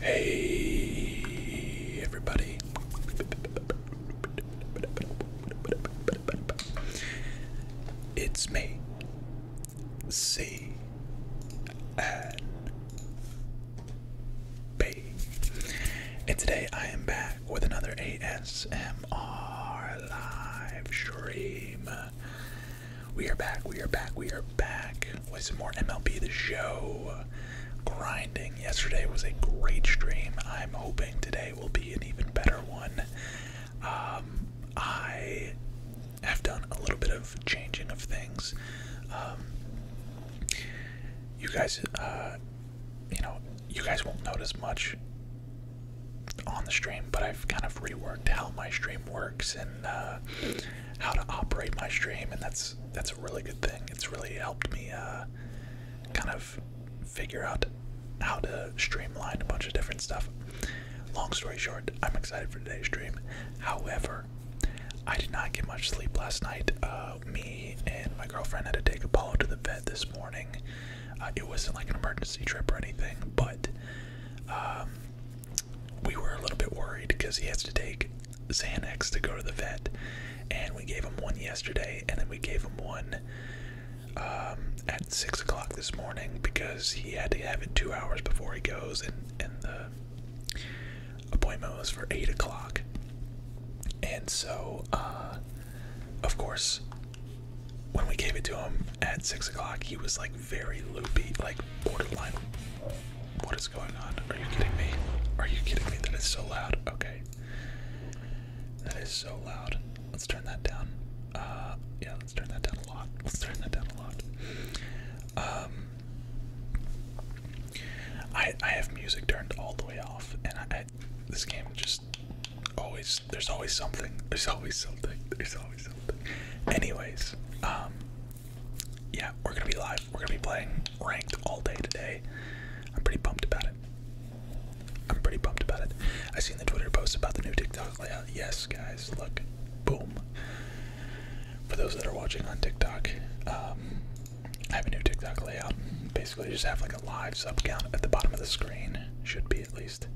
Hey, everybody. It's me, C and today I am back with another ASM. ASMR live stream. We are back, we are back, we are back with some more MLB The Show grinding. Yesterday was a great stream. I'm hoping today will be an even better one. Um, I have done a little bit of changing of things. Um, you guys, uh, you know, you guys won't notice much on the stream, but I've kind of reworked how my stream works and uh, how to operate my stream, and that's that's a really good thing. It's really helped me uh, kind of figure out how to streamline a bunch of different stuff. Long story short, I'm excited for today's stream. However, I did not get much sleep last night. Uh, me and my girlfriend had to take Apollo to the vet this morning. Uh, it wasn't like an emergency trip or anything, but um, we were a little bit worried because he has to take Xanax to go to the vet, and we gave him one yesterday, and then we gave him one um, at six o'clock this morning because he had to have it two hours before he goes, and and the appointment was for eight o'clock, and so uh, of course when we gave it to him at six o'clock, he was like very loopy, like borderline. What is going on? Are you kidding me? Are you kidding me? That is so loud. Okay. That is so loud. Let's turn that down. Uh, yeah, let's turn that down a lot. Let's turn that down a lot. Um, I I have music turned all the way off, and I this game just always there's always something. There's always something. There's always something. Anyways, um yeah, we're gonna be live. We're gonna be playing ranked all day today. I'm pretty pumped about it. I'm pretty pumped about it. I seen the Twitter post about the new TikTok layout. Oh, yes, guys, look, boom. For those that are watching on TikTok, um, I have a new TikTok layout. Basically, just have like a live sub count at the bottom of the screen. Should be at least.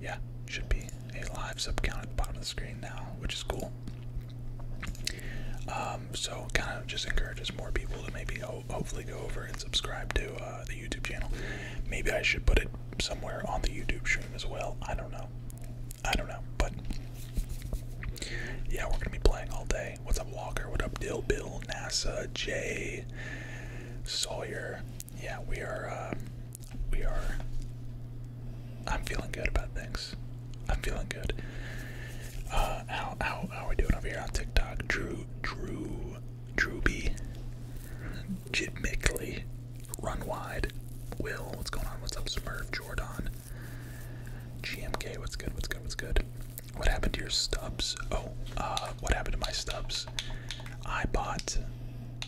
Yeah, should be a live sub count at the bottom of the screen now, which is cool. Um, so kind of just encourages more people to maybe hopefully go over and subscribe to uh, the YouTube channel. Maybe I should put it somewhere on the YouTube stream as well. I don't know. I don't know, but yeah, we're gonna be playing all day. What's up, Walker? What up, Dill Bill, NASA, Jay, Sawyer, yeah, we are. Um, we are. I'm feeling good about things. I'm feeling good. Uh, how how how are we doing over here on TikTok? Drew Drew Drewby, Jit Run Wide, Will. What's going on? What's up, Smurf? Jordan, GMK. What's good? What's good? What's good? What happened to your stubs? Oh, uh, what happened to my stubs? I bought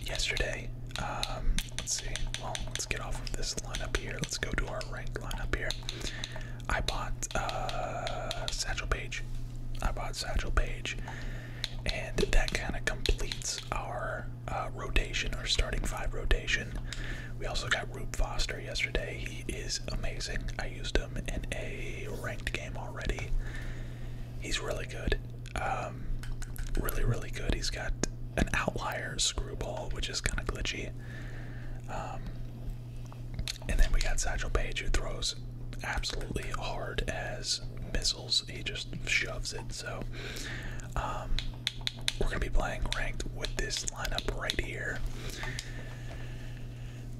yesterday. Um, let's see. Well, let's get off of this lineup here. Let's go to our ranked lineup here. I bought uh, Satchel Page. I bought Satchel Page, and that kind of completes our uh, rotation, our starting five rotation. We also got Rube Foster yesterday. He is amazing. I used him in a ranked game already. He's really good. Um, really, really good. He's got an outlier screwball, which is kind of glitchy. Um, and then we got Satchel Page, who throws absolutely hard as missiles. He just shoves it. So um, we're going to be playing ranked with this lineup right here.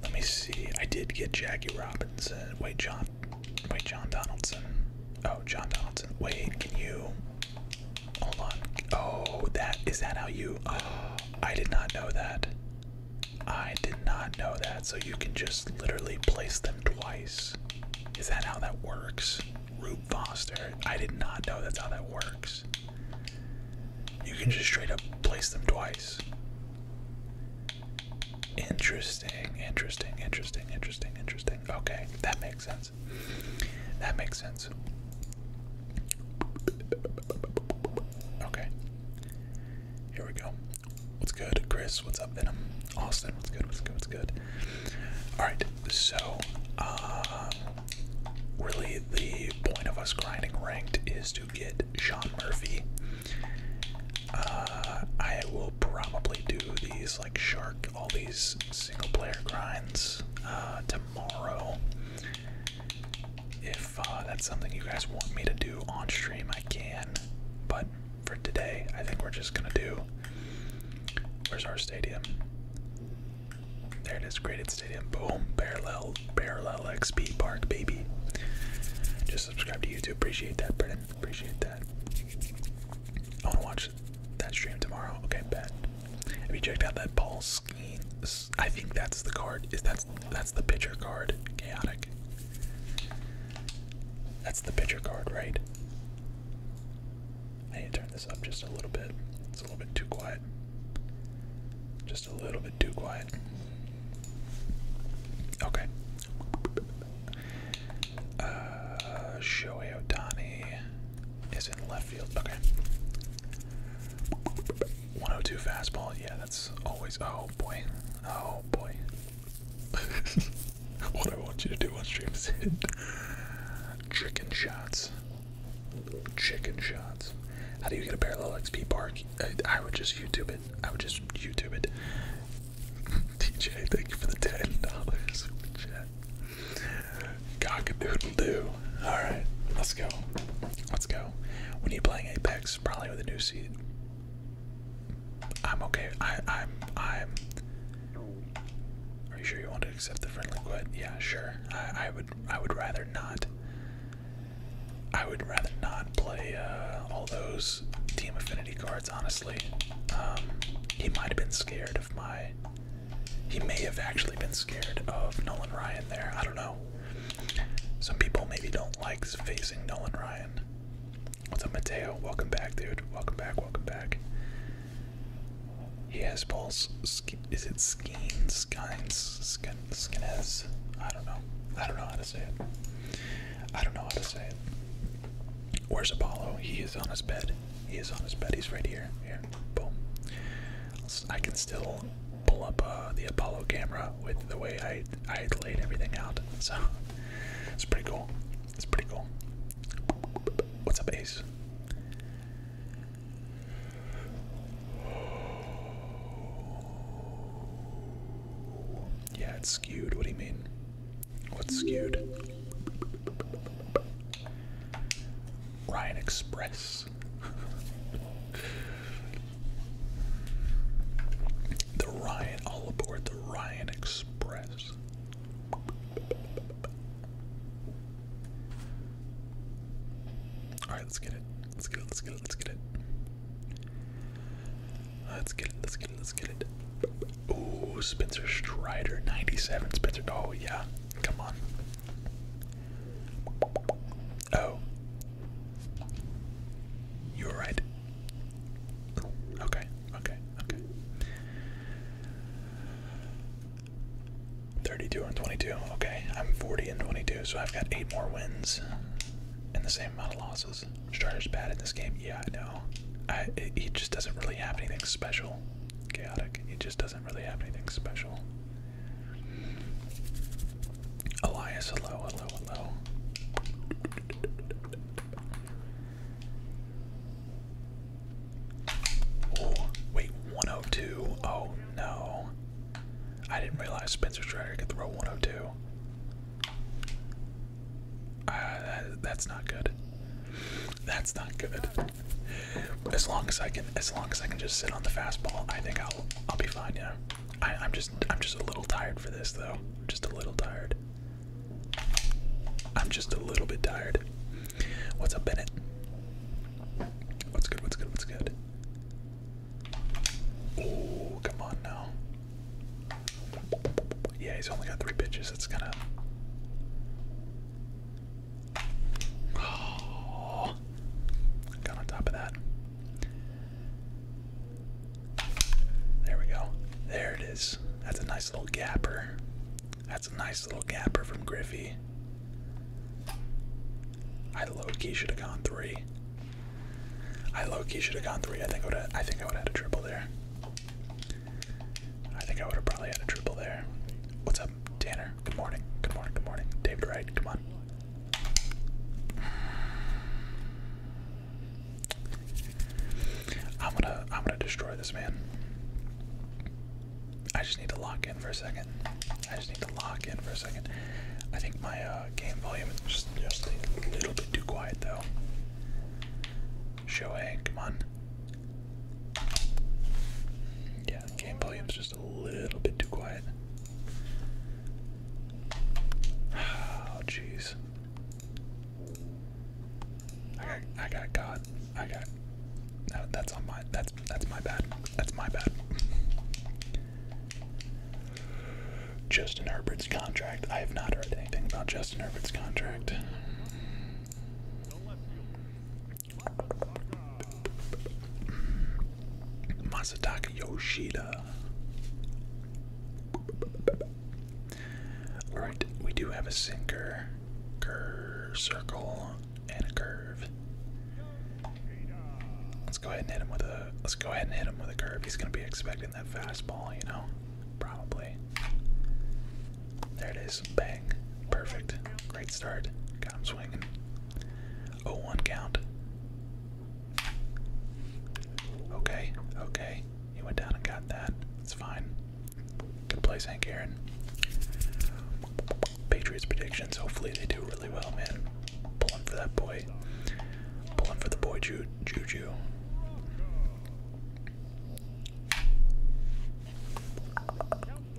Let me see. I did get Jackie Robinson. Wait, John Wait, John Donaldson. Oh, John Donaldson. Wait, can you? Hold on. Oh, that is that how you? I did not know that. I did not know that. So you can just literally place them twice. Is that how that works? Rube Foster. I did not know that's how that works. You can just straight up place them twice. Interesting, interesting, interesting, interesting, interesting. Okay, that makes sense. That makes sense. Okay. Here we go. What's good, Chris? What's up, Venom? Austin, what's good? What's good? What's good? Alright, so, um, really the point of us grinding ranked is to get Sean Murphy uh, I will probably do these like shark, all these single player grinds uh, tomorrow. If uh, that's something you guys want me to do on stream, I can. But for today, I think we're just gonna do. Where's our stadium? There it is, graded stadium. Boom, parallel, parallel XP Park, baby. Just subscribe to YouTube. Appreciate that, Brennan. Appreciate that. I want to watch that stream tomorrow. Okay, bet. Have you checked out that Paul Skeen? I think that's the card. Is that's that's the pitcher card? Chaotic. That's the pitcher card, right? I need to turn this up just a little bit. It's a little bit too quiet. Just a little bit too quiet. Okay. Uh, Shohei Otani is in left field. Okay. 102 fastball. Yeah, that's always. Oh boy. Oh boy. what do I want you to do on stream is hit chicken shots. Chicken shots. How do you get a parallel XP park? Uh, I would just YouTube it. I would just YouTube it. TJ, thank you for the ten dollars super chat. Cockadoodle doo. All right, let's go. Let's go. We need playing Apex, probably with a new seed. I'm okay. I i I'm. Are you sure you want to accept the friendly quit? Yeah, sure. I I would I would rather not. I would rather not play uh, all those team affinity cards honestly. Um, he might have been scared of my. He may have actually been scared of Nolan Ryan there. I don't know. Some people maybe don't like facing Nolan Ryan. What's up, Mateo? Welcome back, dude. Welcome back, welcome back. He has balls. Is it Skeens? Skines? Skin, I don't know. I don't know how to say it. I don't know how to say it. Where's Apollo? He is on his bed. He is on his bed. He's right here. Here. Boom. I can still pull up uh, the Apollo camera with the way I I laid everything out. So it's pretty cool. It's pretty cool. What's up, Ace? Yeah, it's skewed. What do you mean? What's skewed? Ryan Express. the Ryan, all aboard the Ryan Express. Alright, let's get it. Let's get let's get let's get it. Let's get it. Let's get it. Let's get it. Ooh, Spencer Strider, 97. Spencer. Oh, yeah. Come on. Oh. You were right. Okay, okay, okay. 32 and 22. Okay, I'm 40 and 22, so I've got eight more wins and the same amount of losses. Strider's bad in this game. Yeah, I know. he just doesn't really have anything special. Chaotic. He just doesn't really have anything special. Elias, hello, hello, hello. Oh, wait, 102. Oh no. I didn't realize Spencer Strider could throw 102. Uh, that's not good. That's not good. As long as I can, as long as I can just sit on the fastball, I think I'll, I'll be fine. Yeah. I, I'm just, I'm just a little tired for this though. Just a little tired. I'm just a little bit tired. What's up, Bennett? What's good? What's good? What's good? Oh, come on now. Yeah, he's only got three pitches. It's gonna. Oh, got on top of that. There we go. There it is. That's a nice little gapper. That's a nice little gapper from Griffey. I low key should have gone three. I low key should have gone three. I think I would. I think I would have had a triple there. I think I would have probably had a triple there. What's up, Tanner? Good morning. Good morning. Good morning. David Wright, come on. I'm gonna I'm gonna destroy this man. I just need to lock in for a second. I just need to lock in for a second. I think my uh, game volume is just a little bit too quiet though. Shohei, come on. Yeah, game volume's just a little bit too quiet. Oh, jeez. I got, I got caught. I got. No, that's on my. That's that's my bad. That's my bad. Justin Herbert contract. I have not heard anything about Justin Herbert's contract. Masataka Yoshida. Alright, we do have a sinker, curve, circle, and a curve. Let's go ahead and hit him with a. Let's go ahead and hit him with a curve. He's gonna be expecting that fastball, you know? Probably. There it is. Bang. Perfect. Great start. Got him swinging. 0 1 count. Okay, okay. He went down and got that. It's fine. Good play, Hank Aaron. Patriots predictions. Hopefully they do really well, man. Pulling for that boy. Pulling for the boy Ju Juju.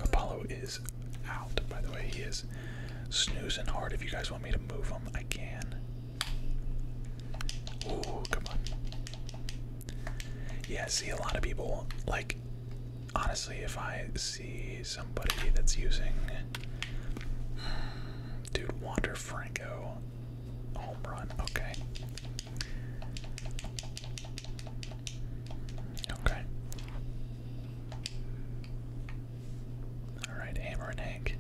Apollo is out, by the way. He is snoozing hard. If you guys want me to move him, I can. Ooh, come on. Yeah, see, a lot of people, like, honestly, if I see somebody that's using. Dude, Wander Franco. Home run, okay. Okay. Alright, Hammer and Hank.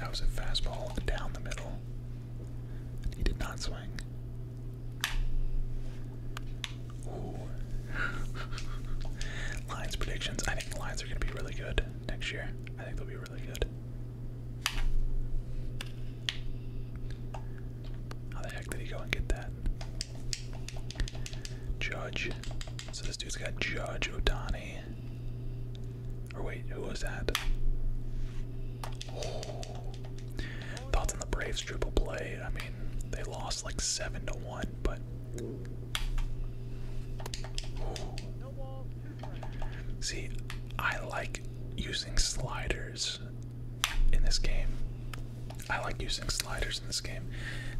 That was a fastball down the middle. He did not swing. Lions predictions. I think the Lions are going to be really good next year. I think they'll be how the heck did he go and get that? Judge. So this dude's got Judge Otani. Or wait, who was that? Oh. Thoughts on the Braves triple play? I mean, they lost like seven to one, but. See, I like using sliders in this game. I like using sliders in this game.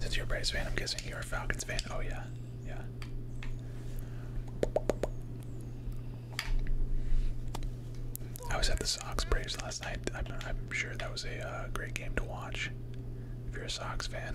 Since you're a Braves fan, I'm guessing you're a Falcons fan. Oh, yeah. Yeah. I was at the Sox Braves last night. I'm, sure that was a uh, great game to watch if you're a Sox fan.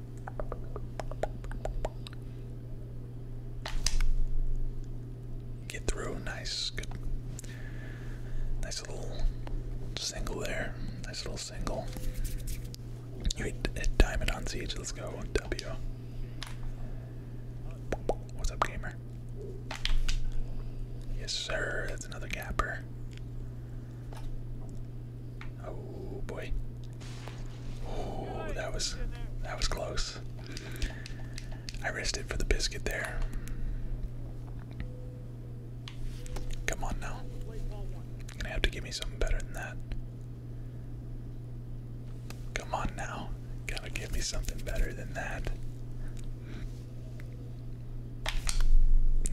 Get through, nice, good. Nice little single there. Nice little single. You hit, hit diamond on siege. Let's go. W. What's up, gamer? Yes, sir. That's another gapper. Oh boy. Oh, that was that was close. I risked it for the biscuit there. Come on now. gonna have to give me something better than that. Come on now. Gotta give me something better than that.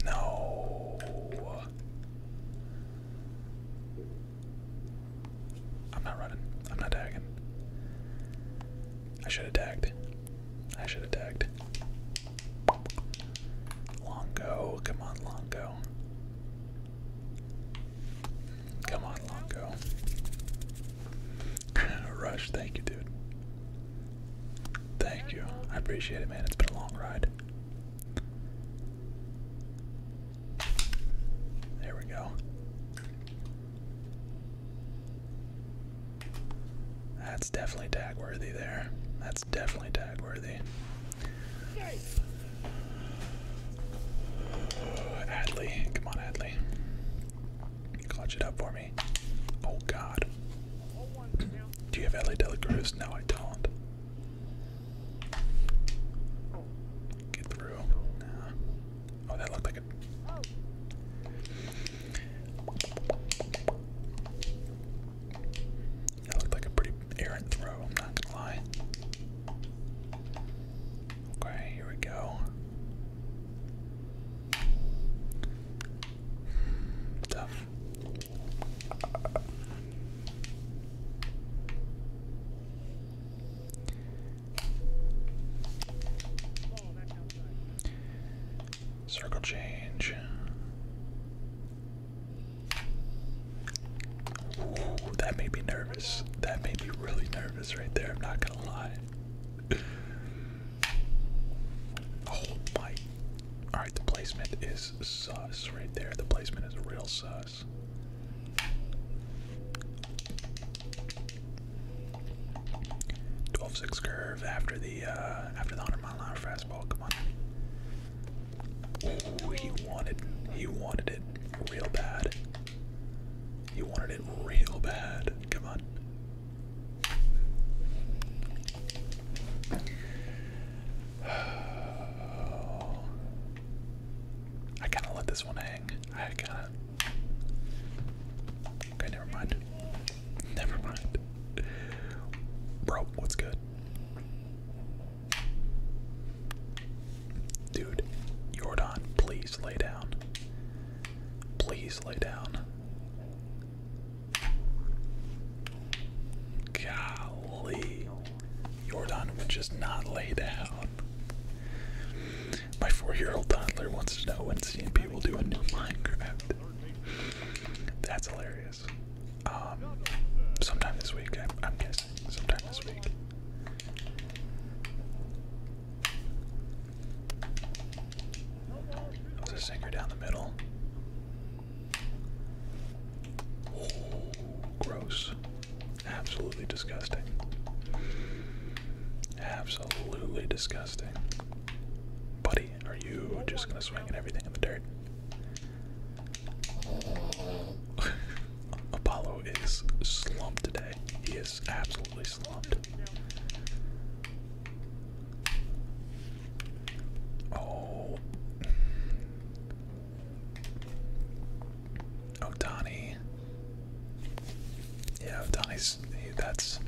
No. I'm not running. I'm not tagging. I should have tagged. I should have tagged. Longo, come on, Longo. Come on, Longo. Rush, thank you, dude. Thank you. I appreciate it, man. It's been a long ride. There we go. That's definitely tag worthy there. That's definitely tag worthy. Adley, come on, Adley. Clutch it up for me. Oh God. Do you have Adley Delacruz? No, I don't. Get through. Oh, that looked like a. That looked like a pretty errant throw, I'm not gonna lie. Okay, here we go. Tough. Circle change. Ooh, that made me nervous. That made me really nervous right there, I'm not gonna lie. oh my. Alright, the placement is sus right there. The placement is real sus this. Twelve six curve after the uh, after the hundred mile an hour fastball. Come on. he wanted he wanted it real bad. He wanted it real bad. Come on. I kind of let this one hang. I kind of. Okay, never mind. Never mind. Bro, what's good? Dude, Jordan, please lay down. Please lay down. Golly. Jordan would just not lay down. My four-year-old toddler wants to know when CMP will do a new Minecraft. That's hilarious. Um, sometime this week, I'm, guessing. Sometime this week. That a sinker down the middle. gross. Absolutely disgusting. Absolutely disgusting. Buddy, are you just gonna swing at everything in the dirt? Apollo is slumped today. He is absolutely slumped. Oh. Otani. Yeah, Otani's that's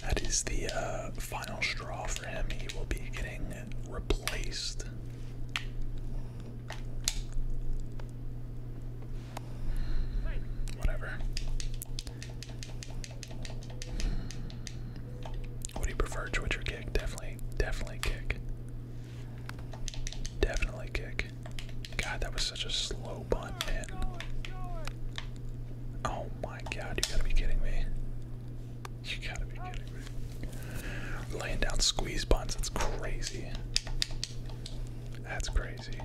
that is the uh, final straw for him. He will be getting replaced. Whatever. Would you prefer Twitch kick? Definitely, definitely kick. Definitely kick. God, that was such a slow bun, man. Oh my god, you gotta be kidding me. You gotta be kidding me. Laying down squeeze buns. that's crazy. That's crazy.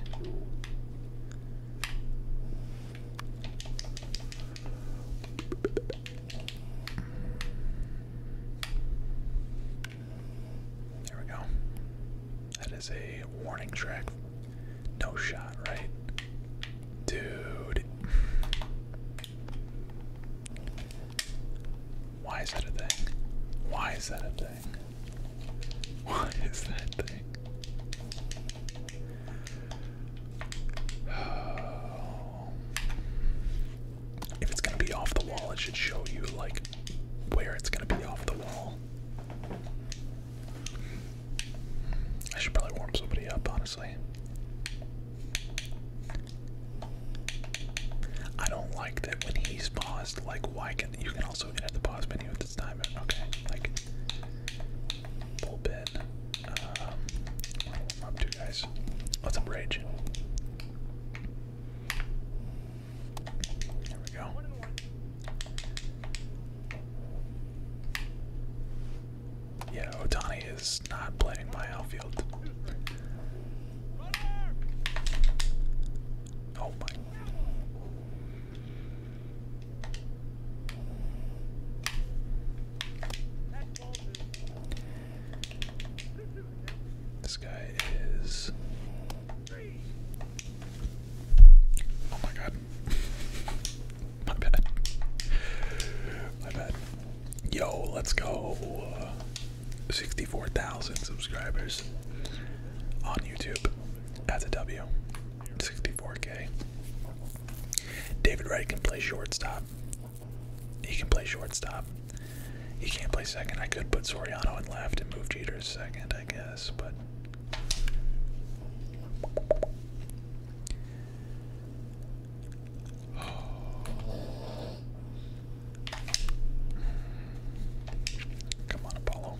There we go. That is a warning trick. No shot, right? Dude. Why is that a thing? Why is that a thing? Why is that thing? If it's gonna be off the wall, it should show you like where it's gonna be off the wall. I should probably warm somebody up, honestly. I don't like that when he's paused, like why can you can also edit the pause menu at this time. Okay, like bullpen. Um warm up rage. There we go. Yeah, Otani is not playing my outfield. Oh my. This guy is. Oh my god. my bad. My bad. Yo, let's go. Uh, 64,000 subscribers on YouTube. That's a W. 64K. David Wright can play shortstop. He can play shortstop. He can't play second. I could put Soriano in left and move Jeter second, I guess, but. Come on, Apollo.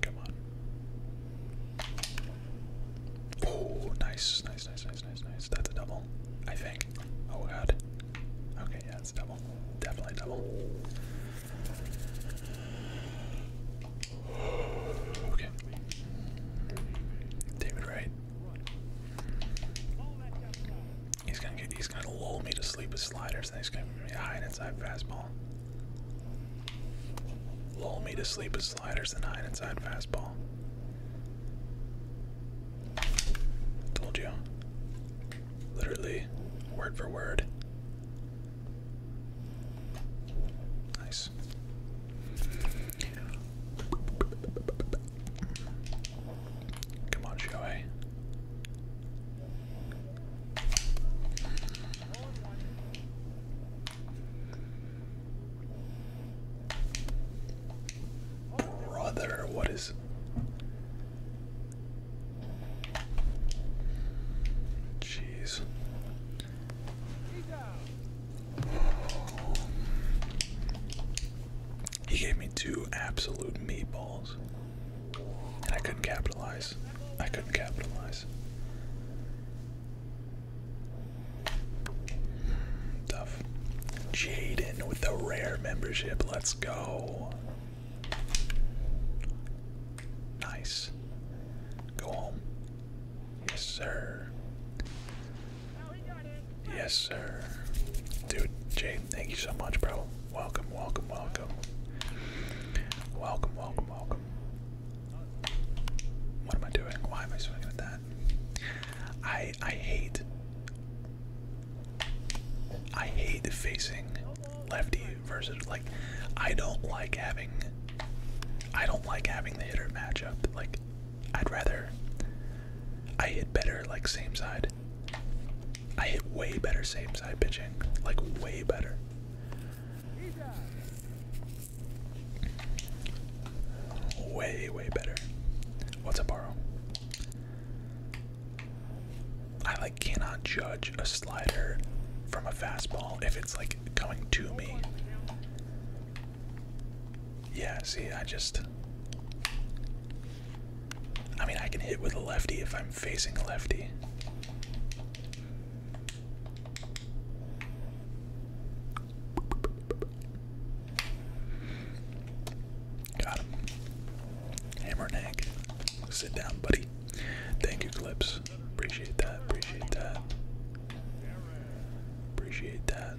Come on. Oh, nice, nice, nice, nice, nice, nice. That's a double, I think. Oh god. Okay, yeah, it's double. Definitely double. Okay. David Wright. He's gonna get, he's gonna lull me to sleep with sliders, and he's gonna give high and inside fastball. Lull me to sleep with sliders and nine inside fastball. Told you. Literally, word for word. Nice. Come on, Joey. Brother, what is. Jeez. He gave me two absolute meatballs. And I couldn't capitalize. I couldn't capitalize. Tough. Jaden with the rare membership. Let's go. Nice. Go home. Yes, sir. Yes, sir. Dude, Jaden, thank you so much, bro. Welcome, welcome, welcome. Welcome, welcome, welcome. What am I doing? Why am I swinging at that? I I hate I hate facing lefty versus like I don't like having I don't like having the hitter matchup. Like I'd rather I hit better like same side. I hit way better same side pitching. Like way better. Way, way better. What's up, borrow? I like cannot judge a slider from a fastball if it's like coming to me. Yeah, see, I just I mean, I can hit with a lefty if I'm facing a lefty. Got him. Hammer neck. Sit down, buddy. Thank you, Clips. Appreciate that. Appreciate that. Appreciate that.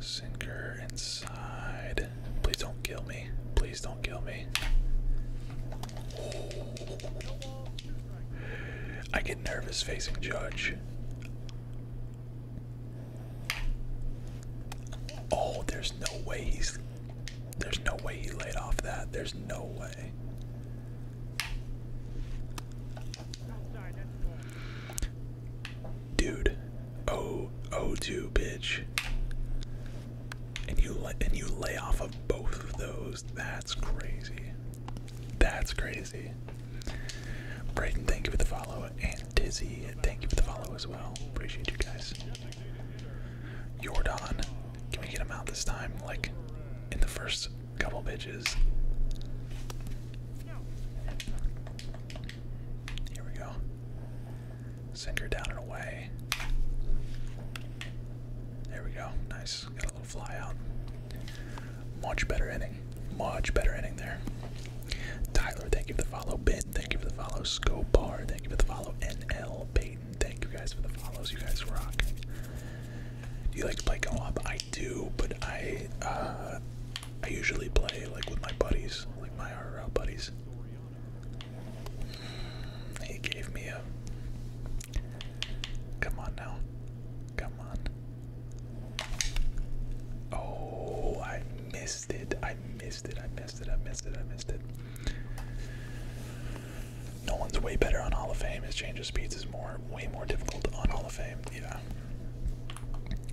Sinker inside. Please don't kill me. Please don't kill me. I get nervous facing Judge. Oh, there's no way he's. There's no way he laid off that. There's no way. Dude. Oh, oh, two, bitch and you and you lay off of both of those. That's crazy. That's crazy. Brayden, thank you for the follow, and Dizzy, thank you for the follow as well. Appreciate you guys. Jordan, can we get him out this time? Like in the first couple bitches. Here we go. Sinker down and away. There we go. Nice. Got a little fly out. Much better inning. Much better inning there. Tyler, thank you for the follow. Ben, thank you for the follow. Scobar, thank you for the follow. NL Payton, thank you guys for the follows. You guys rock. Do you like to play go up? I do, but I uh, I usually play like with my buddies, like my RL buddies. He gave me a. Come on now. Come on. Oh, I missed it. I missed it. I missed it. I missed it. I missed it. No one's way better on Hall of Fame. His change of speeds is more, way more difficult on Hall of Fame. Yeah.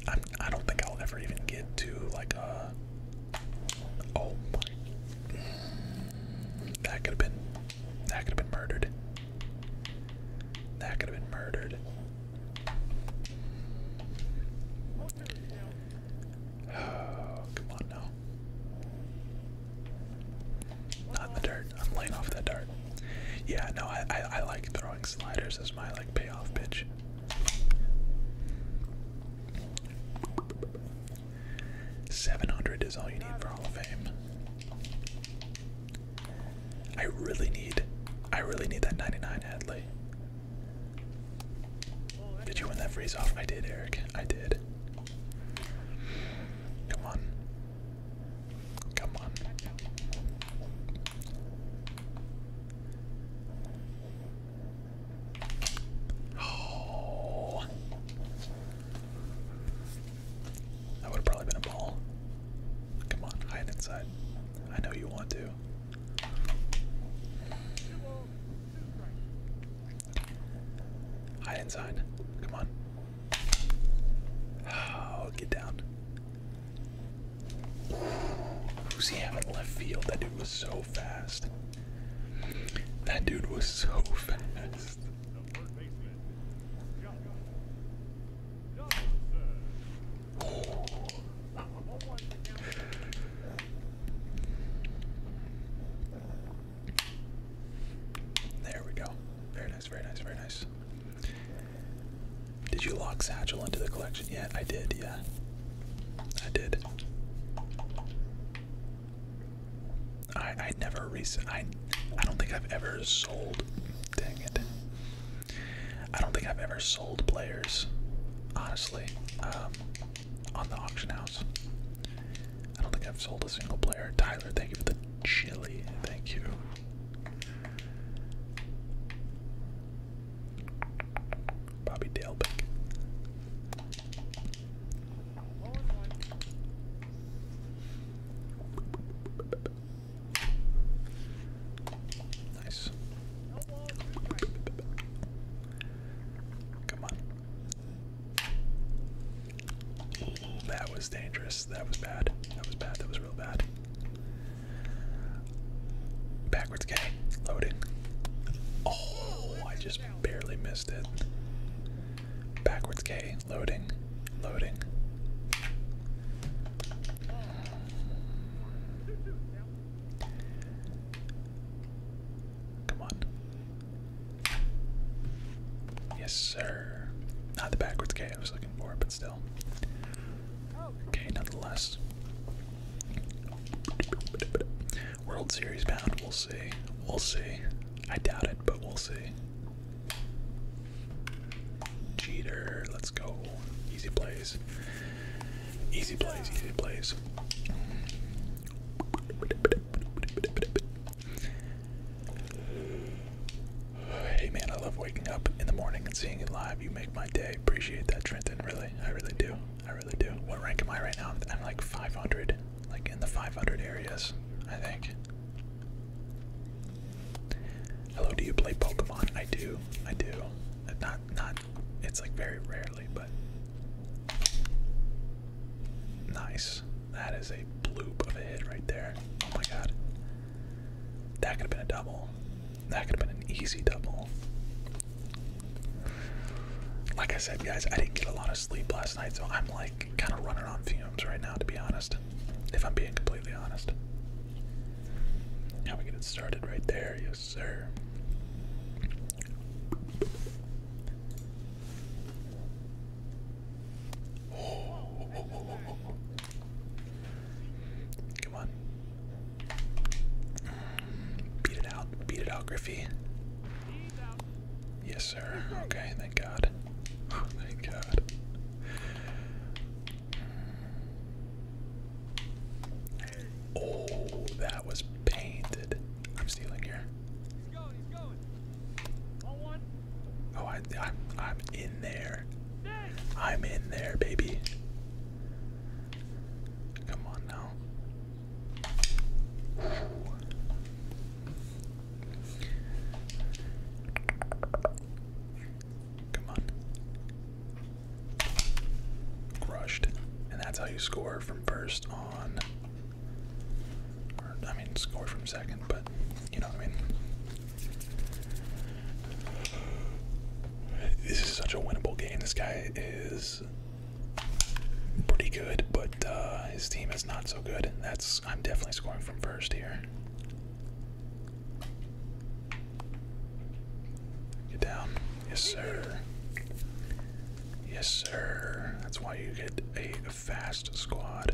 I'm, I don't think I'll ever even get to like a. Uh, oh my. That could have been. That could have been murdered. That could have been murdered. Oh, come on now. Not the dirt. I'm laying off that dart. Yeah, no, I, I, like throwing sliders as my like payoff bitch. 700 is all you need for Hall of Fame. I really need, I really need that 99 Hadley. Did you win that freeze off? I did, Eric. I did. Come on. Come on. Oh. That would have probably been a ball. Come on, hide inside. I know you want to. Hide inside. Come on. Oh, get down. Who's he having left field? That dude was so fast. That dude was so fast. There we go. Very nice, very nice, very nice. Did you lock Satchel into the collection? Yeah, I did, yeah. I did. I I never recent I I don't think I've ever sold. Dang it! I don't think I've ever sold players, honestly, um, on the auction house. I don't think I've sold a single player. Tyler, thank you for the chili. Thank you. Bobby Dalebeck. Nice. Come on. that was dangerous. That was bad. That was bad. That was real bad. Backwards K. Loading. Oh, I just barely missed it. Backwards K, loading, loading. Come on. Yes, sir. Not the backwards K I was looking for, but still. Okay, nonetheless. World Series bound. We'll see. We'll see. I doubt it, but we'll see. Cheater. Let's go. Easy plays. Easy plays. Easy plays. Hey man, I love waking up in the morning and seeing it live. You make my day. Appreciate that, Trenton. Really, I really do. I really do. What rank am I right now? I'm like 500 like in the 500 areas, I think. Hello, do you play Pokemon? I do. I do. Not, not. It's like very rarely, but nice. That is a bloop of a hit right there. Oh my god. That could have been a double. That could have been an easy double. Like I said, guys, I didn't get a lot of sleep last night, so I'm like kind of running on fumes right now, to be honest. If I'm being completely honest. Now we get it started right there, yes, sir. Come on. Beat it out. Beat it out, Griffey. Yes, sir. Okay, thank God. Oh, thank God. Mm. Oh, that was painted. I'm stealing here. Oh, I'm, I'm in there. I'm in there, baby. Come on now. Come on. Crushed. And that's how you score from first on. I mean, score from second, but you know what I mean. This is such a winnable game. This guy is pretty good, but uh, his team has not so good. That's I'm definitely scoring from first here. Get down. Yes, sir. Yes, sir. That's why you get a fast squad.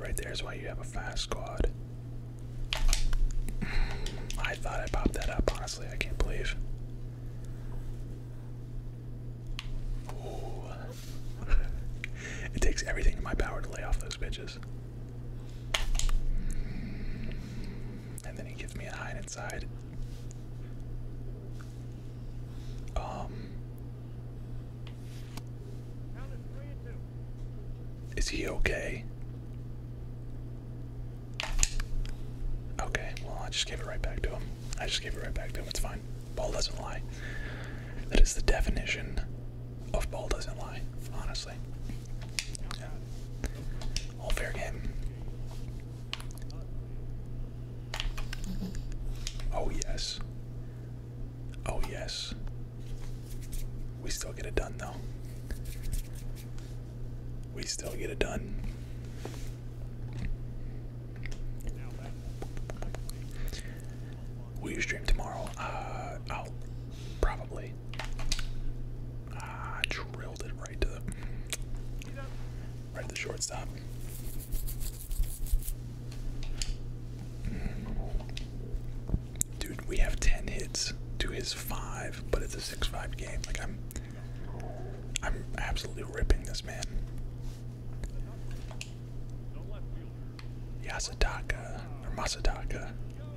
right there is why you have a fast squad. I thought I popped that up, honestly. I can't believe it takes everything in my power to lay off those bitches. And then he gives me a hide inside. Um. Is he okay? Okay, well, I just gave it right back to him. I just gave it right back to him. It's fine. Ball doesn't lie. That is the definition of ball doesn't lie, honestly. All fair game. Oh, yes. Oh, yes. We still get it done, though we still get it done. Will you stream tomorrow? I'll uh, oh, probably. Ah, drilled it right to the right the shortstop. Dude, we have ten hits to his five, but it's a six-five game. Like I'm, I'm absolutely ripping this man. Yasutaka or Masataka,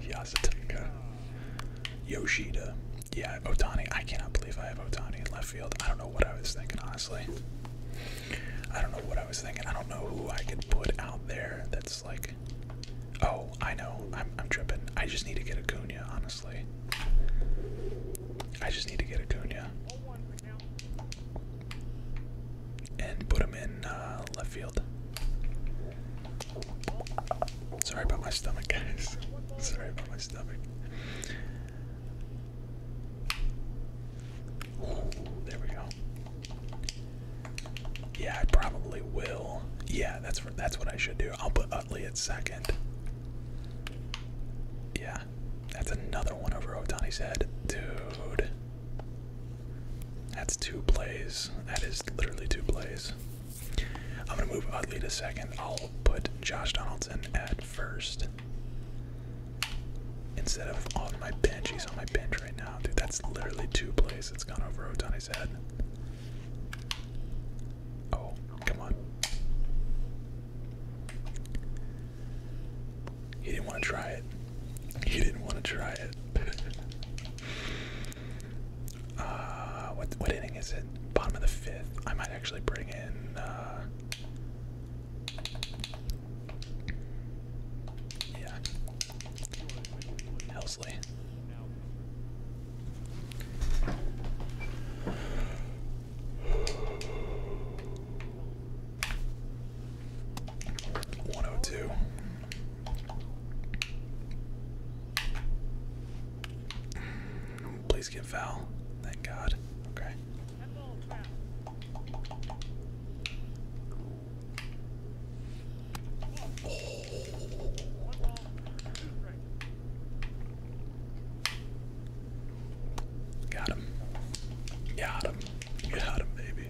Yasutaka, Yoshida. Yeah, Otani. I cannot believe I have Otani in left field. I don't know what I was thinking, honestly. I don't know what I was thinking. I don't know who I could put out there that's like. Oh, I know. I'm, I'm tripping. I just need to get a Guna, honestly. I just need to get Acuna and put him in uh, left field. Sorry about my stomach, guys. Sorry about my stomach. there we go. Yeah, I probably will. Yeah, that's that's what I should do. I'll put Utley at second. Yeah, that's another one over Otani's head. Dude. That's two plays. That is literally two plays. I'm going to move Utley to second. I'll put Josh Donaldson at first. Instead of on my bench, he's on my bench right now. Dude, that's literally two plays it has gone over Otani's head. Oh, come on. He didn't want to try it. He didn't want to try it. uh, what what inning is it? Bottom of the fifth. I might actually bring in. Uh, yeah. Helsley. One oh two. Please get foul. Thank God. Okay. Got him. Got him. Got him, baby.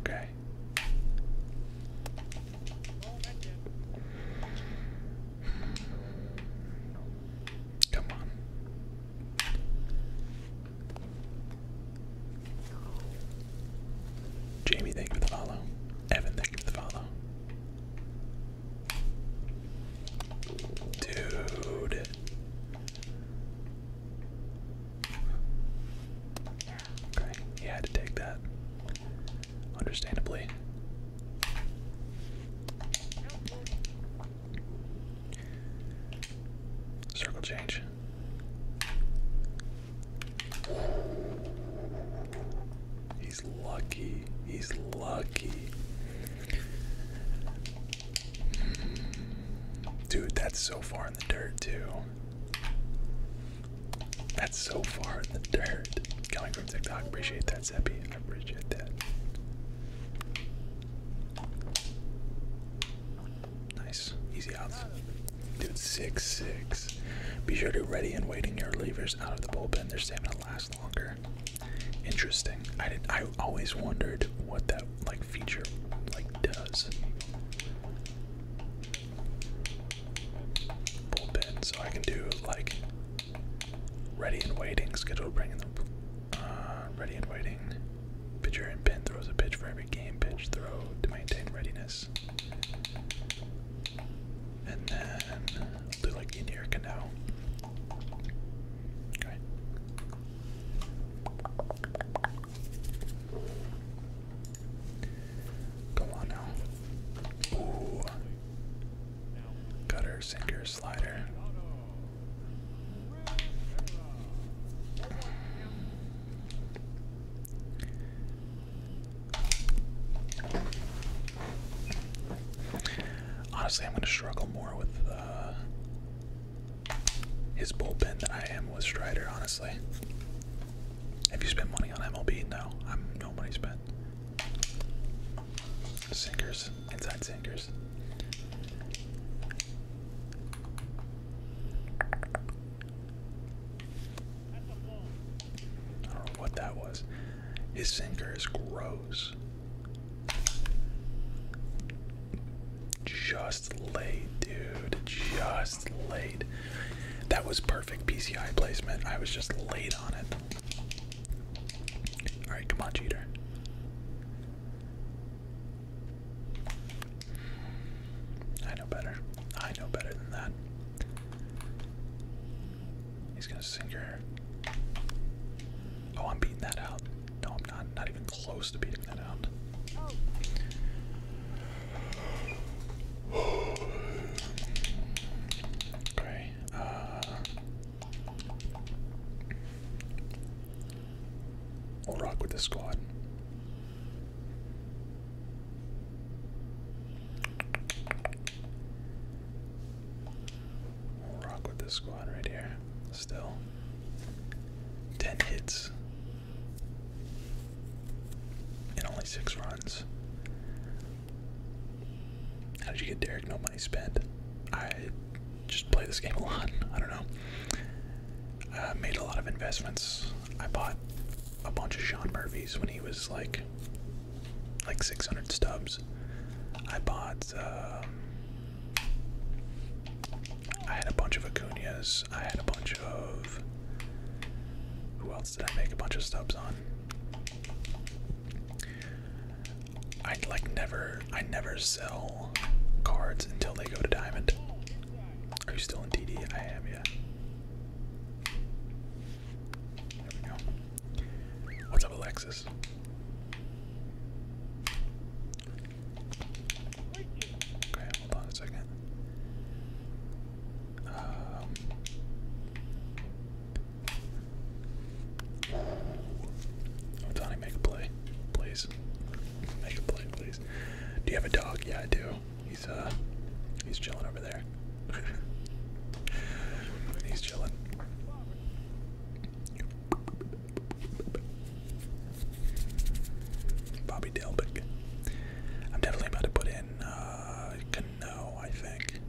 Okay. Come on. Jamie, thank you for the follow. Evan, thank you for the follow. Dude. Okay, he had to take that. Understandably. Circle change. He He's lucky. He's lucky. Dude, that's so far in the dirt, too. That's so far in the dirt. Coming from TikTok, appreciate that, Seppi. I appreciate that. Nice, easy outs. Dude, six six. Be sure to ready and waiting your levers out of the bullpen. Their to last longer. Interesting. I did. I always wondered what that like feature like does. Bullpen, so I can do like ready and waiting. Schedule bringing the uh, ready and waiting. Pitcher and pin throws a pitch for every game. Pitch throw to maintain readiness. And then do like Indian Canal. Okay. Go on now. Gutter, sinker, slider. Honestly, I'm going to struggle more with uh, his bullpen than I am with Strider, honestly. Have you spent money on MLB? No, I'm no money spent. Sinkers, inside sinkers. I don't know what that was. His sinker is gross. Just late, dude. Just late. That was perfect PCI placement. I was just late on it. Alright, come on, cheater. I know better. I know better than that. He's gonna sink her. Oh, I'm beating that out. No, I'm not. Not even close to beating that out. Oh. okay. Uh. will rock with the squad rock with the squad right here. Still. 10 hits. And only 6 runs. How did you get Derek no money spent? I just play this game a lot. I don't know. I made a lot of investments. I bought a bunch of Sean Murphys when he was like like 600 stubs. I bought. Uh, I had a bunch of Acuna's. I had a bunch of. Who else did I make a bunch of stubs on? I like never. I never sell cards until they go to diamond. Are you still in DD? I am, yeah. There we go. What's up, Alexis? Okay, hold on a second. Um, make a play, please. Make a play, please. Do you have a dog? Yeah, I do. He's uh, he's chilling over there. he's chilling. Bobby Delbick. I'm definitely about to put in uh, I think.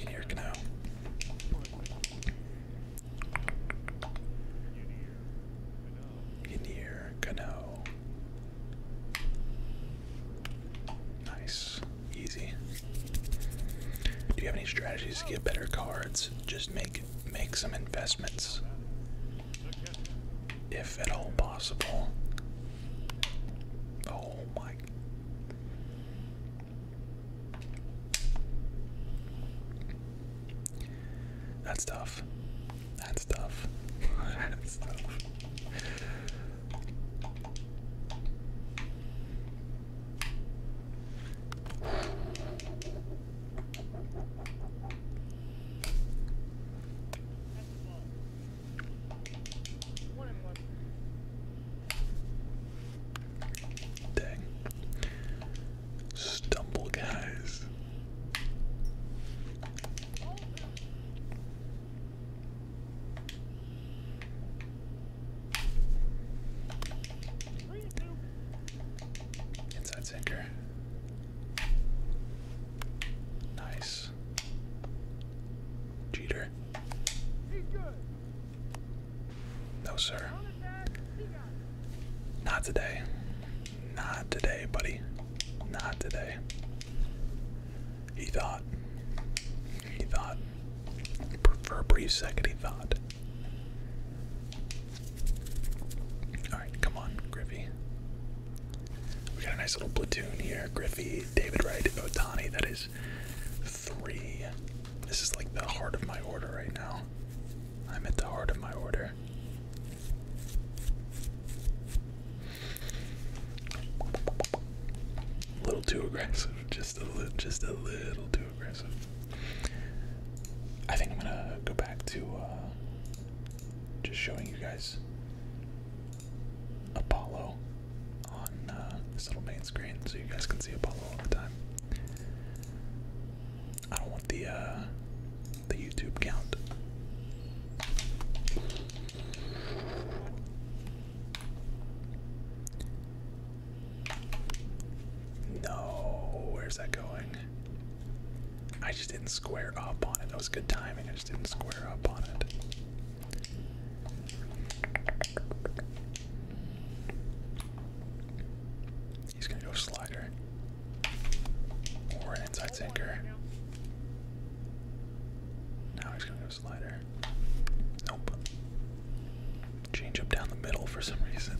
In here, Cano. In here, Cano. Nice. Easy. Do you have any strategies to get better cards? Just make make some investments. If at all possible. Oh my That's tough. That's tough. That's tough. Dang. Stumble guys. Inside center. Nice. Jeter. No, sir. Not today. Not today, buddy. Not today. He thought. He thought. For a brief second, he thought. Alright, come on, Griffey. We got a nice little platoon here. Griffey, David Wright, Otani. That is three. This is like the heart of my order right now. I'm at the heart of my order. A little too aggressive. Just a little. Just a little too aggressive. I think I'm gonna go back to uh, just showing you guys Apollo on uh, this little main screen, so you guys can see Apollo all the time. I don't want the uh, the YouTube count. No, where's that going? I just didn't square up on it. That was good timing. I just didn't square up on it. He's gonna go slider or an inside sinker. Now he's gonna slider. Nope. Change up down the middle for some reason.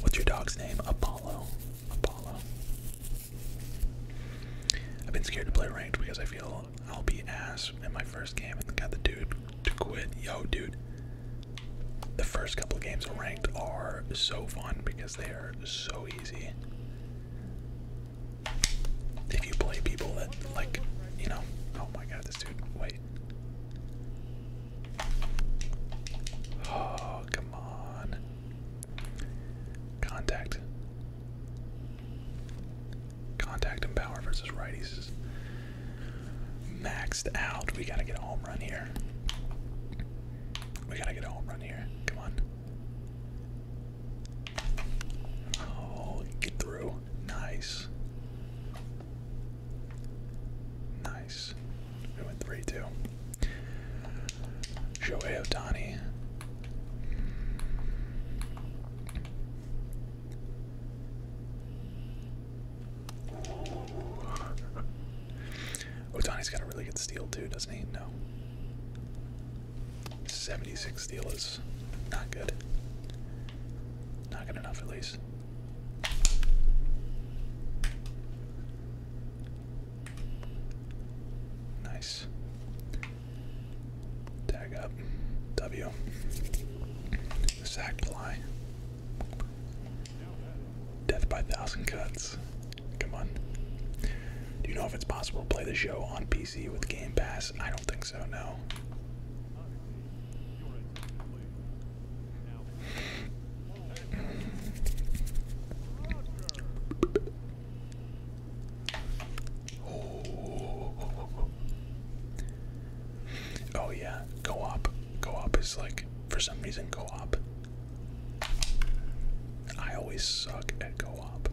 What's your dog's name? Apollo. Apollo. I've been scared to play ranked because I feel I'll be ass in my first game and got the dude to quit. Yo, dude. The first couple of games of ranked are so fun because they are so easy. If you play people that, like, you know, oh my god, dude. Wait. Oh, come on. Contact. Contact and power versus righties maxed out. We gotta get a home run here. We gotta get a home run here. Come on. Oh, get through nice. Nice. We went 3 2. Shohei Otani. Otani's got a really good steal too, doesn't he? No. 76 steal is not good. Not good enough, at least. Nice. Tag up. W. Sack fly. Death by thousand cuts. Come on. Do you know if it's possible to play the show on PC? PC with Game Pass? I don't think so, no. Oh oh, oh, oh. oh yeah, co-op. Co-op is like, for some reason, co-op. I always suck at co-op.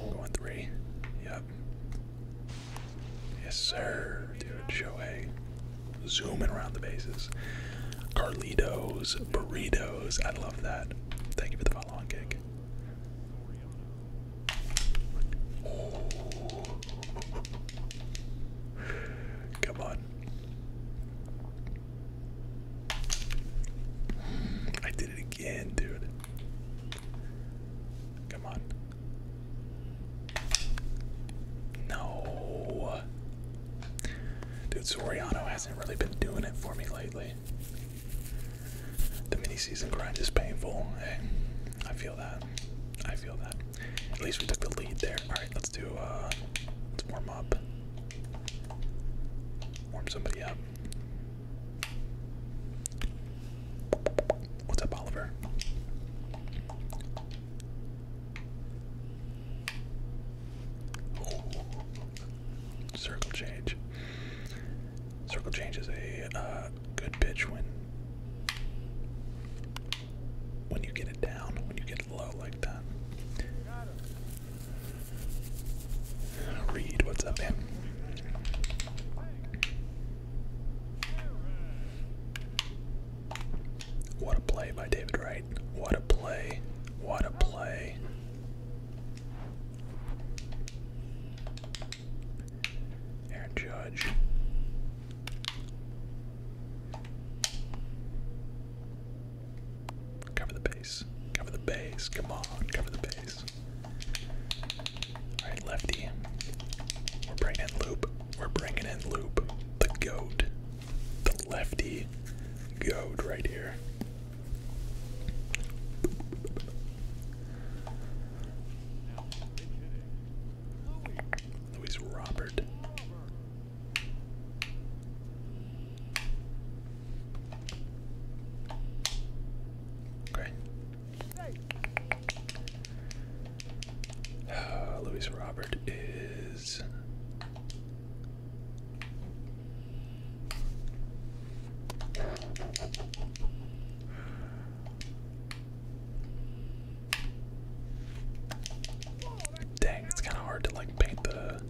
Going three. Yep. Yes, sir, dude. Shohei. Zooming around the bases. Carlitos, burritos. I love that. Thank you for the follow on kick. Come on. I did it again, dude. Come on. No. Dude, Soriano hasn't really been doing it for me lately. The mini season grind is painful. Hey, I feel that. I feel that. At least we took the lead there. Alright, let's do uh let's warm up. Warm somebody up. What's up, Oliver? Circle change. Circle change is a uh, good bitch when when you get it down, when you get low like that. Reed, what's up, man? What a play by David Wright. What a play. What a play. Aaron Judge. Cover the base. Cover the base. Come on. Cover the base. Alright, lefty. We're bringing in loop. We're bringing in loop. The goat. The lefty goat right here. Louis Robert. Okay. Uh, Louis Robert is. Dang, it's kind of hard to like paint the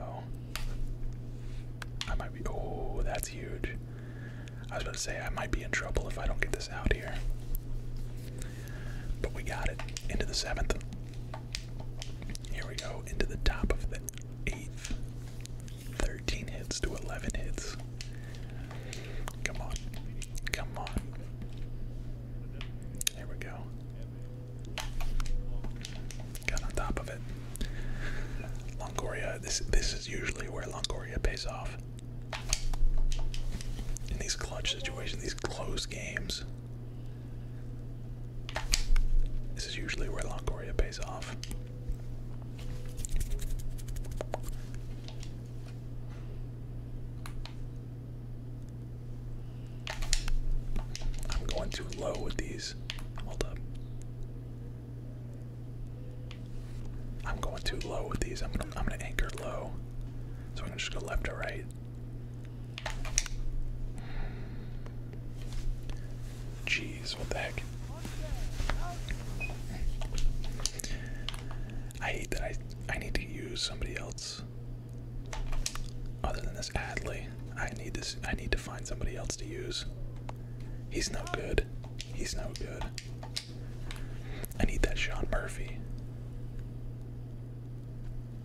oh I might be oh, that's huge. I was about to say I might be in trouble if I don't get this out here. But we got it. Into the seventh. Here we go. Into the top of the eighth. 13 hits to 11 hits. Come on. Come on. There we go. Got on top of it. Longoria, this this is usually where Longoria pays off. In these clutch situations, these close games. This is usually where Longoria pays off. I'm going too low with these. Hold up. I'm going too low with these. I'm gonna I'm gonna anchor low. So I'm gonna just go left to right. Jeez, what the heck? I hate that I I need to use somebody else other than this Adley, I need this. I need to find somebody else to use. He's no good. He's no good. I need that Sean Murphy.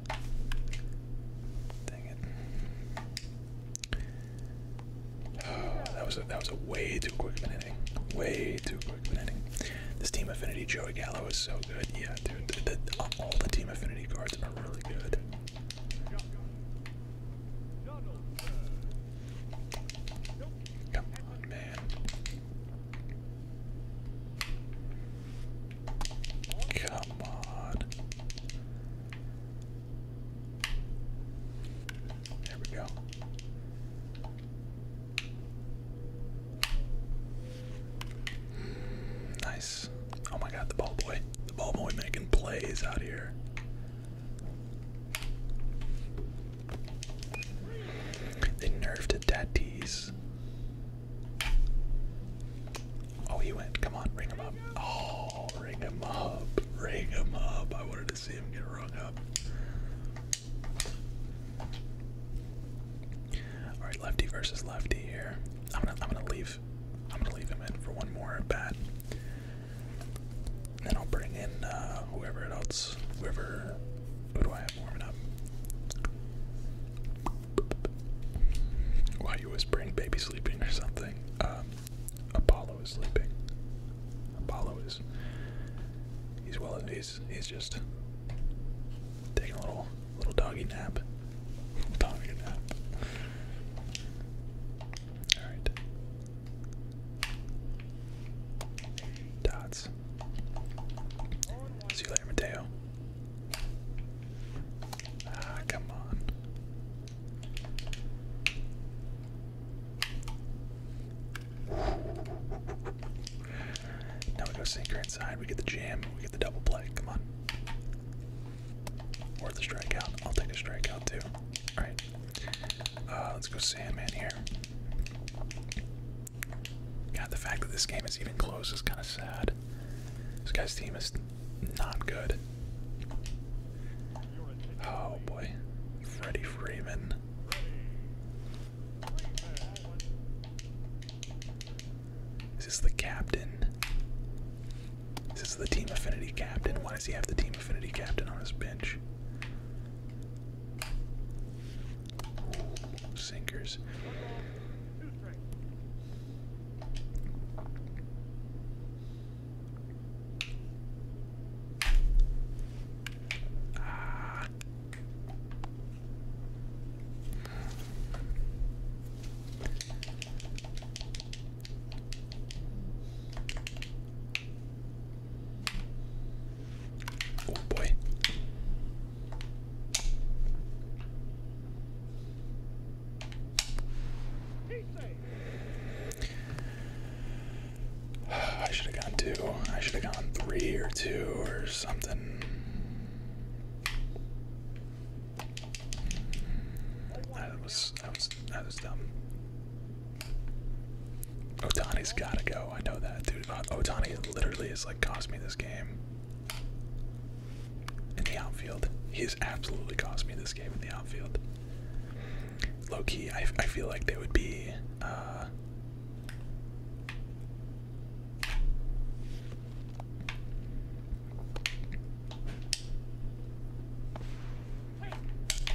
Dang it! Oh, that was a, that was a way too quick of an inning. Way too quick of an inning. This team affinity Joey Gallo is so good. Yeah, dude. all the team affinity cards really good. Come on, man. Come on. There we go. Nice. Oh my god, the ball boy. The ball boy making plays out here. They nerfed it Tatis. Oh, he went. Come on, ring him up. Oh, ring him up. Ring him up. I wanted to see him get rung up. All right, lefty versus lefty here. I'm gonna, I'm gonna leave I'm gonna leave him in for one more at bat. Then I'll bring in uh, whoever else. Whoever. Who do I have warming up? Why you whispering? Baby sleeping or something? Um, Apollo is sleeping. Apollo is. He's well. He's he's just taking a little Little doggy nap. doggy nap. Alright. Dots. See you later, Mateo. Ah, come on. Now we go sinker inside. We get the jam. We get the double play. Come on. Or the strikeout. I'll take a strikeout too. Alright. Uh, let's go Sam. Man, here. God, the fact that this game is even close is kind of sad. This guy's team is not good. Oh boy. Freddie Freeman. Is this the captain? Is this the team affinity captain? Why does he have the team affinity captain on his bench? sinkers. Ah. Oh boy. I should have gone two. I should have gone three or two or something. That was that was that was dumb. Otani's gotta go. I know that, dude. Uh, Otani literally has like cost me this game. In the outfield, he has absolutely cost me this game in the outfield. Low key, I, I feel like they would be. Uh,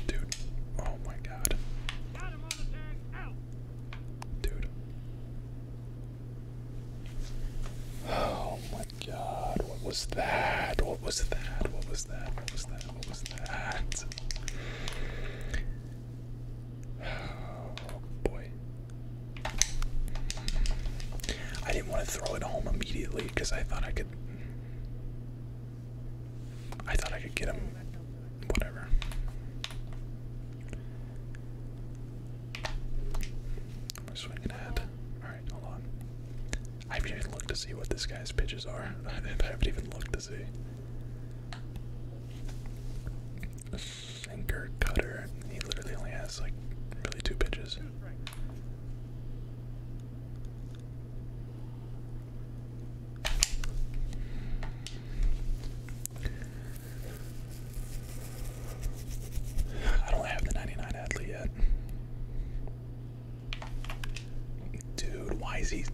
Dude, oh my god. Dude. Oh my god, what was that? What was that? What was that? What was that? What was that? Oh boy. I didn't want to throw it home immediately because I thought I could. I thought I could get him. Whatever. We're swinging ahead. Alright, hold on. I haven't even looked to see what this guy's pitches are. I haven't even looked to see. A sinker, cutter. He literally only has, like, really two pitches. I don't have the 99 Adley yet. Dude, why is he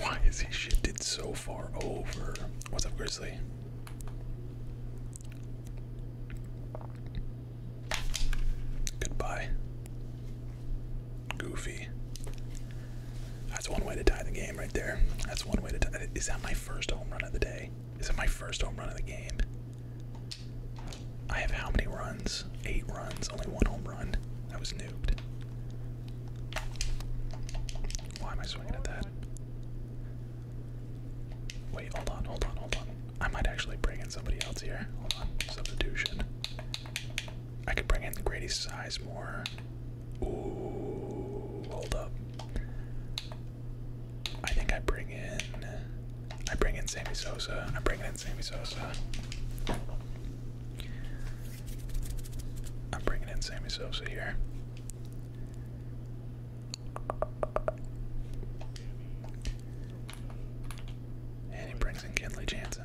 why is he shifted so far over? What's up, Grizzly? Goodbye. Goofy. That's one way to tie the game right there. That's one way to tie. Is that my first home run of the day? Is it my first home run of the game? I have how many runs? Eight runs. Only one home run. I was nuked. Why am I swinging at that? Wait, hold on, hold on, hold on. I might actually bring in somebody else here. Hold on, substitution. I could bring in Grady Sizemore. Ooh, hold up. I think I bring in. I bring in Sammy Sosa. I bring in Sammy Sosa. I'm bringing in Sammy Sosa here. And he brings in Kenley Jansen.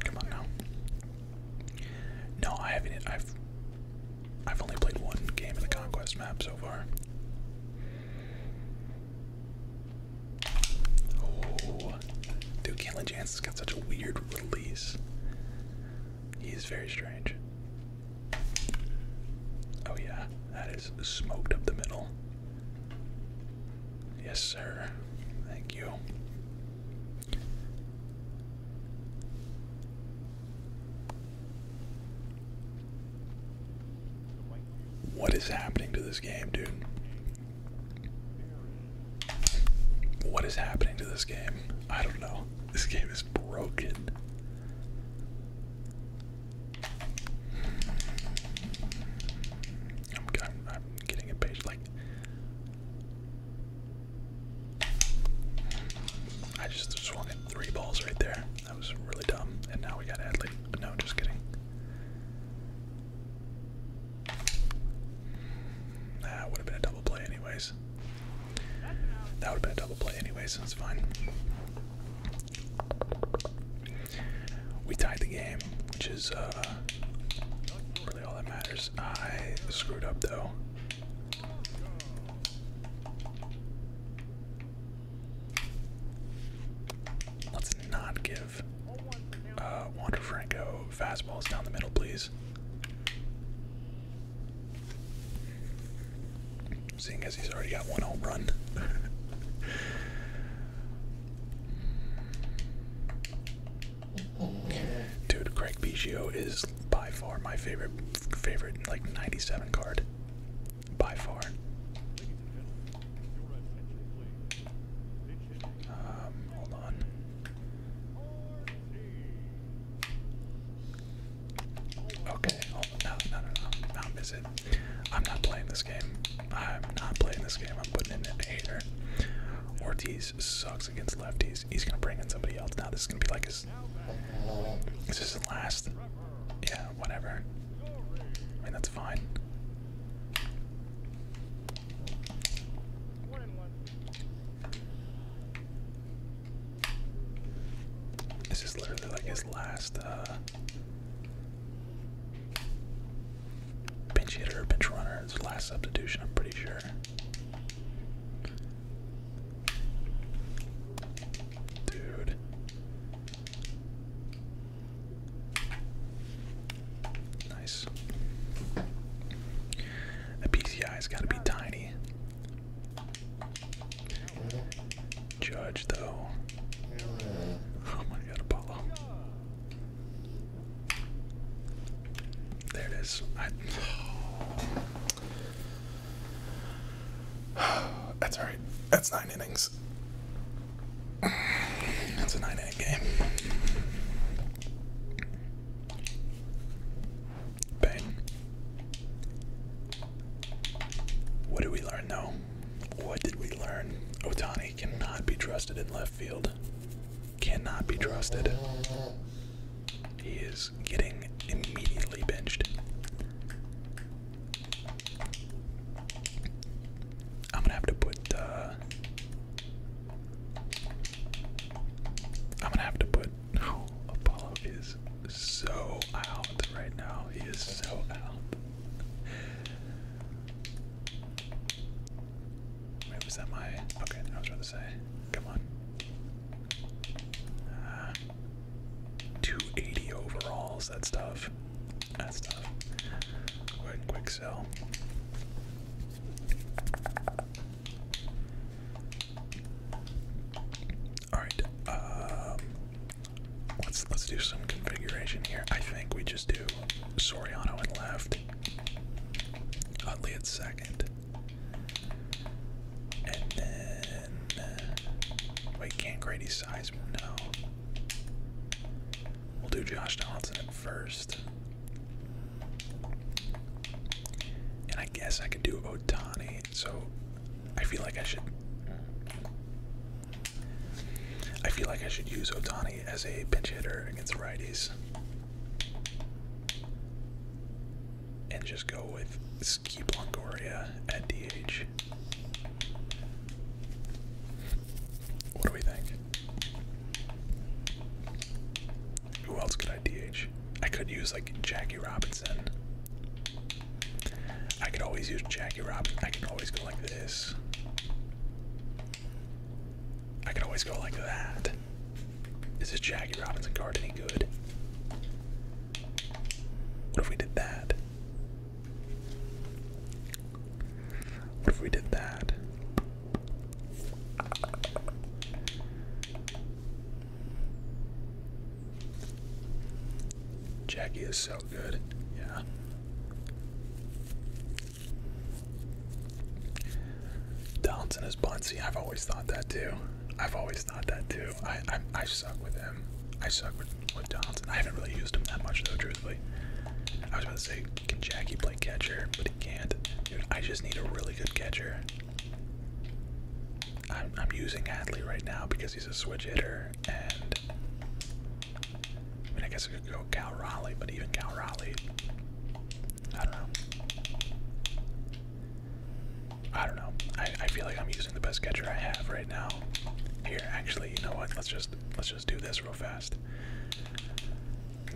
Come on now. No, I haven't. I've I've only played one game in the conquest map so far. Oh, dude, Killing Jansen's got such a weird release. He's very strange. Oh yeah, that is smoked up the middle. Yes, sir. Thank you. What is happening to this game, dude? What is happening to this game? I don't know. This game is broken. I'm, getting impatient. Like, I just swung at three balls right there. That was really dumb. And now we gotta no, just kidding. That would have been a double play, anyways. That would have been a double play, anyways. It's fine. We tied the game, which is uh, really all that matters. I screwed up, though. Let's not get give uh, Wander Franco fastballs down the middle, please. Seeing as he's already got one home run. Dude, Craig Biggio is by far my favorite, favorite like 97 card. By far. Um, hold on. Okay, oh, no, no, no, no, i miss it. I'm not playing this game. I'm not playing this game. I'm putting in an hater. Ortiz sucks against lefties. He's gonna bring in somebody else. Now this is gonna be like his. This is the last. Yeah, whatever. I mean that's fine. This is literally like his last uh, pinch hitter, pinch runner. His last substitution, I'm pretty sure. Dude. Nice. The PCI's got to be tiny. Judge, though. Oh my god, Apollo. There it is. That's alright. That's nine innings. That's a 9 8 game. What did we learn though? What did we learn? Otani cannot be trusted in left field. Cannot be trusted. He is getting immediately benched. I'm gonna have to put. Uh, I'm gonna have to put. Oh, Apollo is so out right now. He is so out. Wait, that my. Okay, I was trying to say. Come on. Uh, 280 overalls, that's tough. That's tough. Go quick so. All right. Um, let's let's do some configuration here. I think we just do Soriano and left, Utley at second, and then wait. Can't Grady Seisman? No. We'll do Josh Donaldson at first. And I guess I could do Otani, so I feel like I should. I feel like I should use Otani as a pinch hitter against righties. And just go with Ski Longoria at DH. What do we think? Who else could I DH? I could use like Jackie Robinson. I could always use Jackie Robinson. I could always go like this. I could always go like that. Is this Jackie Robinson card any good? What if we did that? What if we did that? Jackie is so good. Yeah. Donaldson is bouncy. I've always thought that too. I've always thought that too. I I, I suck with him. I suck with, with I haven't really used him that much though, truthfully. I was about to say, can Jackie play? catcher, but he can't. I just need a really good catcher. I'm, using Adley right now because he's a switch hitter, and I mean, I guess I could go Cal Raleigh, but even Cal Raleigh, I don't know. I don't know. I feel like I'm using the best catcher I have right now. Here, actually, you know what? Let's just let's just do this real fast.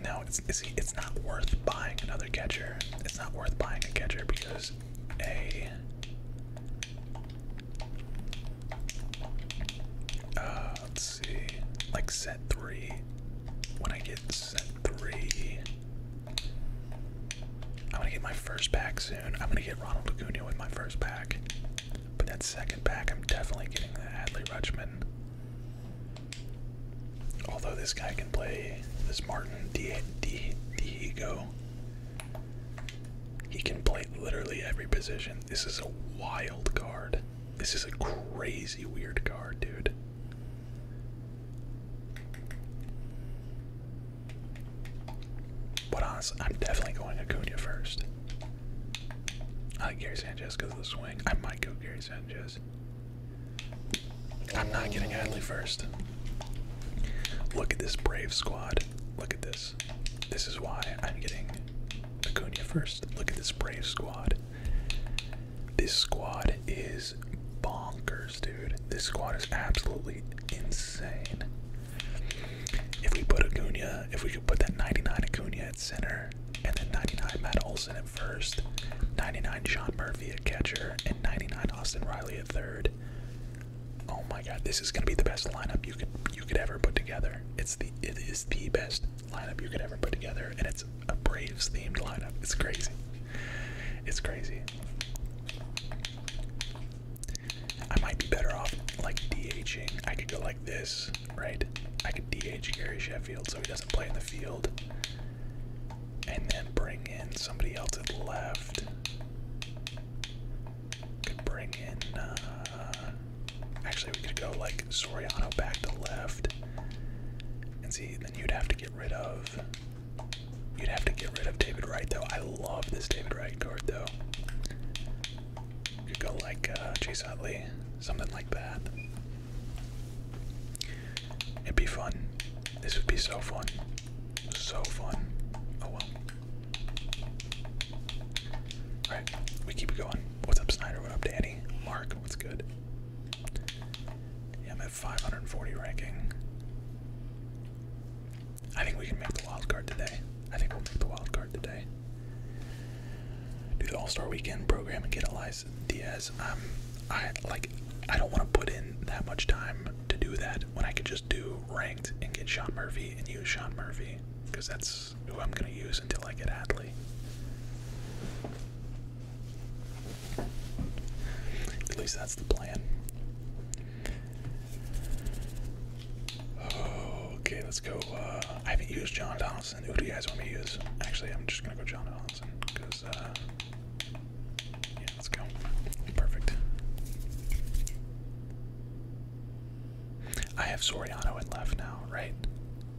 No, it's it's it's not worth buying another catcher. It's not worth buying a catcher because a uh, let's see, like set three. When I get set three, I'm gonna get my first pack soon. I'm gonna get Ronald Acuna with my first pack, but that second pack, I'm definitely getting the Adley Rutschman. Although this guy can play this Martin Diego. He can play literally every position. This is a wild card. This is a crazy weird card, dude. But honestly, I'm definitely going to Acuna first. I like Gary Sanchez because of the swing. I might go Gary Sanchez. I'm not getting Hadley first. Look at this brave squad. Look at this. This is why I'm getting Acuna first. Look at this brave squad. This squad is bonkers, dude. This squad is absolutely insane. If we put Acuna, if we could put that 99 Acuna at center, and then 99 Matt Olson at first, 99 Sean Murphy at catcher, and 99 Austin Riley at third. Oh my God, this is gonna be the best lineup you could you could ever put together. It's the it is the best lineup you could ever put together, and it's a Braves themed lineup. It's crazy. It's crazy. I might be better off like DHing. I could go like this right? I could DH Gary Sheffield so he doesn't play in the field. And then bring in somebody else at left. Could bring in. Uh, actually, we could go like Soriano back to left. And see, then you'd have to get rid of. You'd have to get rid of David Wright, though. I love this David Wright card, though. You could go like uh, Chase Utley, something like that. It'd be fun. This would be so fun. So fun. Oh well. Alright, we keep going. What's up, Snyder? What up, Danny? Mark, what's good? Yeah, I'm at 540 ranking. I think we can make the wild card today. I think we'll make the wild card today. Do the All Star Weekend program and get Eliza. Diaz. Diaz. Um, I like. I don't want to put in that much time to do that when I could just do ranked and get Sean Murphy and use Sean Murphy because that's who I'm gonna use until I get Adley. At least that's the plan. Okay, let's go. Uh, I haven't used John Donaldson. Who do you guys want me to use? Actually, I'm just gonna go John Donaldson because uh, yeah, let's go. Perfect. I have Soriano and left now, right?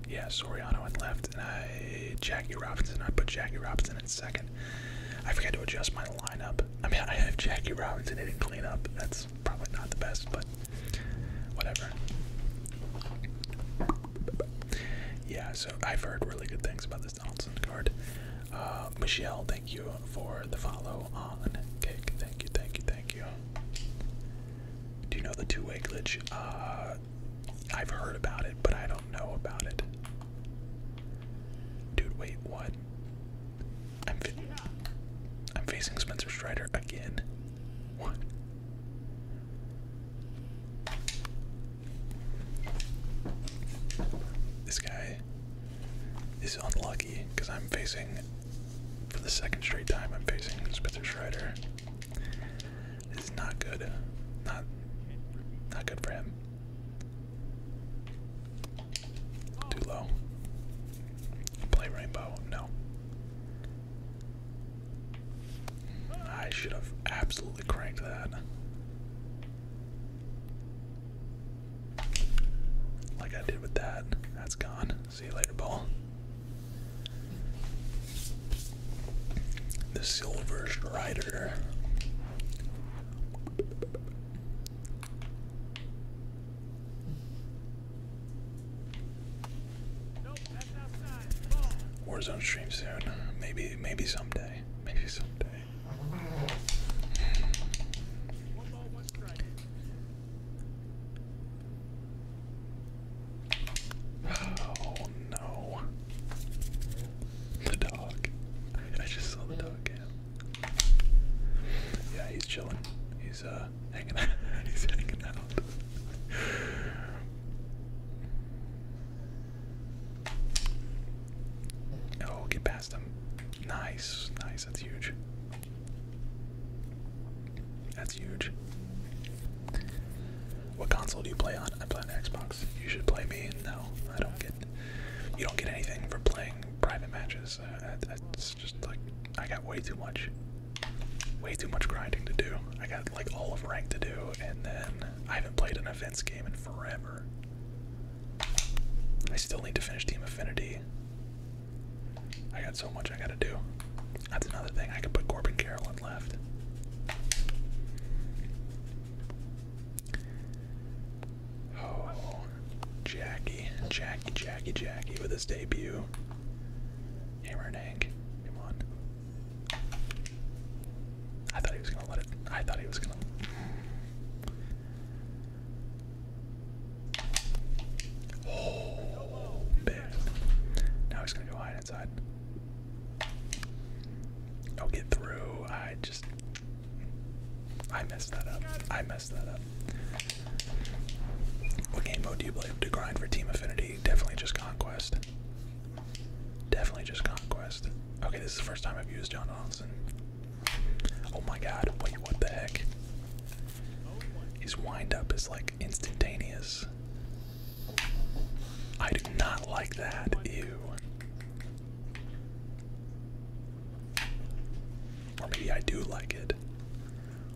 Yeah, Soriano and left, and I Jackie Robinson. I put Jackie Robinson in second. I forgot to adjust my lineup. I mean, I have Jackie Robinson hitting cleanup. That's probably not the best, but whatever. Yeah, so I've heard really good things about this Donaldson card. Uh, Michelle, thank you for the follow on cake. Thank you, thank you, thank you. Do you know the two way glitch? Uh, I've heard about it, but I don't know about it. Dude, wait, what? I'm, I'm facing Spencer Strider again. What? This guy is unlucky because I'm facing, for the second straight time, I'm facing Spencer Strider. This not good. Not, not good for him. Too low. Play rainbow. No. I should have absolutely cranked that. Like I did with that. That's gone. See you later, ball. The Silver version rider. Warzone stream soon. Maybe, maybe someday. Maybe someday. Oh no. The dog. I just saw the dog Yeah, he's chilling. He's uh hanging out. he's hanging out. Oh, get past him. Nice, nice. That's huge. That's huge. What console do you play on? I play on Xbox. You should play me. No, I don't get. You don't get anything for playing private matches. that's uh, just like I got way too much, way too much grinding to do. I got like all of rank to do, and then I haven't played an events game in forever. I still need to finish Team Affinity. I got so much I gotta do. That's another thing. I could put Corbin Carroll on left. Oh, Jackie, Jackie, Jackie, Jackie with his debut. Hammer and Hank, come on. I thought he was gonna let it. I thought he was gonna. Oh, big. Now he's gonna go hide inside. I'll get through. I just. I messed that up. I messed that up. What game mode do you play to grind for team affinity? Definitely just Conquest. Definitely just conquest. Okay, this is the first time I've used John Donaldson. Oh my god, wait, what the heck? His wind up is like instantaneous. I do not like that. Ew. Or maybe I do like it.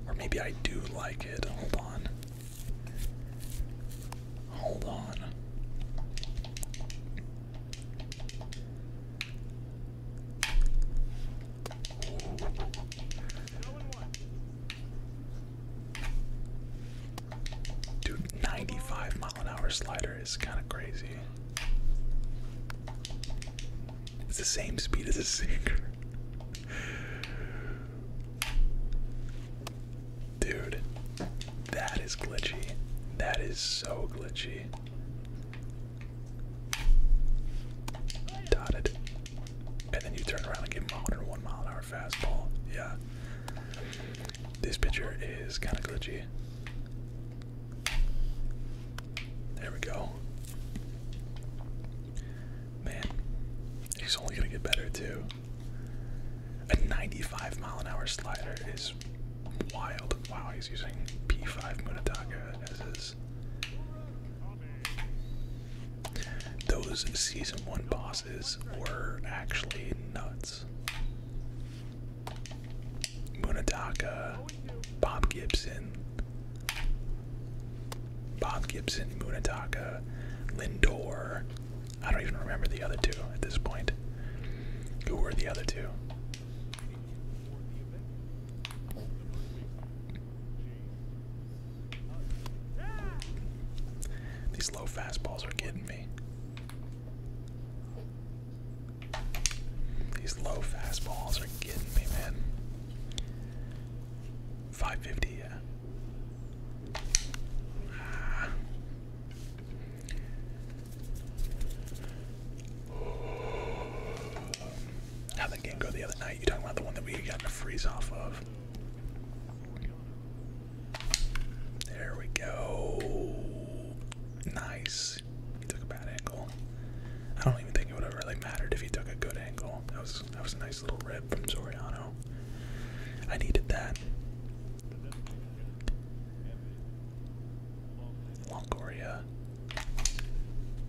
Or maybe I do like it. Hold on. Hold on. Dude, 95 mile an hour slider is kind of crazy. It's the same speed as a sinker. Dude, that is glitchy. That is so glitchy. Dotted. And then you turn around and get modern one mile hour fastball. Yeah. This picture is kind of glitchy. There we go. Man, he's only gonna get better too. A 95 mile an hour slider is wild. Wow, he's using P5 Munataka as his. Those season one bosses were actually nuts. Munataka, Bob Gibson, Bob Gibson, Munataka, Lindor, I don't even remember the other two at this point. Who were the other two? These low fastballs are getting me. These low fastballs are getting me, man. 550, yeah. Ah how that game go the other night? You talking about the one that we got in freeze off of? There we go. Nice. He took a bad angle. I don't even think it would have really mattered if he took a good angle. That was that was a nice little rip from Soriano. I needed that. Longoria.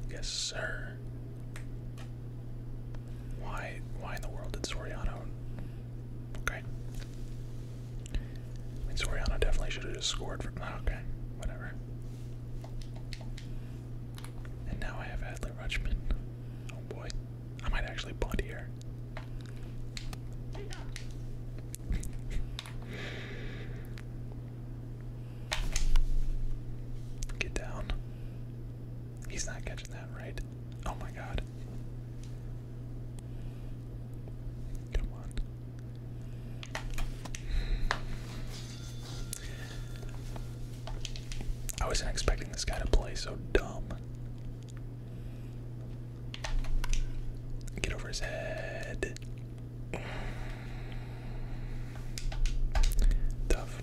Yes, sir. Why why in the world did Soriano Okay. I mean Soriano definitely should have just scored from oh, ah, okay, whatever. And now I have Adley Rutschman. Oh boy. I might actually bunt here. Get down. He's not catching that, right? Oh my god. Come on. I wasn't expecting this guy to play so dumb. Get over his head. Tough.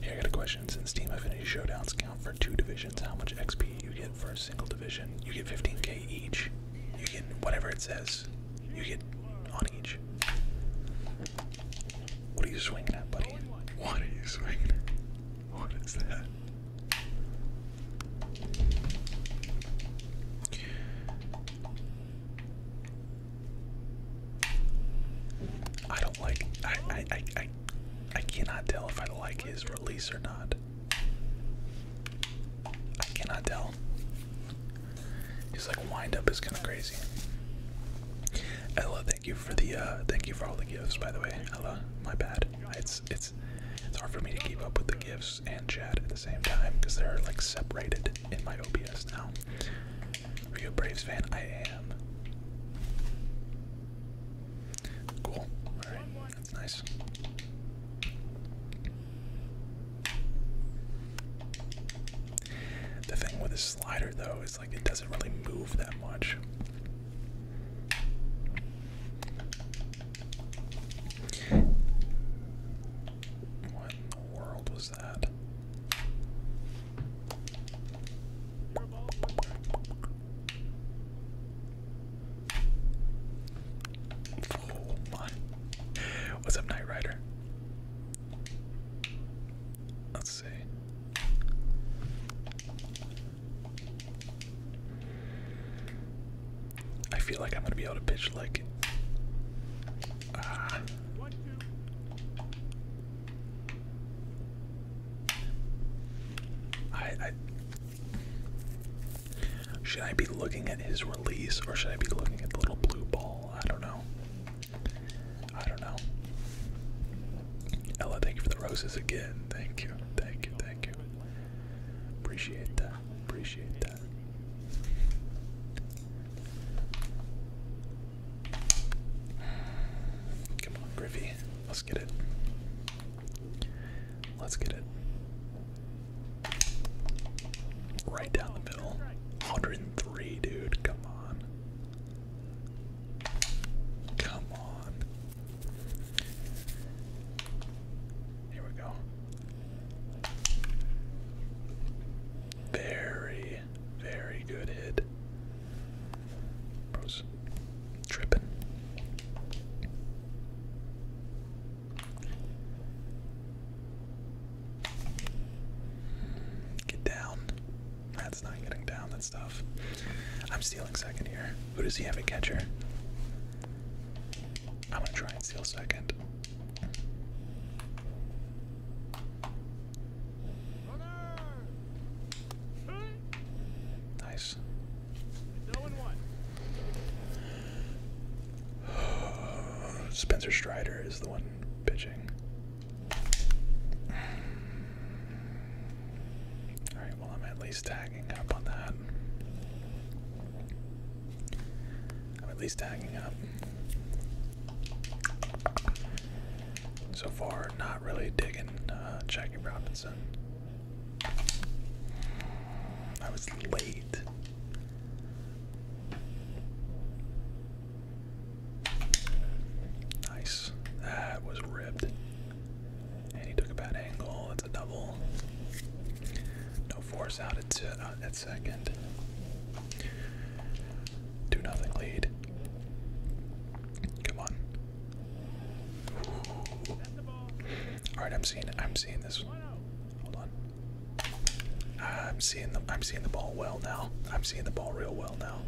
Here I got a question. Since Team Affinity Showdowns count for two divisions, how much XP you get for a single division? You get 15k each. You get whatever it says. You get on each. What are you swinging at, buddy? What are you swinging at? What is that? I don't like. I I I I, cannot tell if I like his release or not. I cannot tell. He's like wind up is kind of crazy. Ella, thank you for the uh, thank you for all the gifts by the way. Ella, my bad. It's it's it's hard for me to keep up with the gifts and chat at the same time because they're like separated in my OBS now. Are you a Braves fan? I am. Cool. Alright, that's nice. The thing with a slider though is like it doesn't really move that much. What in the world was that? Oh What's up, Knight Rider? Let's see. I feel like I'm gonna be able to pitch like ah. should I be looking at his release or should I be looking at the little blue ball? I don't know. I don't know. Ella, thank you for the roses again. Thank you, thank you, thank you. Appreciate that. Appreciate that. Come on, Griffey. Let's get it. Let's get it. Right down the middle. 103, dude. Come on. Come on. Here we go. Very, very good hit. tripping. Get down. That's not getting down. That stuff. I'm stealing second here. Who does he have a catcher? I'm gonna try and steal second. Nice. Spencer Strider is the one pitching well, I'm at least tagging up on that. I'm at least tagging up. So far, not really digging uh, Jackie Robinson. I was late. Nice. That was ripped he took a bad angle. That's a double. No force out at, uh, second. 2 nothing lead. Come on. Alright, I'm seeing I'm seeing this. Hold on. I'm seeing the I'm seeing the ball well now. I'm seeing the ball real well now.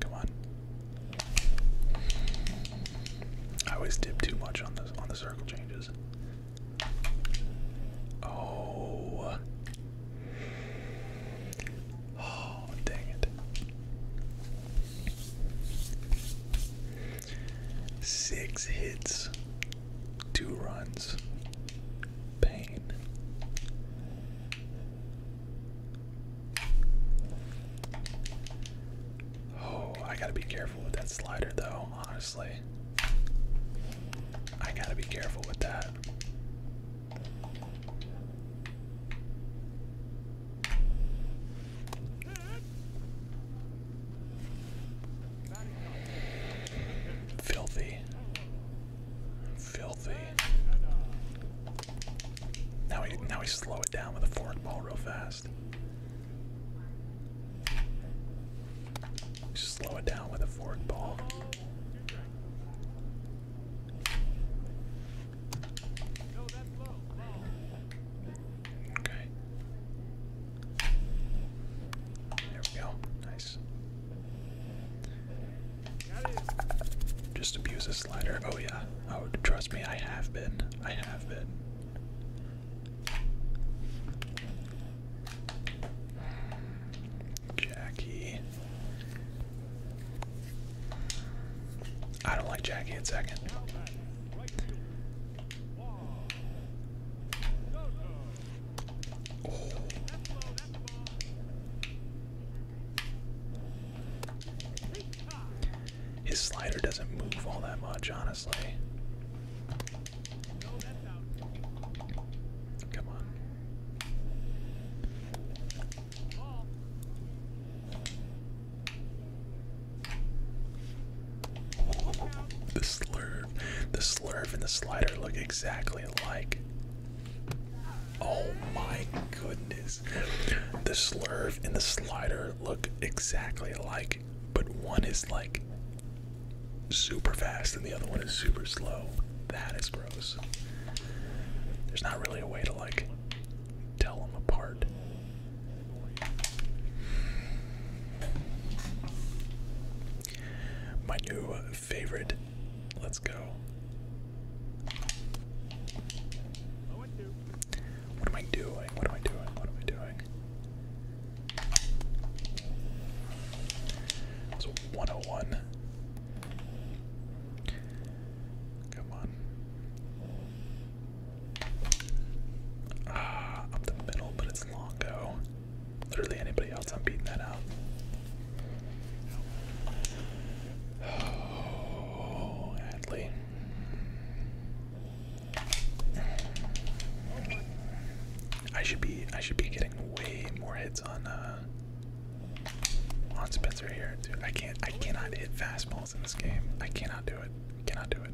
Come on. I always dip too much on the on the circle changes. Oh. Oh, dang it. Six hits, two runs, pain. Oh, I gotta be careful with that slider though, honestly. I gotta be careful with that. Filthy. Filthy. Now we now we slow it down with a fork ball real fast. Just slow it down with a forward ball. Okay. There we go. Nice. Just abuse a slider. Oh yeah. Oh, trust me, I have been. I have been. Jackie. I don't like Jackie at second. His slider doesn't move all that much, honestly. Come on. The slurve, the slurve, and the slider look exactly alike. Oh my goodness. The slurve and the slider look exactly alike, but one is like super fast and the other one is super slow. That is gross. There's not really a way to like tell them apart. My new favorite. Let's go. What am I doing? What am I doing? What am I doing? It's 101. Come on. Ah, up the middle, but it's long Literally anybody else, I'm beating that out. Oh, Adley. I should be I should be getting way more hits on uh on Spencer here. Dude, I can't I cannot hit fastballs in this game. I cannot do it. Cannot do it.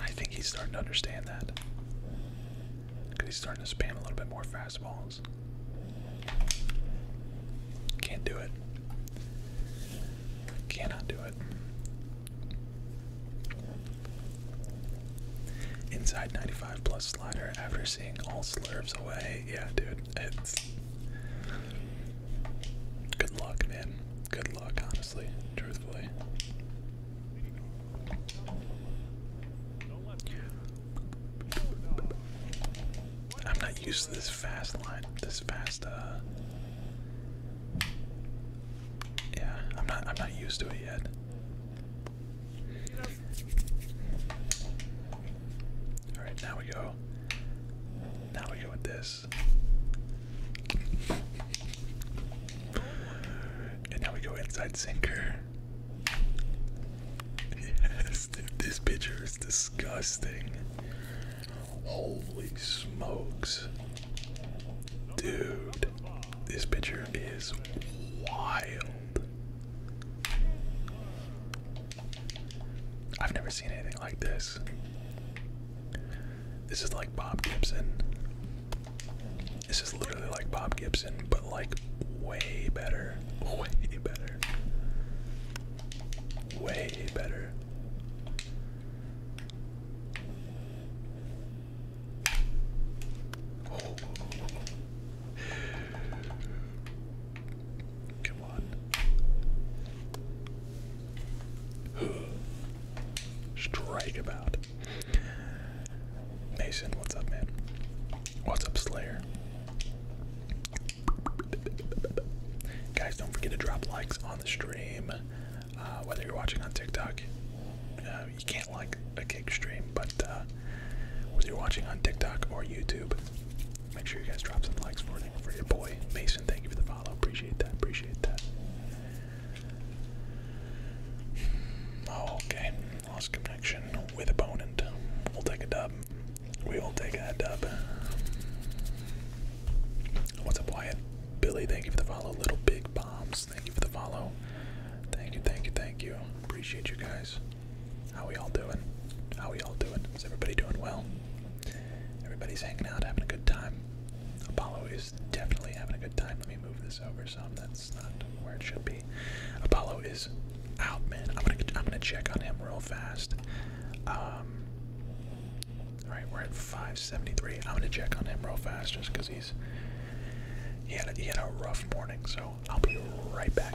I think he's starting to understand that. Cause he's starting to spam a little bit more fastballs. Can't do it. Cannot do it. Inside 95 plus slider after seeing all slurs away. Yeah, dude. It's. Good luck, man. Good luck, honestly. Truthfully. I'm not used to this fast line, this fast uh Yeah, I'm not I'm not used to it yet. Alright, now we go. Now we go with this. and now we go inside sinker. Yes, this picture is disgusting. Holy smokes. Dude, this picture is wild. I've never seen anything like this. This is like Bob Gibson. This is literally like Bob Gibson, but like way better. Way better. Way better. Oh. Come on. Strike about. Mason, what's up, man? What's up, Slayer? Guys, don't forget to drop likes on the stream. Uh, whether you're watching on TikTok, uh, you can't like a cake stream, but uh, whether you're watching on TikTok or YouTube, make sure you guys drop some likes for, for your boy Mason. Thank you for the follow. Appreciate that. Appreciate that. Oh, okay. Lost connection with opponent. We'll take a dub. We will take a dub. What's up, Wyatt? Billy, thank you for the follow. Little Big Bombs, thank you for the follow. Thank you, thank you, thank you. Appreciate you guys. How we all doing? How we all doing? Is everybody doing well? Everybody's hanging out, having a good time. Apollo is definitely having a good time. Let me move this over so That's not where it should be. Apollo is out, man. I'm gonna I'm gonna check on him real fast. Um, all right, we're at 573. I'm gonna check on him real fast just because he's he had a, he had a rough morning. So I'll be right back.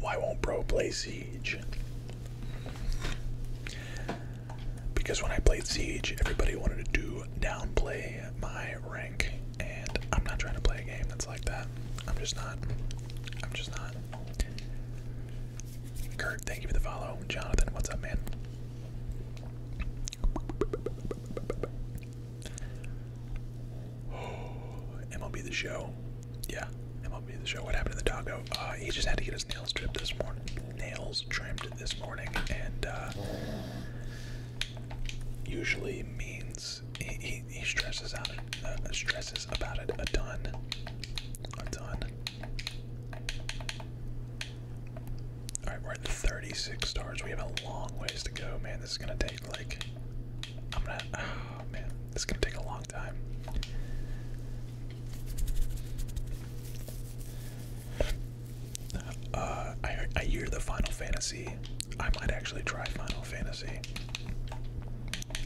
Why won't Bro play Siege? Because when I played Siege, everybody wanted to do downplay my rank, and I'm not trying to play a game that's like that. I'm just not. I'm just not. Kurt, thank you for the follow. Jonathan, what's up, man? Oh, MLB the show. Yeah, MLB the show. What happened to the doggo? Uh, he just had to get his nails trimmed this morning. Nails trimmed this morning, and uh, usually means he, he, stresses out uh, stresses about it a ton, a ton. All right, we're at 36 stars. We have a long ways to go, man. This is gonna take like I'm gonna oh man, this is gonna take a long time. Uh, I hear the Final Fantasy. I might actually try Final Fantasy.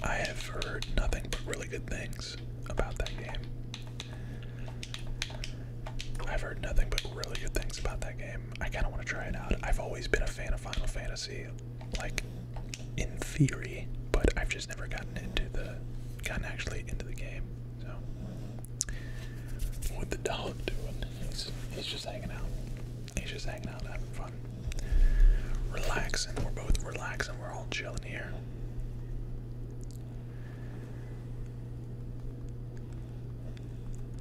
I have heard nothing but really good things about that game. I've heard nothing but really good things about that game. I kind of want to try it out. I've always been a fan of Final Fantasy, like in theory, but I've just never gotten into the, gotten actually into the game. So, what the dog doing? He's he's just hanging out. He's just hanging out, having fun, relaxing. We're both relaxing. We're all chilling here.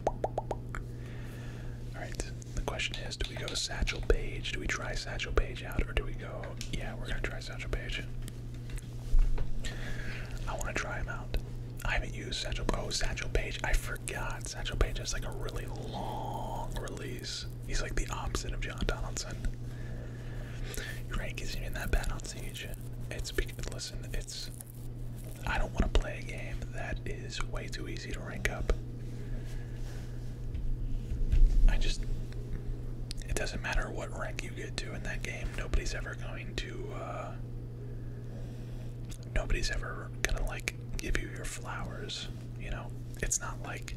All right. The question is, do we go to Satchel Page? Do we try Satchel Page out, or do we go? Yeah, we're gonna try Satchel Page. I want to try him out. I haven't used Satchel. Page. I forgot. Satchel Page has like a really long release. He's like the opposite of John Donaldson. rank isn't even that bad on Siege. It's because, listen, it's. I don't want to play a game that is way too easy to rank up. I just. It doesn't matter what rank you get to in that game, nobody's ever going to, uh, nobody's ever gonna like give you your flowers. You know, it's not like,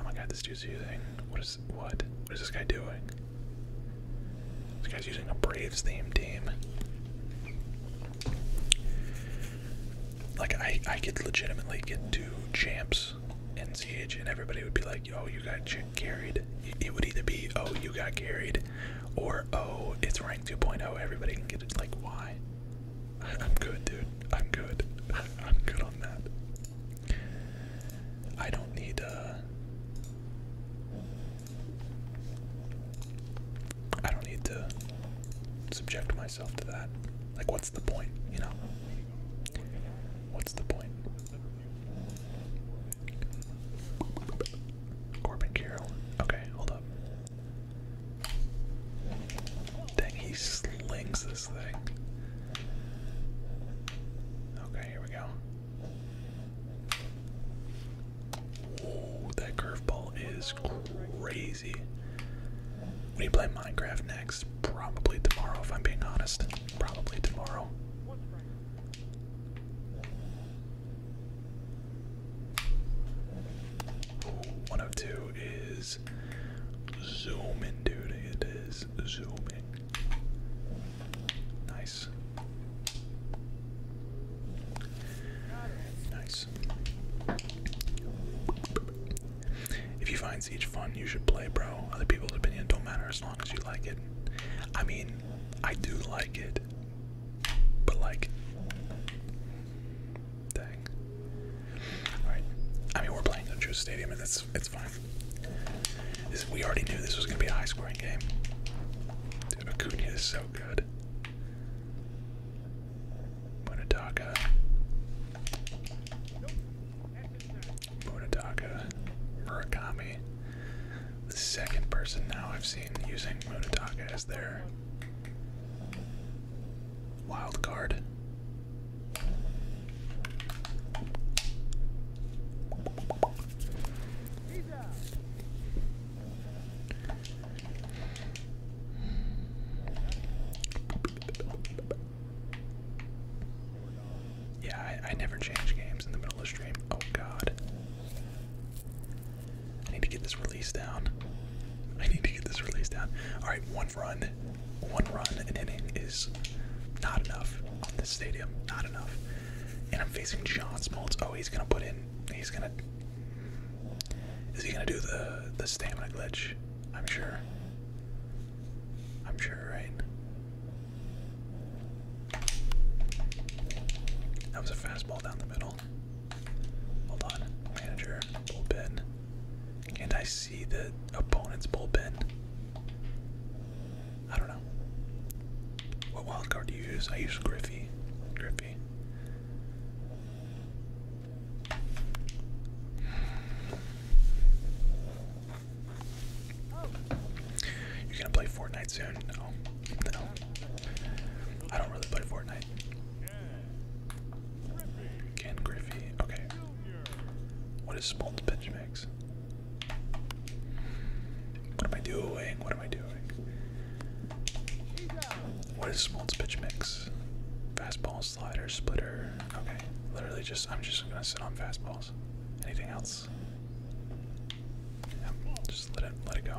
oh my god, this dude's using what is what? What is this guy doing? This guy's using a Braves themed team. Like I, I could legitimately get two champs in CH, and everybody would be like, "Yo, oh, you got carried." It would either be, "Oh, you got carried," Or oh, it's rank 2.0, everybody can get it. Like, why? I'm good, dude. I'm good. I'm good on that. I don't need, uh. I don't need to subject myself to that. Like, what's the point, you know? What's the point? Corbin Carroll. Okay, hold up. Dang, he slings this thing. Okay, here we go. Ooh, that curveball is crazy. We play Minecraft next, probably tomorrow if I'm being honest. Probably tomorrow. 102 is zooming, dude. It is zooming. Nice. Nice. If you find Siege fun, you should play, bro. Other people's opinion don't matter as long as you like it. I mean, I do like it, but like, dang. All right. I mean, we're playing Joe Stadium, and that's it's fine. we already knew this was gonna be a high-scoring game. Dude, is so good. Munadaka. Munadaka. Murakami the second person now I've seen using Munataka as their wild card. Yeah, I never change games in the middle of stream. Oh god. I need to get this release down. I need to get this release down. Alright, one run. One run an inning is not enough on this stadium. Not enough. And I'm facing John Smoltz. Oh, he's gonna put in he's gonna Is he gonna do the the stamina glitch? I'm sure. I'm sure, right? That was a fastball down the middle. Hold on. Manager, bullpen. and I see the opponent's bullpen? I don't know. What wildcard do you use? I use Griffey. Griffey. You're gonna play Fortnite soon? No. No. I don't really play Fortnite. Ken Griffey. Okay. What is Spawn's pitch mix? What am I doing? What am I doing? What is Smoltz pitch mix? Fastball, slider, splitter. Okay, literally just I'm just gonna sit on fastballs. Anything else? just let it let it go.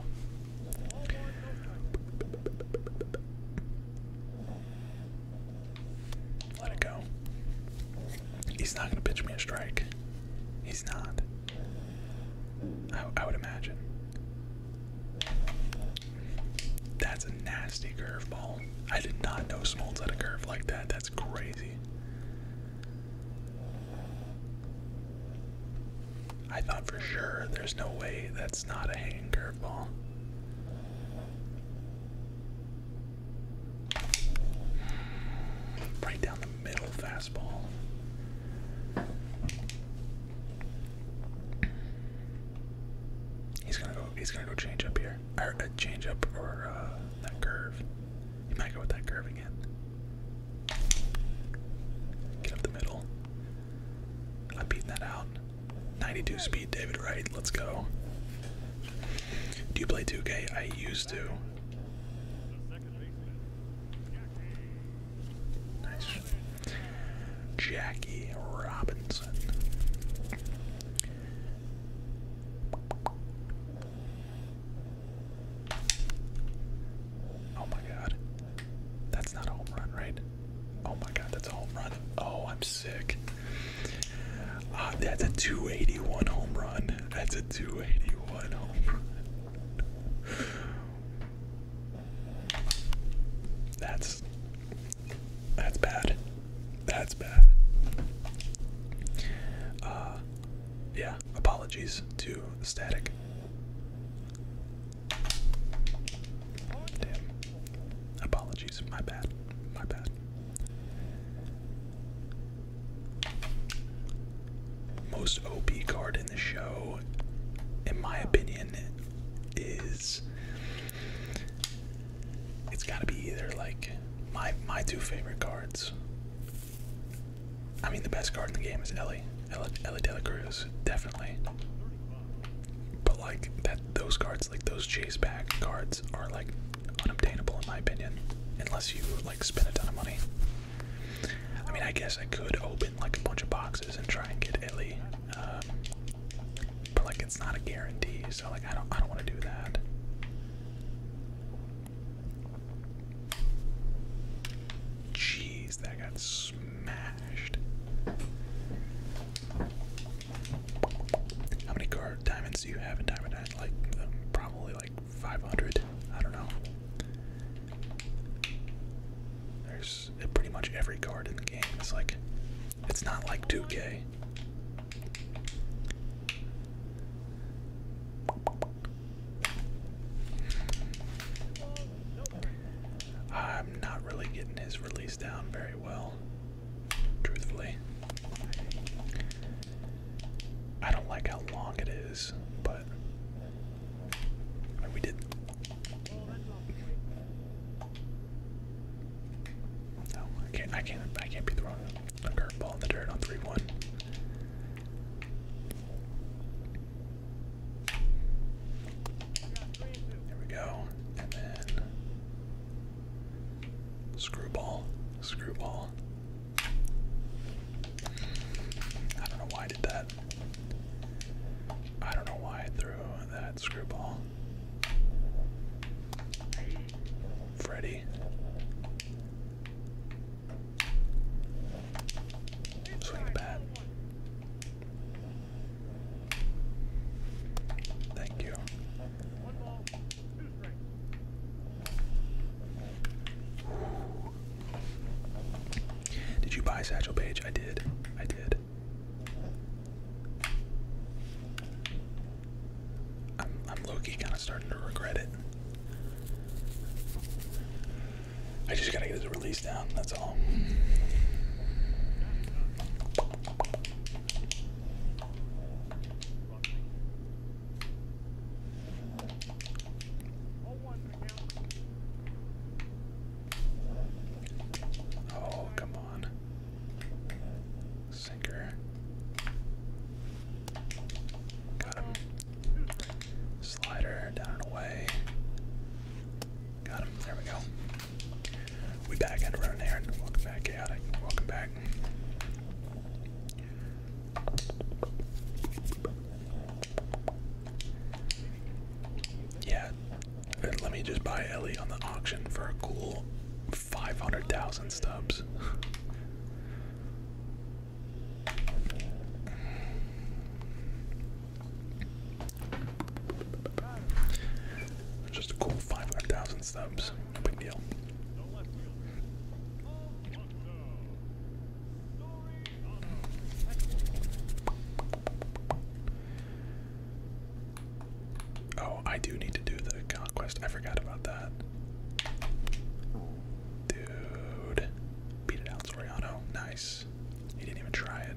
Let it go. He's not gonna pitch me a strike. He's not. I, I would imagine. That's a nasty curveball. I did not know Smoltz had a curve like that. That's crazy. I thought for sure there's no way that's not a hanging curveball. Right down the middle fastball. He's gonna go. He's gonna go change up here. Or uh, change up or uh, that curve. He might go with that curve again. Get up the middle. I'm beating that out. 92 speed, David Wright. Let's go. Do you play 2K? I used to. Nice. Jackie Robinson. Oh my god. That's not a home run, right? Oh my god, that's a home run. Oh, I'm sick. Ah, that's a 281 home run. That's a 281 home run. That's that's bad. That's bad. Uh yeah, apologies to the static. Damn. Apologies. My bad. My bad. Most OP card in the show, in my opinion, is it's gotta be either like my my two favorite cards. I mean the best card in the game is Ellie definitely. Ella, Cruz, definitely. But like that, those cards, like those chase back cards, are like unobtainable in my opinion, unless you like spend a ton of money. I mean, I guess I could open like a bunch of boxes and try and get Ellie, um, but like it's not a guarantee. So like I don't, I don't want to do that. Jeez, that got smashed. How many card diamonds do you have in Diamond Nine? Like, um, probably like 500. I don't know. There's uh, pretty much every card in the game. It's like, it's not like 2K. I'm not really getting his release down very well, truthfully. I don't like how long it is, but we did. No, I can't. I can't. I can't be throwing a curveball in the dirt on three-one. There we go. And then screwball, screwball. I don't know why I did that. I don't know why I threw that screwball. Freddy. Swing bat. Thank you. did you buy Satchel Page? I did. I did. I'm Loki. kinda starting to regret it. I just gotta get the release down, that's all. Oh, come on. Sinker. Got him. Slider down and away. Got him. There we go. We back at run there. Welcome back, chaotic. Welcome back. Yeah, let me just buy Ellie on the auction for a cool 500,000 stubs. Just a cool 500,000 subs. No big deal. Oh, I do need to do the conquest. I forgot about that. Dude. Beat it out, Soriano. Nice. He didn't even try it.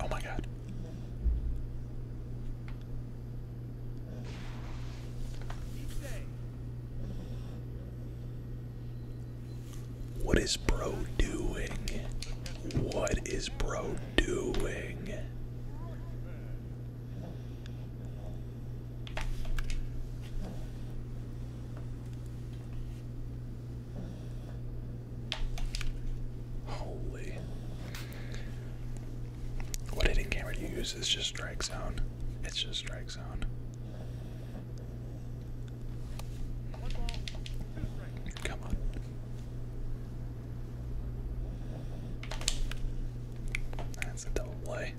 Oh my god. What is bro doing? What is bro doing? Holy. What hitting camera do you use? It's just strike zone. It's just strike zone. Come on. That's a double play.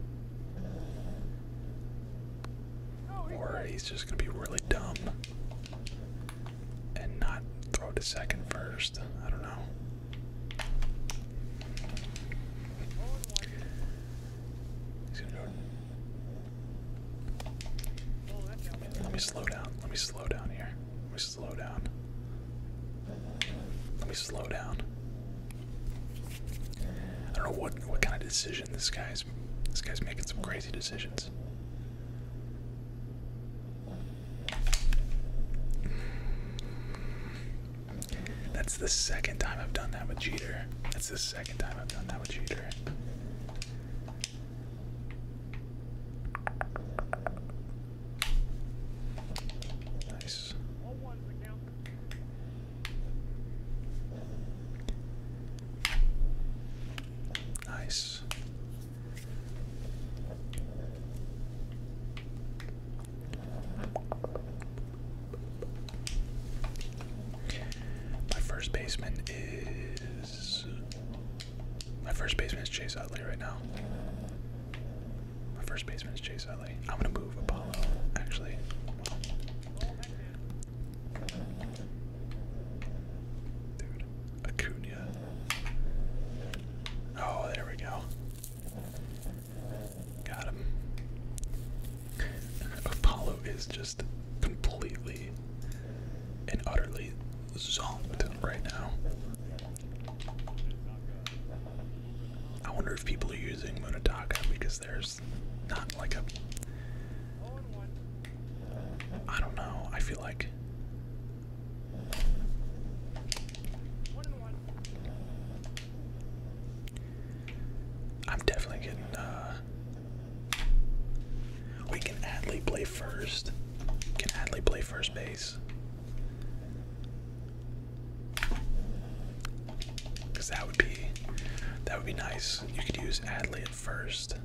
Or he's just going to be really dumb and not throw to second first. I don't know. Let me slow down. Let me slow down here. Let me slow down. Let me slow down. I don't know what what kind of decision this guy's this guy's making some crazy decisions. That's the second time I've done that with Jeter. That's the second time I've done that with Jeter. Nice. Nice. My first baseman my first baseman is Chase Utley right now. My first baseman is Chase Utley. I'm gonna move Apollo, actually. Dude, Acuna. Oh, there we go. Got him. Apollo is just completely and utterly zoned right now. I wonder if people are using Munataka because there's not like a. I don't know. I feel like. I'm definitely getting uh, we can Adley play first? Can Adley play first base? Cause that would be that would be nice. You could use Adley at first.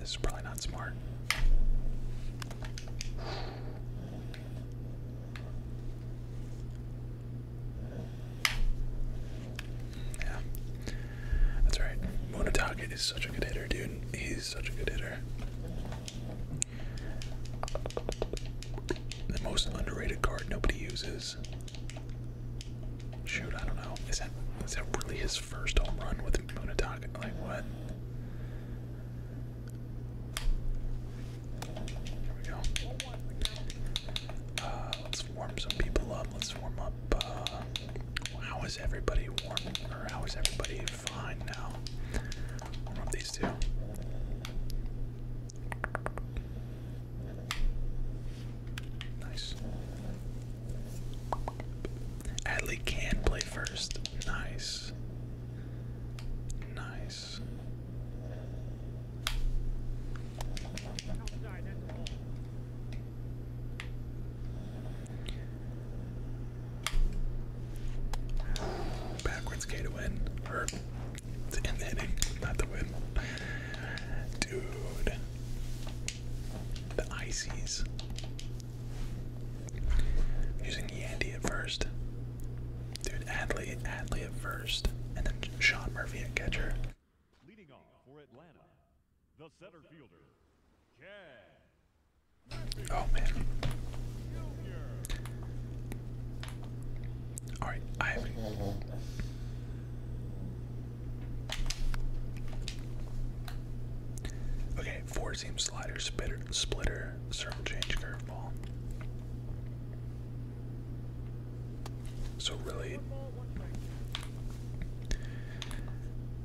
This is probably not smart. Yeah. That's right. Munatake is such a good hitter, dude. He's such a good hitter. The most underrated card nobody uses. Shoot, I don't know. Is that is that really his first home run with Munatake? Like what? There we go. Uh, let's warm some people up. Let's warm up. Uh, how is everybody warm? Or how is everybody fine now? Warm up these two. Nice. Adley can play first. Nice. Nice. Backwards K to win. Or the hitting, not to win. Dude. The Ices. Using Yandy at first. Dude, Adley, Adley at first, and then Sean Murphy at catcher. Leading off for Atlanta, the center fielder, Oh man. All right, I have. Okay, four seam slider, spitter, splitter, their change curveball. So really,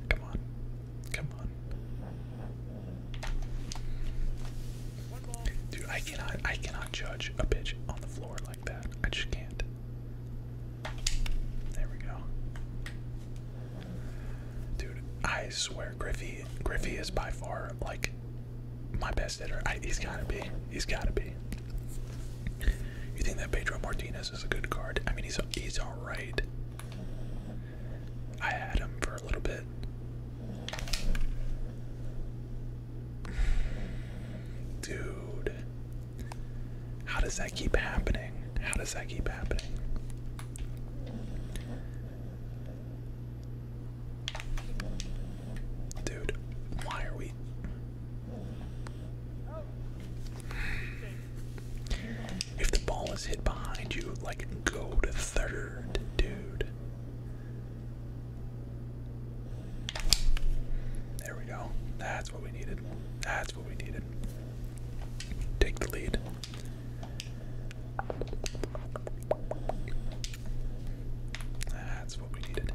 come on, come on, dude! I cannot, I cannot judge a bitch on the floor like that. I just can't. There we go, dude. I swear, Griffey, Griffey is by far like my best hitter. he's got to be. He's got to be. You think that Pedro Martinez is a good card? I mean, he's he's all right. I had him for a little bit. Dude, how does that keep happening? How does that keep happening? Dude, why are we? If the ball is hit behind you, like go to third, dude. There we go. That's what we needed. That's what we needed. Take the lead. That's what we needed.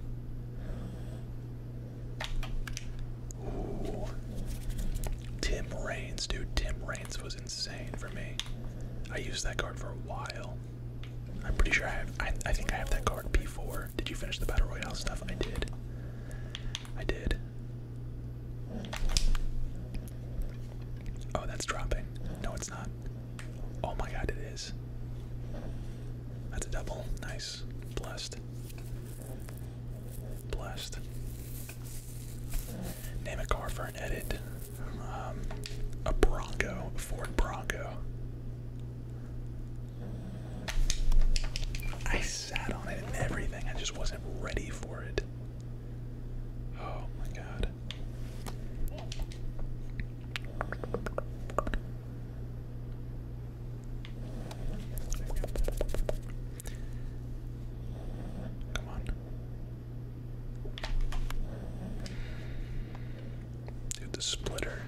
Ooh. Tim Raines, dude. Tim Raines was insane for me. I used that card for a while. I'm pretty sure I have. I, think I have that card P4. Did you finish the Battle Royale stuff? I did. I did. Oh, that's dropping. No, it's not. Oh my god, it is. That's a double. Nice. Blessed. Blessed. Name a car for an edit. Um, a Bronco, Ford Bronco. I sat on it and everything. I just wasn't ready for it. Oh my god. Come on. Dude, the splitter.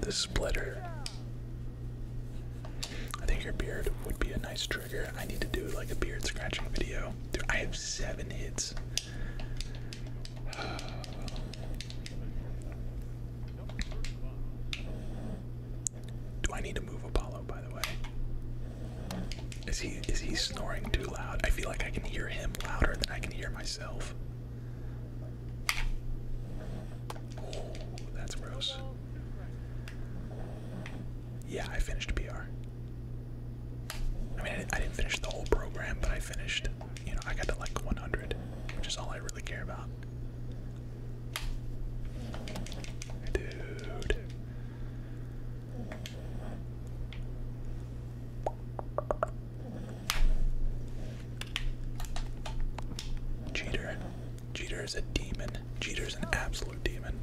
The splitter. I think your beard would be a nice trigger. I need to do like a beard scratching video. I have seven hits. Do I need to move Apollo by the way? Is he is he snoring too loud? I feel like I can hear him louder than I can hear myself. Oh, that's gross. Yeah, I finished PR. I mean, I, didn't finish the whole program, but I finished, you know, I got to like 100, which is all I really care about. Dude. Jeter. Jeter is a demon. Jeter's an absolute demon.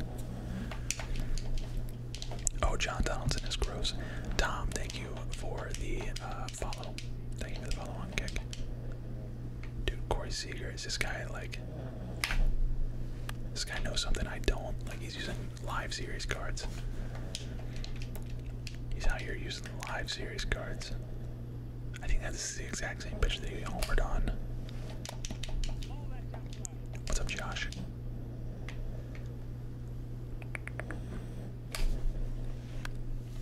Oh, John Donaldson is gross. Tom, thank you for the uh, follow. Thank you for the follow on kick. Dude, Corey Seager is this guy like. This guy knows something I don't. Like, he's using live series cards. He's out here using live series cards. I think that's the exact same pitch that he homered on. What's up, Josh?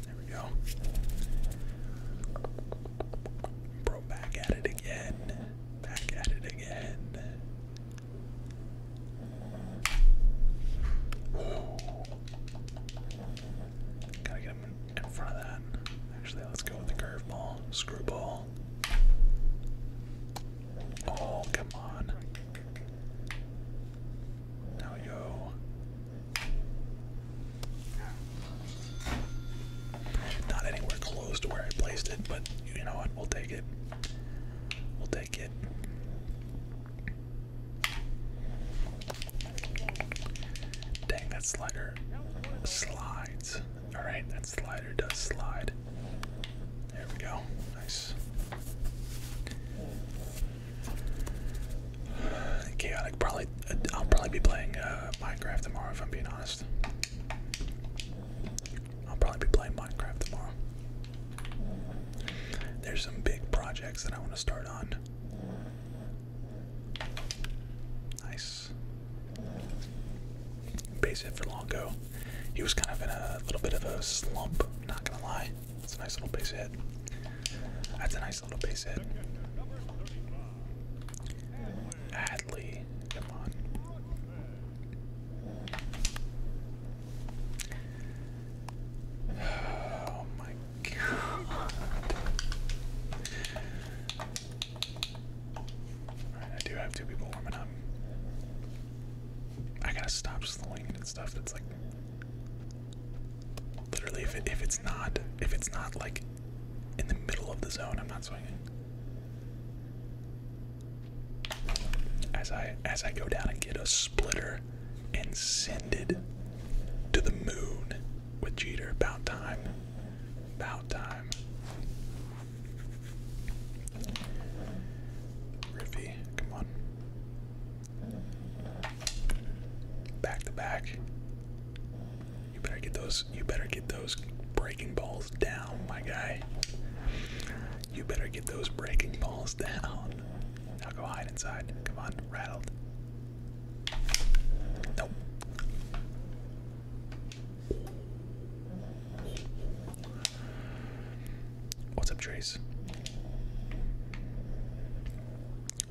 There we go. Bro, back at it again. Back at it again. Gotta get him in front of that. Actually, let's go with the curveball, screwball. Oh, come on. Now we Not anywhere close to where I placed it, but you know what? We'll take it. We'll take it. Dang, that slider slides. Alright, that slider does slide. There we go. Nice. Chaotic. Probably. I'll probably be playing uh, Minecraft tomorrow. If I'm being honest, I'll probably be playing Minecraft tomorrow. There's some big projects that I want to start on. Nice. Base it for long ago. He was kind of in a little bit of a slump, not gonna lie. that's a nice little base hit. That's a nice little base hit. Adley, come on. Oh my god. I do have two people warming up. I gotta stop slowing stuff that's like literally if it's not if it's not like in the middle of the zone, I'm not swinging. As I as I go down and get a splitter and send it to the moon with Jeter. About time. About time. Riffy, come on. Back to back. You better get those you better get those breaking balls down, my guy. You better get those breaking balls down. Now go hide inside. Come on, rattled. Nope. What's up, Trace?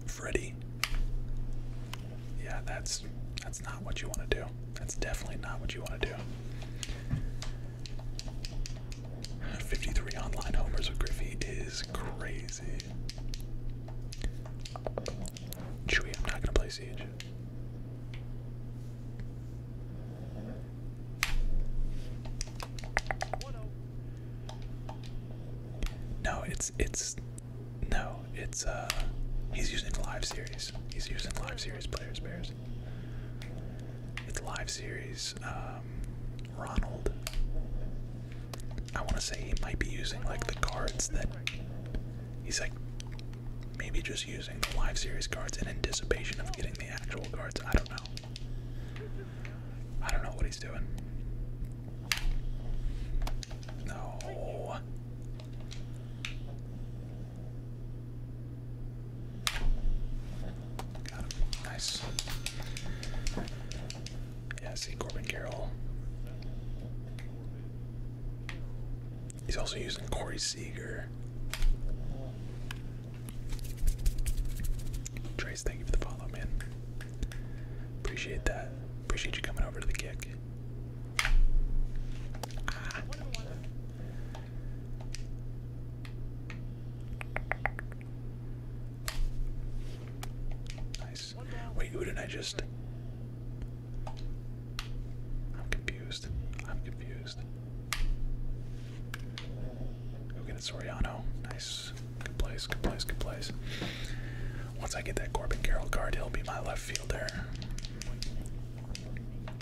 Freddy. Yeah, that's that's not what you want to do. That's definitely not what you want to do. 53 online homers with Griffey is crazy. Chewy, I'm not gonna play Siege. No, it's it's no, it's uh he's using live series. He's using live series players bears. It's live series um Ronald. I want to say he might be using like the cards that he's like maybe just using the live series cards in anticipation of getting the actual cards. I don't know. I don't know what he's doing. No. Nice. Yeah, see Corbin Carroll. He's also using Corey Seager. Trace, thank you for the follow, man. Appreciate that. Appreciate you coming over to the kick. Ah. Nice. Wait, who did I just? I'm confused. I'm confused. Go get it, Soriano. Nice. Good place, good place, good place. Once I get that Corbin Carroll card, he'll be my left fielder.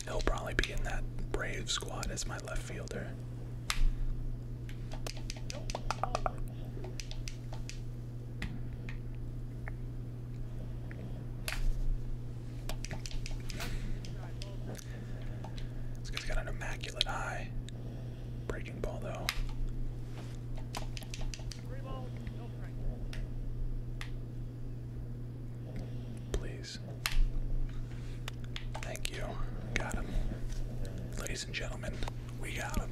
He'll probably be in that Brave squad as my left fielder. This guy's got an immaculate eye. Breaking ball though. Please. Thank you. Got him. Ladies and gentlemen, we got him.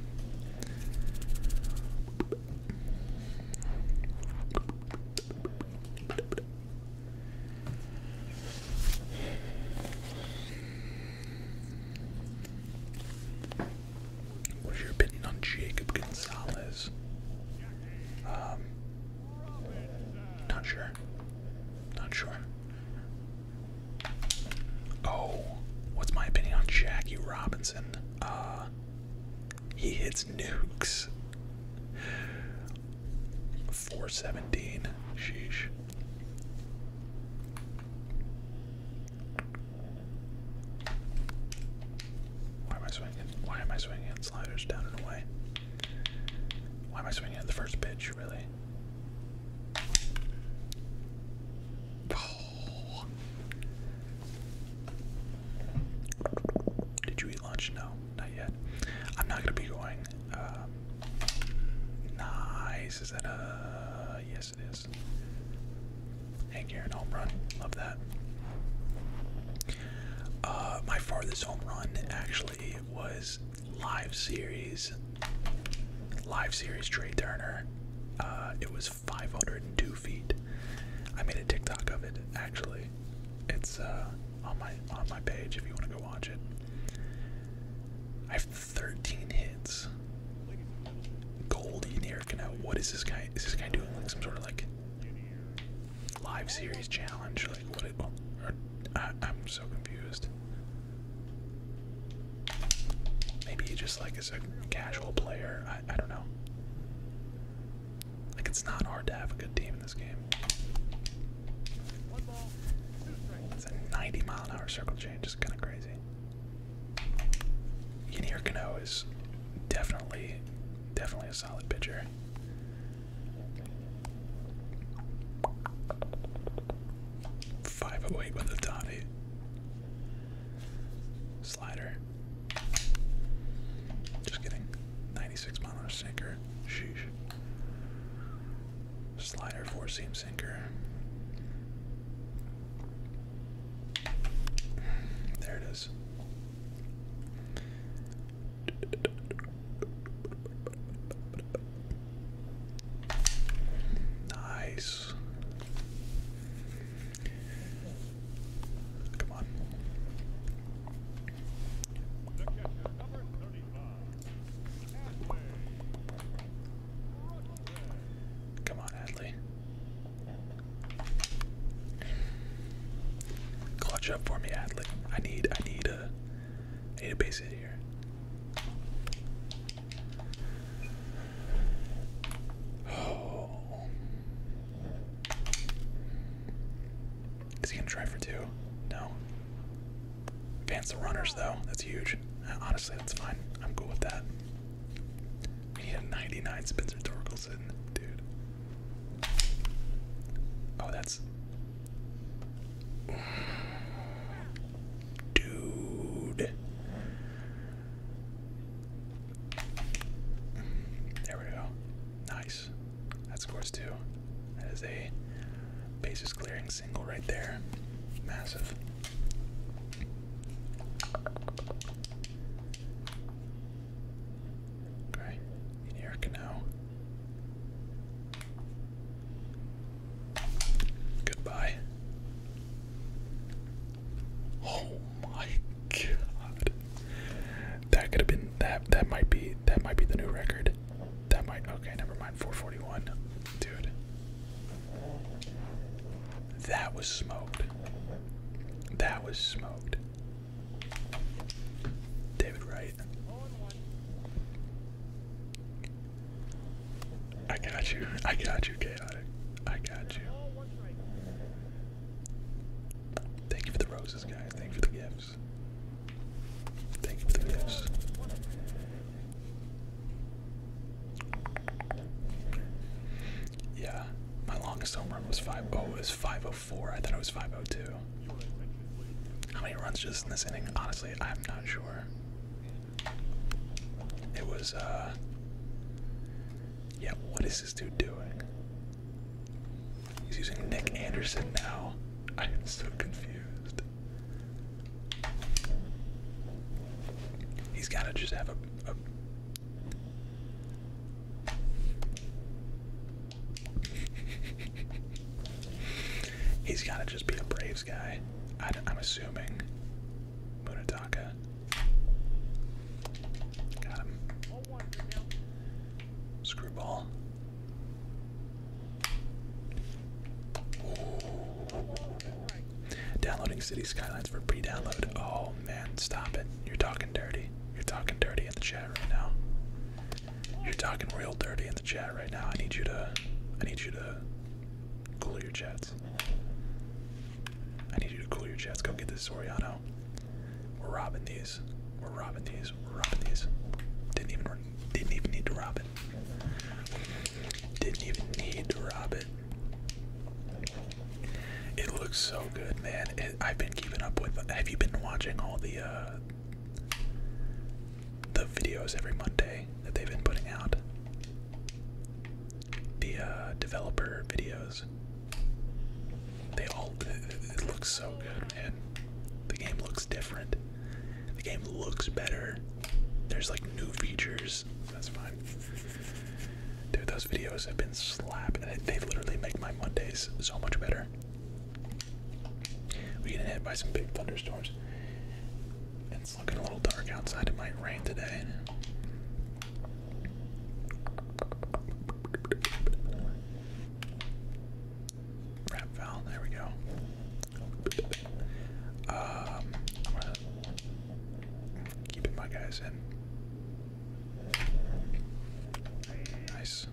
What's your opinion on Jacob Gonzalez? Um, not sure. Not sure. Oh, what's my opinion on Jackie Robinson? Uh, he hits nukes. 417. Sheesh. Why am I swinging? Why am I swinging sliders down and away? Why am I swinging the first pitch, really? Oh. Did you eat lunch? No, not yet. I'm not going to be going um, Nice. Is that a. Yes, it is. Hang here and home run. Love that. Uh, my farthest home run actually was live series. Live series Trey Turner. Uh, it was 502 feet. I made a TikTok of it actually. It's uh, on my on my page if you want to go watch it. I 13 hits. Gold Eric now. What is this guy? Is this guy doing like some sort of like live series challenge? Like what? I, am so confused. Maybe he just like is a casual player. I don't know. Like it's not hard to have a good team in this game. It's a 90 mile an hour circle change. It's kind of crazy. Yadier Cano is definitely, definitely a solid pitcher. Five oh eight with the Tommy slider. Just kidding. Ninety six mile an hour sinker. Sheesh. Slider four seam there it is. Nice. Come on. Come on, Adley. Clutch up for me, Adley. I need, I need a, I need a base hit here. Oh. Is he gonna try for two? No. Advance the runners, though. That's huge. Uh, honestly, that's fine. I'm cool with that. We need a 99 Spencer Torkelson, dude. Oh, that's. Dude. There we go. Nice. That scores two. That is a bases clearing single right there. Massive. Okay, in here Goodbye. Oh my god. That could have been that that might be that might be the new record. That might okay, never mind. 441. Dude. That was smoked. That was smoked. David Wright. I got you. I got you, Chaotic. I got you. Thank you for the roses, guys. Thank for the gifts. Thank for the gifts. Yeah, my longest home run was 5 oh, it 504. I thought it was 502. How many runs just in this inning? Honestly, I'm not sure. It was, uh. Yeah, what is this dude doing? He's using Nick Anderson now. I am so confused. He's got to just have a, He's got to just be a Braves guy. I, I'm assuming. Munataka. Got him. Screwball. Downloading city skylines for pre-download. Oh man, stop it. You're talking dirty. You're talking dirty in the chat right now. You're talking real dirty in the chat right now. I need you to I need you to cool your jets. I need you to cool your jets. Go get this Soriano. We're robbing these. We're robbing these. We're robbing these. Didn't even didn't even need to rob it. Didn't even need to rob it. It looks so good, man. I've been keeping up with. Have you been watching all the uh, the videos every Monday that they've been putting out? The uh, developer videos. They all. it looks so good, man. The game looks different. The game looks better. There's like new features that's fine. Dude, those videos have been slap. They literally make my Mondays so much better. We get hit by some big thunderstorms. It's looking a little dark outside. It might rain today. Wrap valve. There we go. Um, i my guys in. Nice.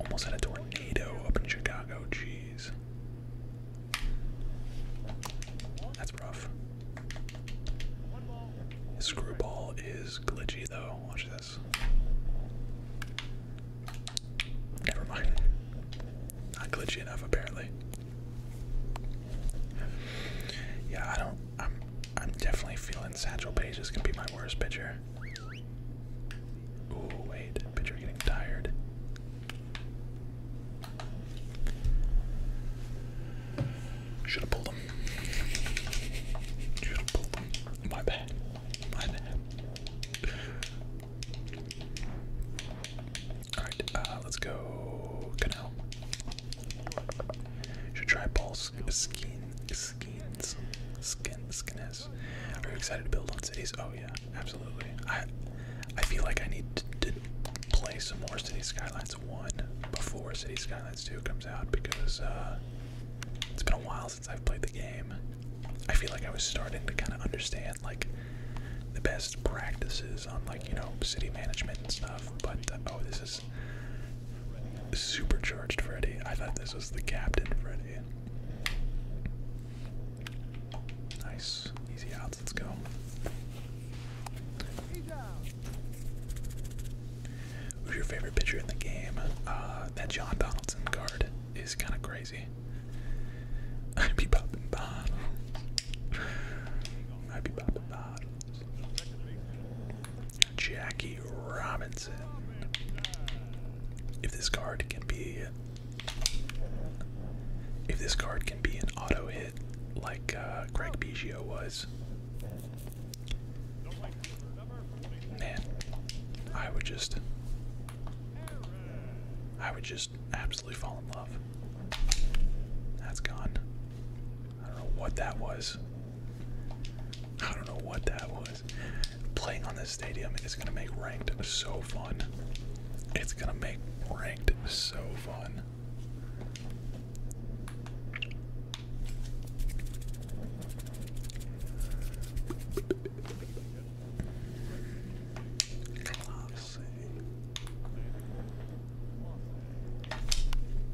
Almost had a tornado up in Chicago. Jeez. That's rough. His screwball is glitchy though. Watch this. Never mind. Not glitchy enough, apparently. Yeah, I don't. I'm. I'm definitely feeling Satchel Paige is gonna be my worst pitcher. Ooh, wait, pitcher getting tired. Should have pulled him. Should have pulled him. My bad. My bad. Alright, uh, let's go canal. Should try ball skin, skins, skin, skins. Are you excited to build on cities? Oh yeah, absolutely. I, I feel like I need to, play some more Cities Skylines 1 before Cities Skylines 2 comes out because uh, it's been a while since I've played the game. I feel like I was starting to kind of understand like the best practices on like you know city management and stuff. But uh, oh, this is supercharged Freddy. I thought this was the captain Freddy. Nice, easy outs. Let's go. Who's your favorite pitcher in the game? Uh, that John Donaldson card is kind of crazy. I'd be popping bottles. Jackie Robinson. If this card can be, if this card can be an auto hit like uh, Greg Biggio was, man, I would just, I would just absolutely fall in love. That's gone. I don't know what that was. I don't know what that was. Playing on this stadium is gonna make ranked so fun. It's gonna make ranked so fun.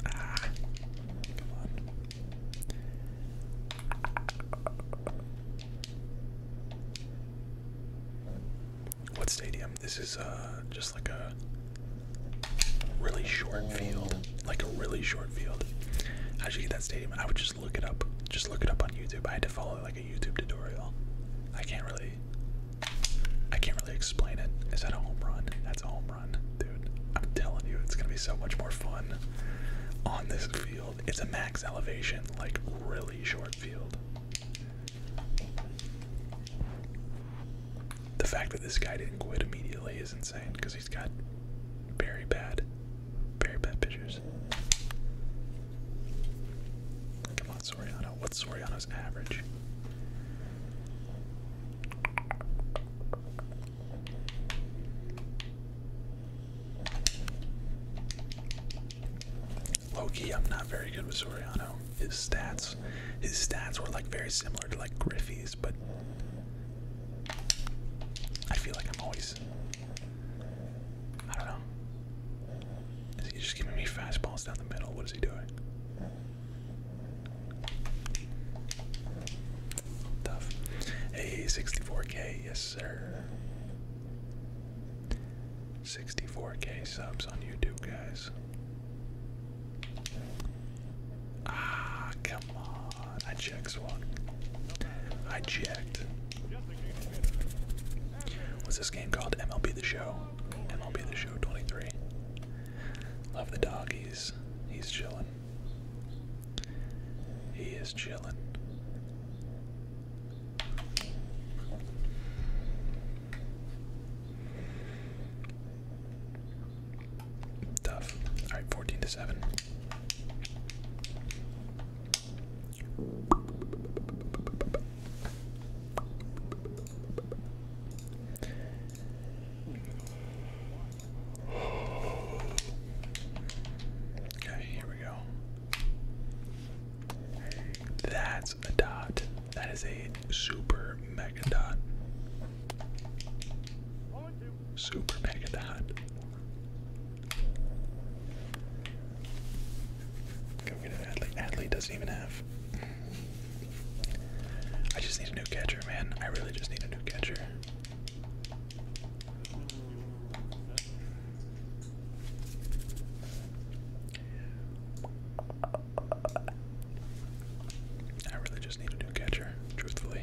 Ah. What stadium? This is uh just like a really short field, like a really short field. How'd get that stadium? I would just look it up. Just look it up on YouTube. I had to follow like a YouTube tutorial. I can't really I can't really explain it. Is that a home run? That's a home run, dude. I'm telling you, it's gonna be so much more fun on this field. It's a max elevation, like really short field. The fact that this guy didn't quit immediately is insane because he's got very bad, very bad pitchers. Come on. Soriano. What's Soriano's average? Loki, I'm not very good with Soriano. His stats, his stats were like very similar to like Griffey's, but I feel like I'm always, I don't know. Is he just giving me fastballs down the middle? What is he doing? Tough. Hey, 64k, yes sir. 64k subs on YouTube, guys. Ah, come on. I checked, Swan. I checked. What's this game called? MLB The Show? MLB The Show 23. Love the doggies. He's, he's chilling. He is chilling. Tough. All right, 14 to 7. Okay, here we go. That's a dot. That is a super mega dot. Super mega dot. Go get an athlete. Athlete doesn't even have I just need a new catcher, man. I really just need a new catcher. I really just need a new catcher, truthfully.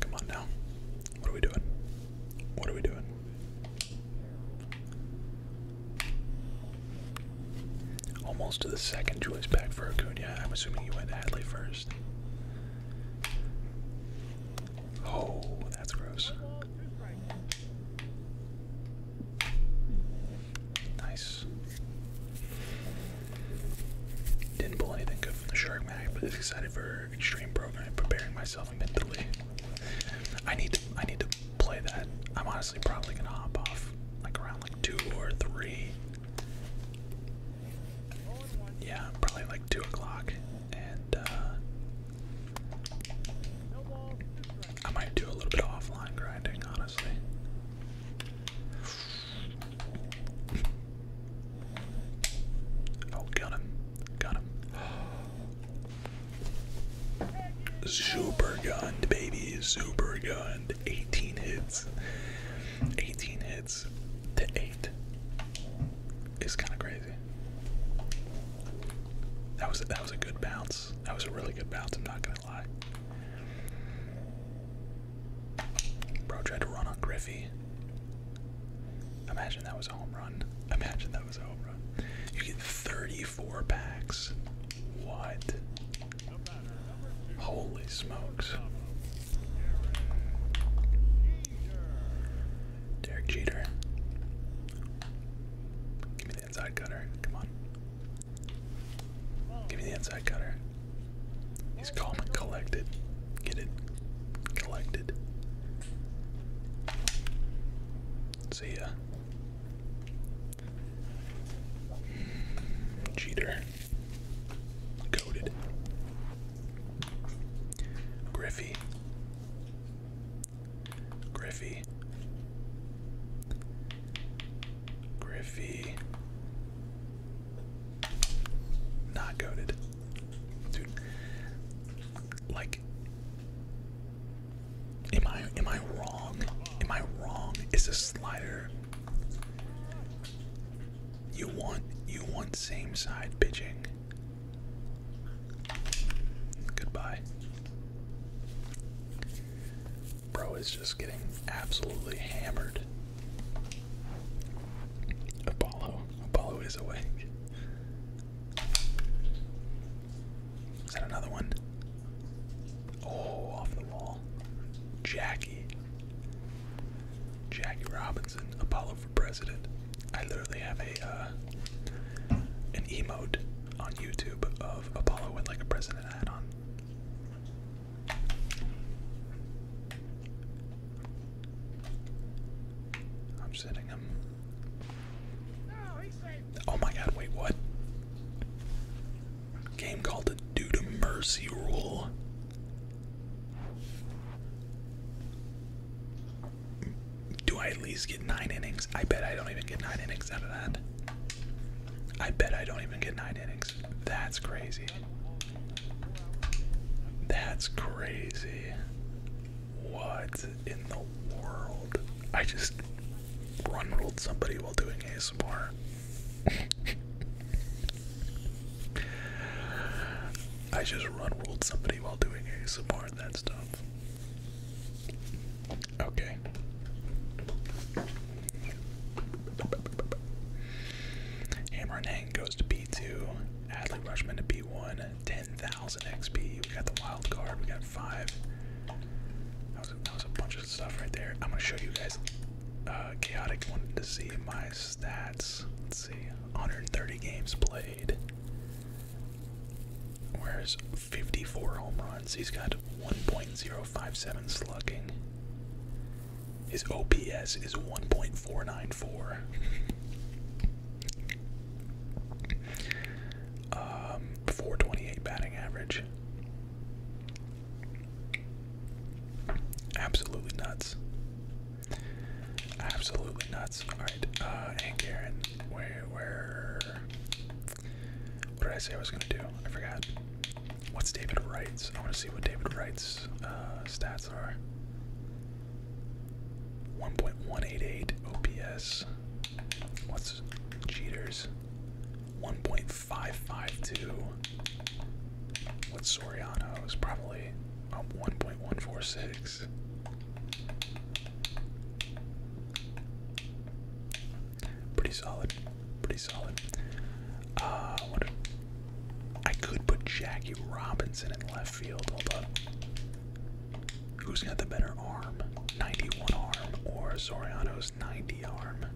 Come on now. What are we doing? What are we doing? Almost to the second choice back for Acuna. I'm assuming you went Hadley first. Oh, that's gross. Nice. Didn't pull anything good from the Shark Mag, but it's excited for Extreme Program, preparing myself mentally. I need I need to play that. I'm honestly probably gonna hop off like around like two or three. Yeah, probably like two o'clock, and uh, I might do a little bit of offline grinding, honestly. Oh, got him, got him. Super gun, baby, super gun! 18 hits. 18 hits to 8 is kind of crazy. That was that was a good bounce. That was a really good bounce. I'm not gonna lie. Bro tried to run on Griffey. Imagine that was a home run. Imagine that was a home run. You get 34 packs. What? Holy smokes. Derek Jeter. Give me the inside cutter. Come on. Give me the inside cutter. He's calm and collected. Get it. Collected. See ya. Cheater, Coated. Griffey. Griffey. Griffey. Not goaded. Dude. Like Am I am I wrong? Am I wrong? Is a slider you want you want same side pitching. Goodbye. Bro is just getting absolutely hammered. Apollo. Apollo is awake. Is that another one? Oh, off the wall. Jackie. Jackie Robinson, Apollo for President. I literally have a uh, an emote on YouTube of Apollo with like a president hat on. I'm sitting him. Oh my god, wait, what? game called the Due to Mercy Rule. Do I at least get nine innings? I bet I don't even get nine innings out of that. I bet I don't even get nine innings. That's crazy. That's crazy. What in the world? I just run rolled somebody while doing ASMR. I just run rolled somebody while doing ASMR and that stuff. Okay. Hammer and Hang goes to B2. Adley Rushman to B1. 10,000 XP. We got the wild card. We got five. That was a, that was a bunch stuff right there. I'm gonna show you guys. Uh, chaotic wanted to see my stats. Let's see, 130 games played. Where's 54 home runs? He's got 1.057 slugging. His OPS is 1.494. 428 um, batting average. Absolutely nuts. Absolutely nuts. Alright, uh, and Karen, where, where, what did I say I was gonna do? I forgot. What's David Wright's? I wanna see what David Wright's, uh, stats are. 1.188 OPS. What's Cheaters? 1.5 552. With Soriano is probably um, 1.146. Pretty solid. Pretty solid. Uh, what could put Jackie Robinson in left field. Hold Who's got the better arm? 91 arm or Soriano's 90 arm?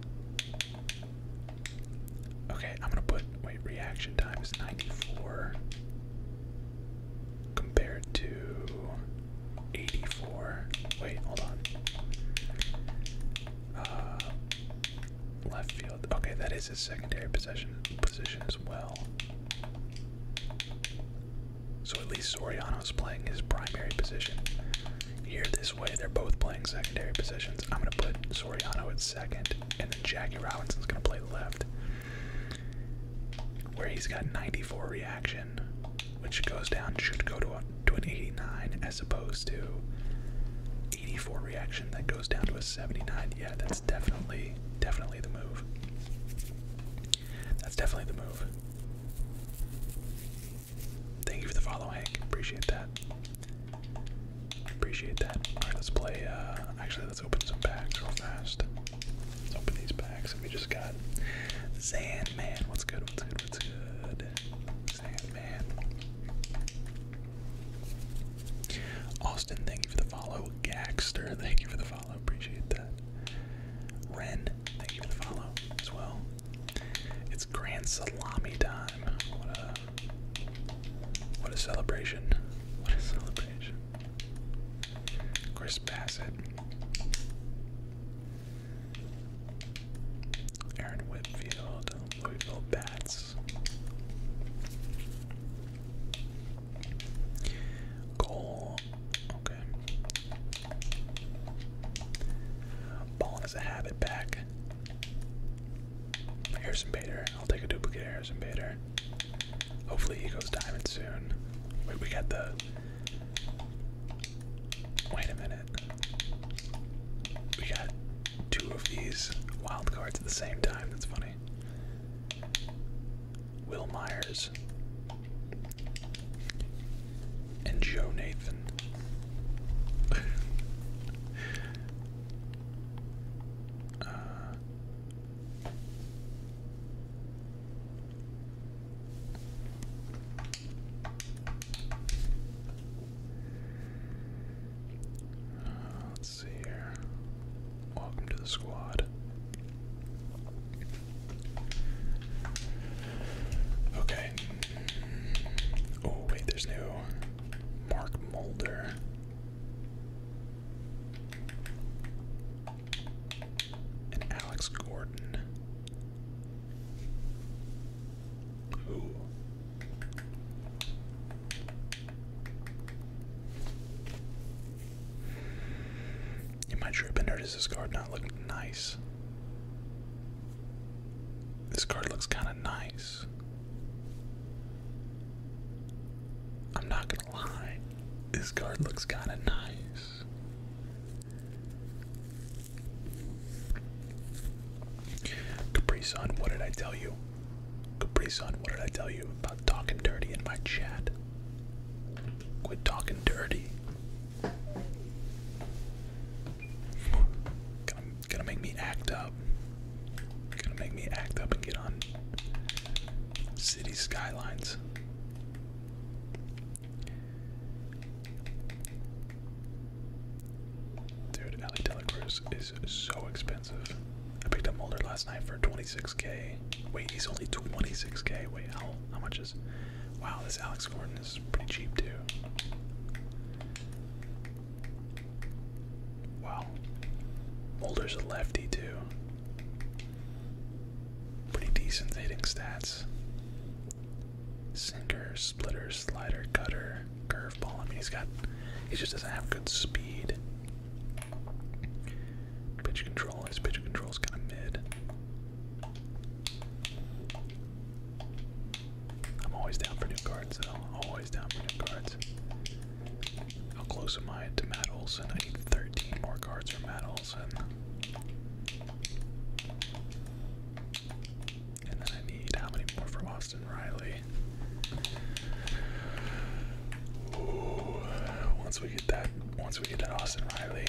Okay, I'm gonna put wait reaction time is 94 compared to 84. Wait, hold on. Uh, left field. Okay, that is his secondary possession position as well. So at least Soriano's playing his primary position. Here, this way. They're both playing secondary positions. I'm going to put Soriano at second, and then Jackie Robinson's going to play left, where he's got 94 reaction, which goes down, should go to, a, to an 89 as opposed to 84 reaction that goes down to a 79. Yeah, that's definitely, definitely the move. That's definitely the move. Thank you for the follow, Hank. Appreciate that. Appreciate that. Alright, let's play. Uh, actually, let's open some packs real fast. Let's open these packs. And we just got Sandman. What's good? What's good? What's good? Sandman. Austin, thank you for the follow. Gaxter, thank you for the follow. Appreciate that. Ren, thank you for the follow as well. It's Grand Salami time. What a what a celebration. What a celebration. Chris Bassett. Aaron Whitfield, Louisville Bats. Goal. Okay. Ball is a habit back. Harrison Bader. I'll take a duplicate Harrison Bader. Hopefully he goes diamond soon. Wait, we got the. Wait a minute. We got two of these wild cards at the same time. That's funny. Will Myers and Joe Nathan. Uh, let's see here. Welcome to the squad. Okay. Oh, wait, there's no Mark Mulder. And Alex Gordon. Ooh. Am I tripping or does this card not look nice? This card looks kind of nice. I'm not gonna lie, this card looks kinda nice. Capri Sun, what did I tell you? Capri Sun, what did I tell you about talking dirty in my chat? Quit talking dirty. Gonna, gonna make me act up. Gonna make me act up and get on city skylines. Dude, Alex Delacruz is so expensive. I picked up Mulder last night for 26k. Wait, he's only 26k. Wait, how, how much is. Wow, this Alex Gordon is pretty cheap too. Wow. Mulder's a lefty, too. Pretty decent hitting stats. Sinker, splitter, slider, cutter, curveball. I mean, he's got. He just doesn't have good speed. Pitch control. His pitch is kind of mid. I'm always down for new cards, though. Always down for new cards. How close am I to Matt Olson? I need 13 more cards for Matt Olson. And then I need how many more for Austin Riley? once we get that, once we get that Austin Riley,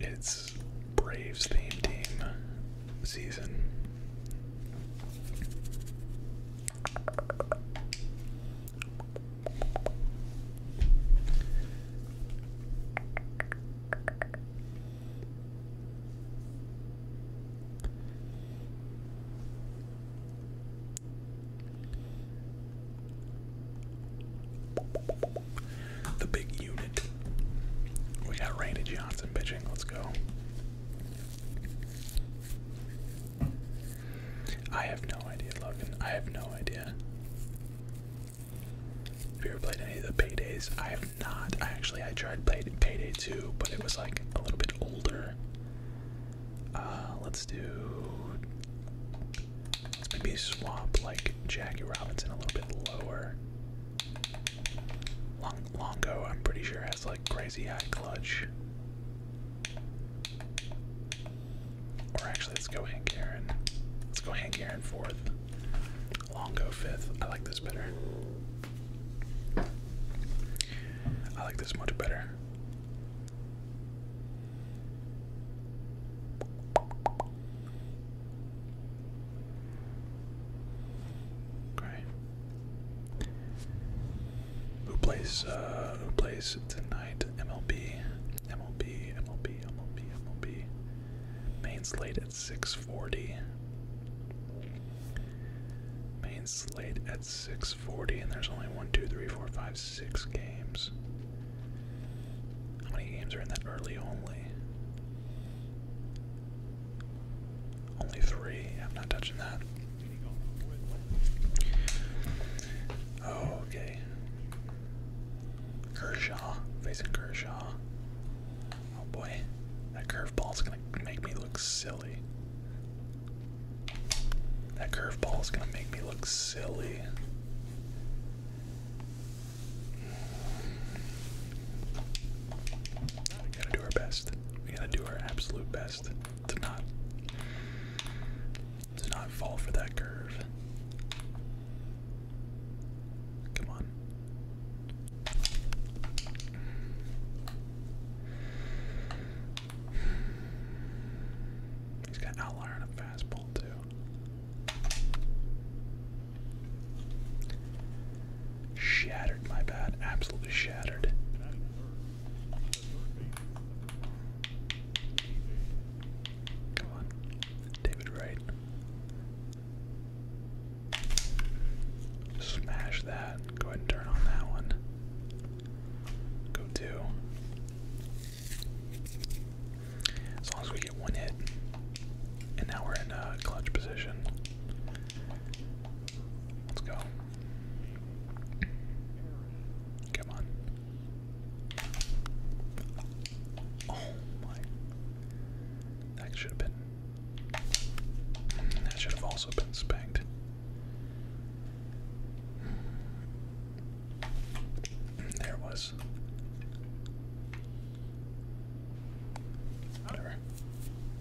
it's Braves theme team season. The big unit. We got Randy Johnson pitching. Let's go. I have no idea, Logan. I have no idea. Have you ever played any of the Paydays? I have not. actually I tried play, Payday 2, but it was like a little bit older. Uh, let's do. Let's maybe swap like Jackie Robinson a little bit lower. Long Longo, I'm pretty sure has like crazy high clutch. Or actually, let's go Hank Aaron. Let's go Hank Aaron fourth. Longo fifth. I like this better. I like this much better. Okay. Who plays? Uh, who plays tonight? MLB, MLB, MLB, MLB, MLB. Main slate at six forty. Main slate at six forty, and there's only one, two, three, four, five, six games. How many games are in that early only? Only three. I'm not touching that. Oh, okay. Kershaw. Facing Kershaw. Oh boy. That curveball's gonna make me look silly. That curveball's gonna make me look silly. We gotta do our best. We gotta do our absolute best to not to not fall for that curve. Come on. He's got an outlier and a fastball too. Shattered, my bad. Absolutely shattered. Come on, David Wright. Smash that. Go ahead and turn on that one. Go two. As long as we get one hit, and now we're in a uh, clutch position. Let's go. Come on. Oh my. That should have been. That should have also been spanked. There was. Whatever.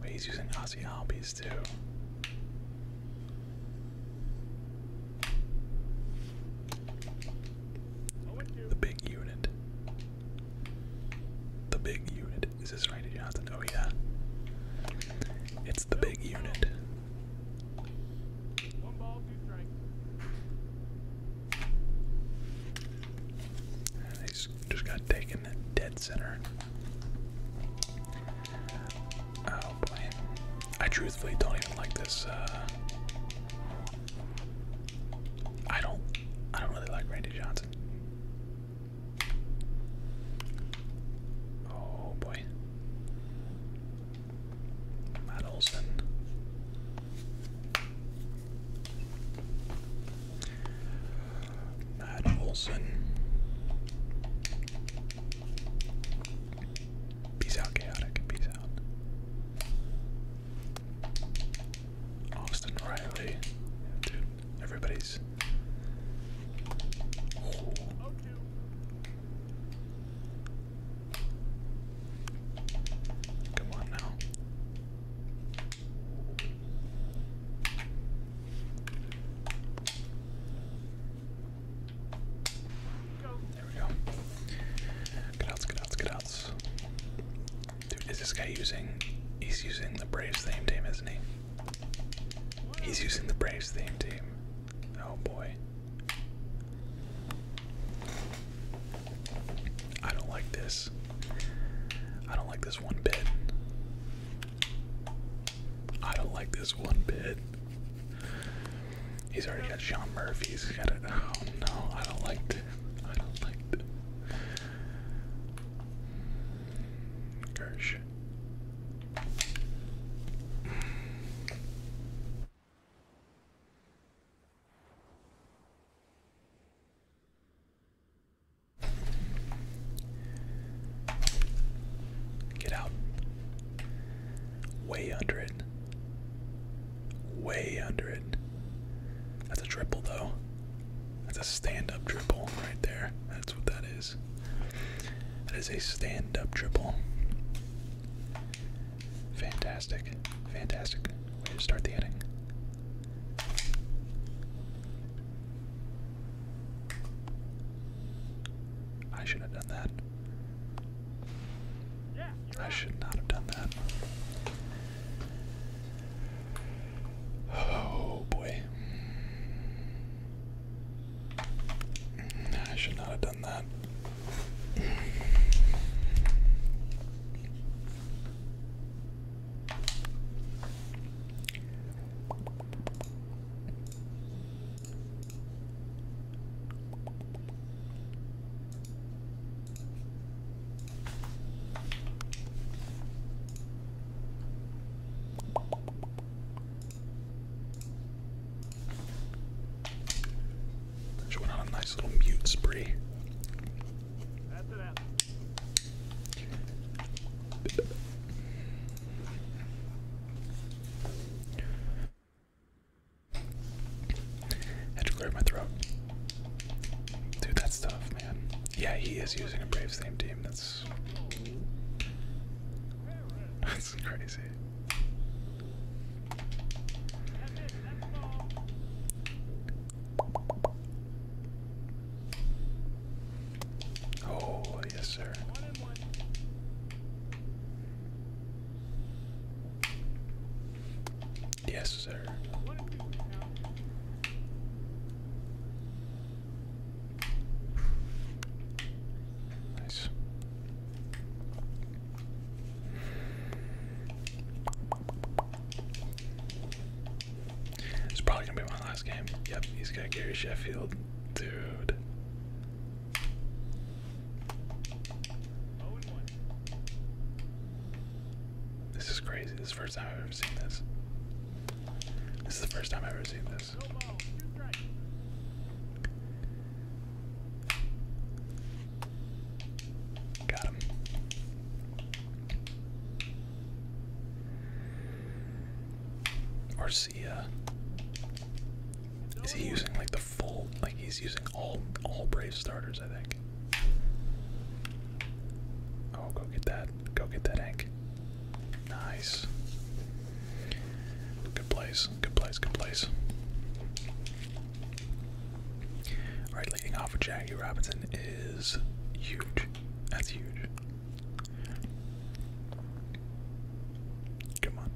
But he's using Aussie Albies too. The big unit. The big unit. Is this right? Did you have to know? Yeah. It's the big unit. One ball, two strikes. He's just got taken dead center. Oh boy. I truthfully don't even like this. Uh, I don't. I don't really like Randy Johnson. Oh boy. Matt Olson. Matt Olson. Peace out, chaotic. Peace out. Austin Riley. Dude, Everybody's. Come on now. There we go. Good outs, good outs, good outs. Dude, is this guy using. He's using the Braves theme team, isn't he? He's using the Braves theme team. Oh boy. I don't like this. I don't like this one bit. I don't like this one bit. He's already got Sean Murphy. He's got it. Oh no, I don't like it. I don't like it. Gersh. Get out. Way under it. Way under it. That's a triple, though. That's a stand-up dribble right there. That's what that is. That is a stand-up dribble. Fantastic. Fantastic. Way to start the inning. I should have done that. I should not have done that. Oh boy. I should not have done that. She went on a nice little mute spree. had to clear my throat. Dude, that's tough, man. Yeah, he is using a brave same team. That's that's crazy. Oh yes, sir. Yes, sir. Nice. It's probably gonna be my last game. Yep, he's got Gary Sheffield, dude. This is crazy. This is the first time I've ever seen this. This is the first time I've ever seen this. Got him. Arcia. Uh, is he using like the full like he's using all all brave starters, I think. Oh go get that. Go get that Hank. Nice. Good place. Good place. Good place. All right, leading off with Jackie Robinson is huge. That's huge. Come on.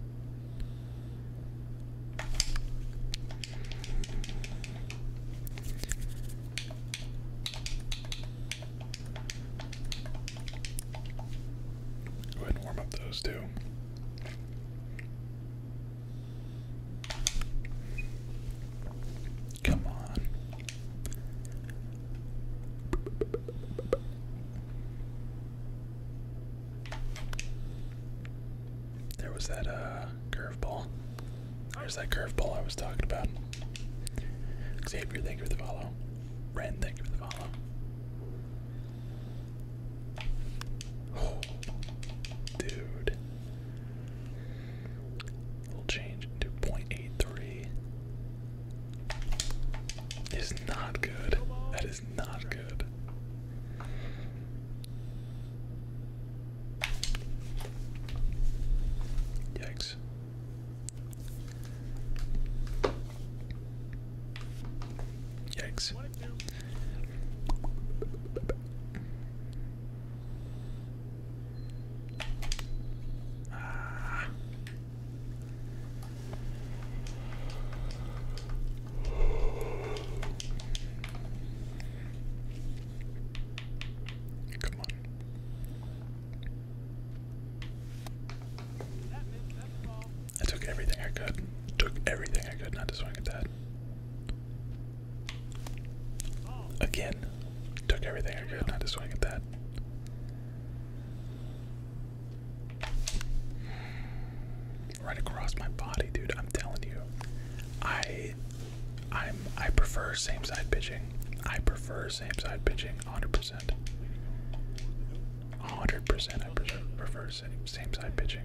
Go ahead and warm up those too. Come on. There was that uh curveball. There's that curveball I was talking about. Xavier, thank you for the follow. Ren, thank you for the follow. Oh, dude. little change to 0.83. Is not good. That is not good. Yikes. Yikes. Ah. Come on. I took everything I could. Took everything I could not to swing at that. Again, took everything I could not to swing at that. Right across my body, dude. I'm telling you, I, I'm, I prefer same side pitching. I prefer same side pitching, 100% percent. hundred percent I prefer same same side pitching.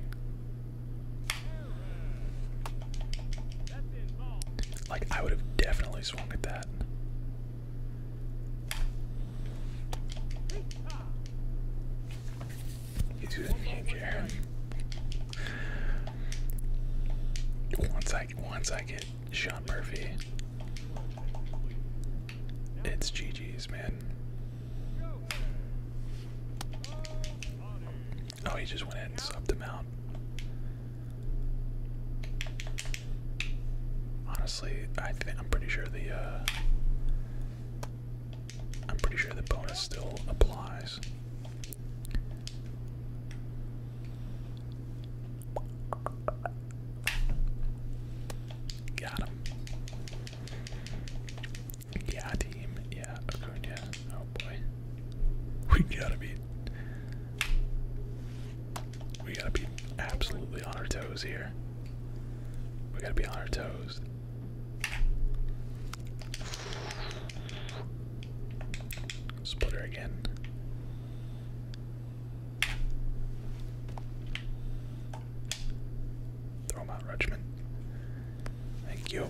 Like I would have definitely swung at that. You didn't care. Once I once I get Sean Murphy. It's GG's, man. Oh, he just went in and subbed him out. Honestly, I think am pretty sure the uh, I'm pretty sure the bonus still applies. Got him. Yeah, team. Yeah, Acuna. Oh boy. We gotta be. We gotta be absolutely on our toes here. We gotta be on our toes. Splitter again. Throw out, Rutschman. Thank you.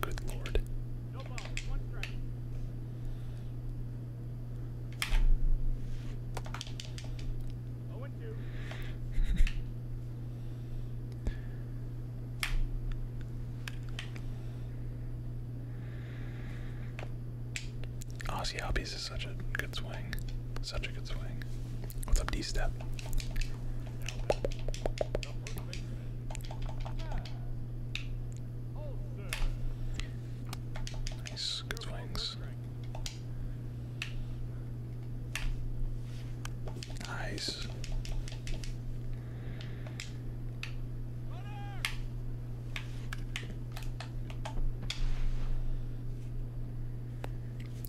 good lord. Aussie oh, Hobbies is such a good swing. Such a good swing. What's up, D Step? Nice, good swings. Nice.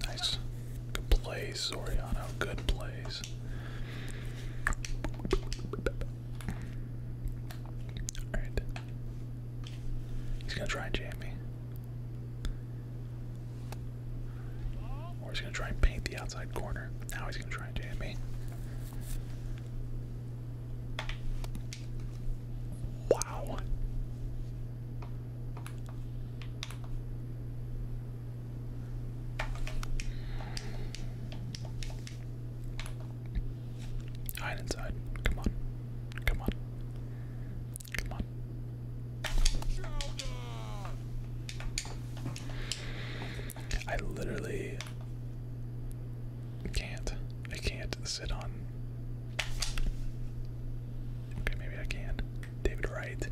Nice. Good plays, Soriano. Good plays. Alright. He's gonna try and jam me. Or he's going to try and paint the outside corner. Now he's going to try and jam me. Wow. Hide inside. Come on. Come on. Come on. I literally can't. I can't sit on. Okay, maybe I can. David Wright.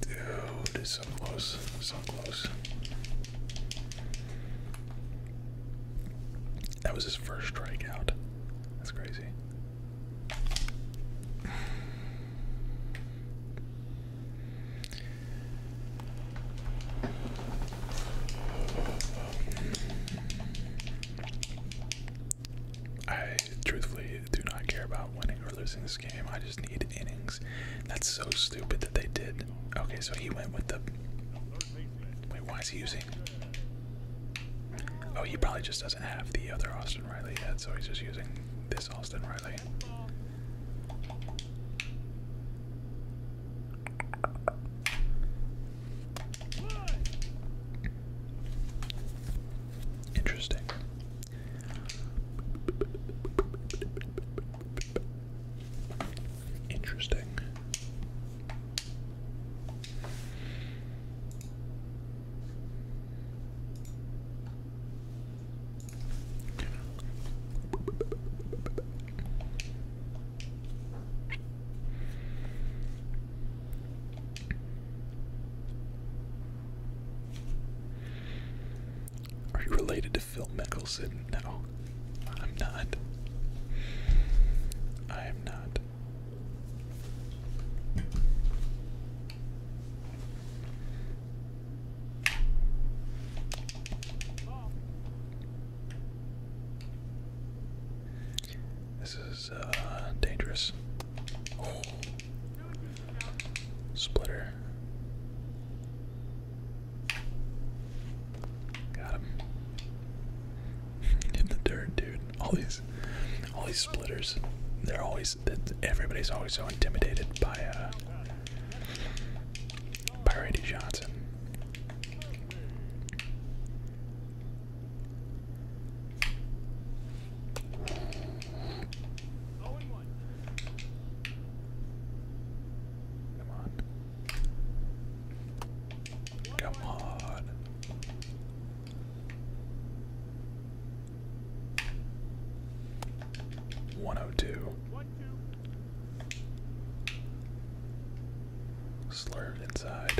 Dude, so close. So close. That was his first strikeout. That's crazy. I truthfully do not care about winning or losing this game. I just need innings. That's so stupid that they did. Okay, so he went with the. Wait, why is he using? Oh, he probably just doesn't have the other Austin Riley yet, so he's just using this Austin Riley. Interesting. Interesting. Are you related to Phil Mickelson? No, I'm not. I am not. This is uh, dangerous. Oh. Splitter. Got him in the dirt, dude. All these, all these splitters. They're always. Everybody's always so intimidated by uh, by Randy Johnson. Come on. Come on. 102. Slurred inside.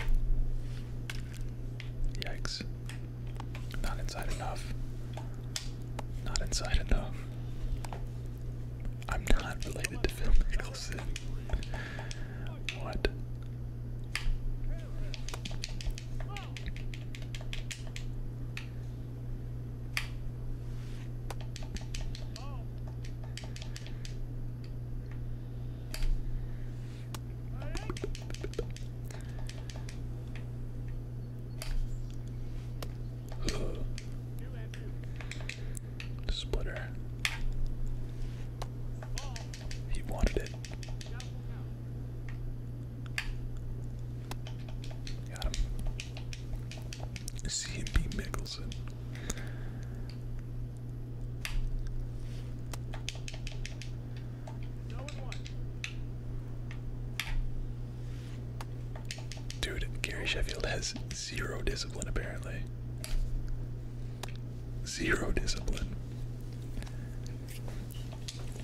Yikes. Not inside enough. Not inside enough. I'm not related to Phil Mickelson. What? Splitter. He wanted it. Got him. CMB Mickelson. Dude, Gary Sheffield has zero discipline apparently. Zero discipline.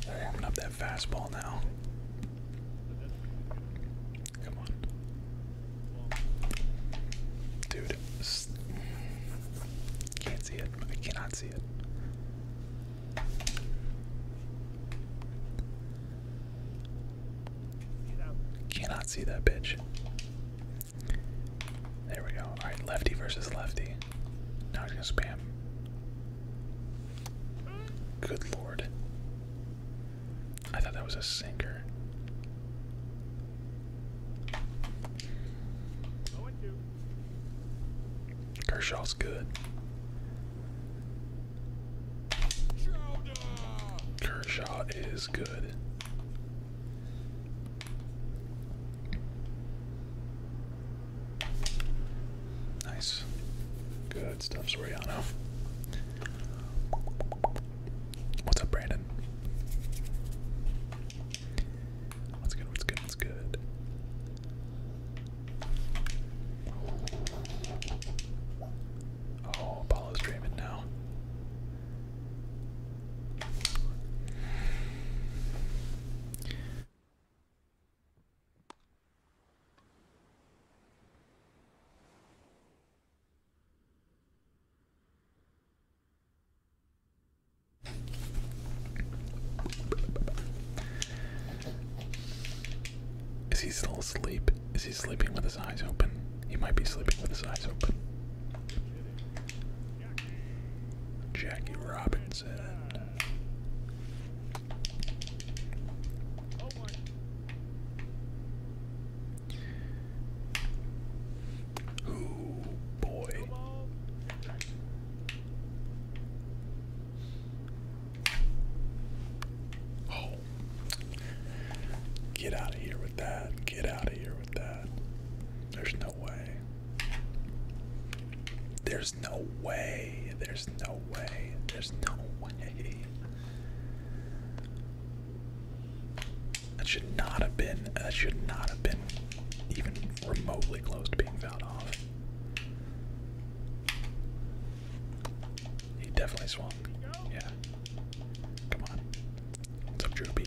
Warming up that fastball now. Come on. Dude. Can't see it. I cannot see it. Cannot see that bitch. There we go. Alright, lefty versus lefty. Now he's gonna spam. Good lord. I thought that was a sinker. Kershaw's good. Kershaw is good. Nice. Good stuff, Soriano. What's up, Brandon? What's good? What's good? What's good? Oh, Apollo's dreaming now. Is he still asleep? Is he sleeping with his eyes open? He might be sleeping with his eyes open. Jackie Robinson. Ooh, boy. Oh. Get out of here with that. Get out of here with that. There's no no way. There's no way. There's no way. There's no way. That should not have been. That should not have been even remotely close to being fouled off. He definitely swung. Yeah. Come on. What's up, Droopy?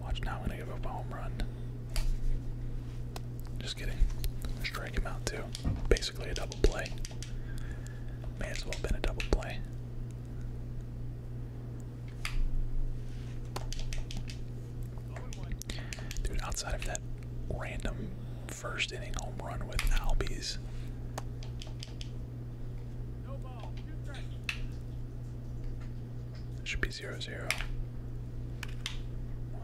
Watch now, I'm going give up a home run. Just kidding. Strike him out too. Basically a double play. May as well have been a double play. Dude, outside of that random first inning home run with Albies. It should be zero zero. Well.